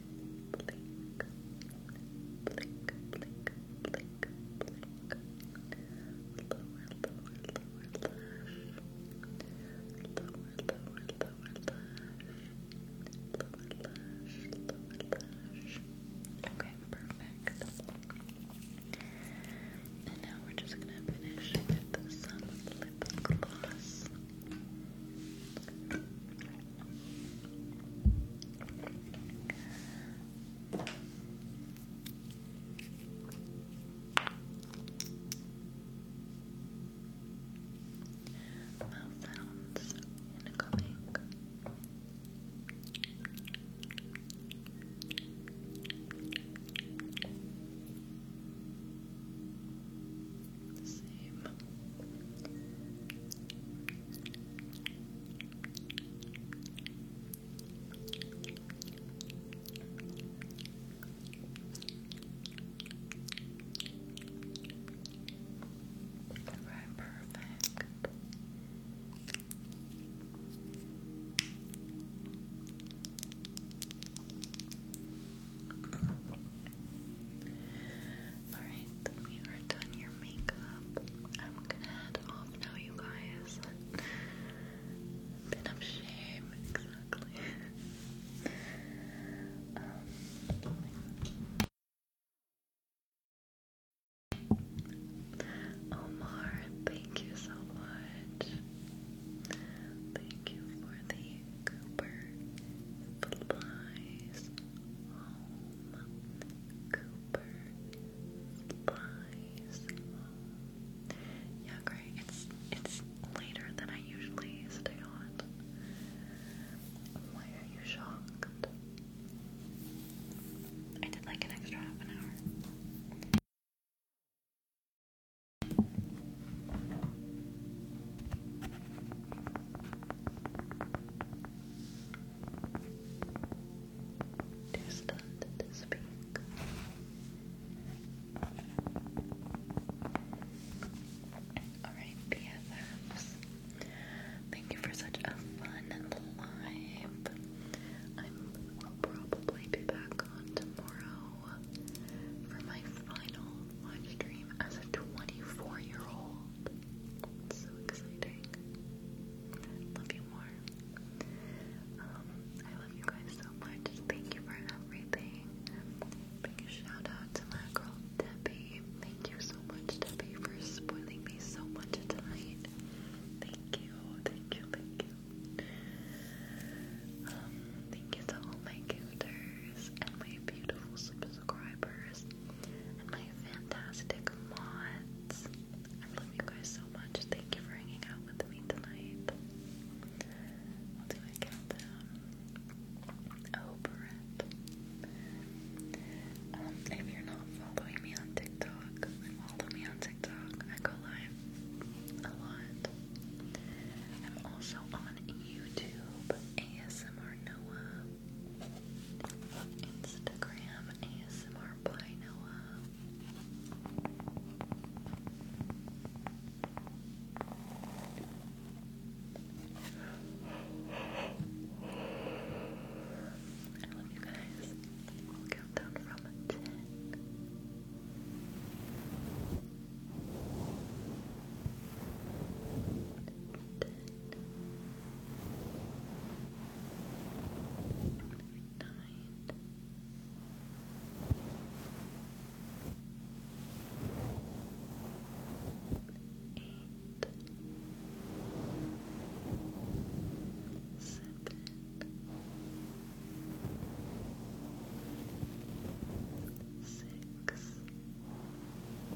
blink, blink, Okay, perfect. And now we're just gonna finish with some lip gloss. Mouth sounds incoming. Mouth same. Alright, perfect. Alright, we are done your makeup. I'm gonna head off now, you guys. Bit of shame, exactly. Um, Omar, thank you so much. Thank you for the Cooper flies. Yeah, great. It's it's later than I usually stay on. Why are you shocked? I did like an extra half an hour distant to speak. Alright, BFFs. Thank you for such a fun live. i will probably be back on tomorrow for my final live stream as a 24 year old. It's so exciting. Love you more. Um, I love you guys so much. Thank you for everything. Big shout out to my girl Debbie. Thank you so much, Debbie, for spoiling me so much tonight. Thank you, thank you, thank you. Um, thank you to all my gifters and my beautiful subscribers subscribers, and my fantastic mods. I love you guys so much. Thank you for hanging out with me tonight. i do a countdown. Oh, Brett. Um, if you're not following me on TikTok, follow me on TikTok. I go live a lot. I'm also on YouTube, ASMR Noah. Instagram ASMR by Noah. I love you guys. We'll count down from ten. Ten. Good night. Eight. Seven. Six. Five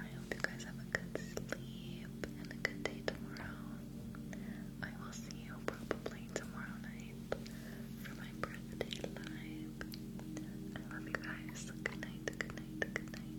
I hope you guys have a good sleep and a good day tomorrow. I will see you probably tomorrow night for my birthday live. I love you guys. Good night, good night, good night.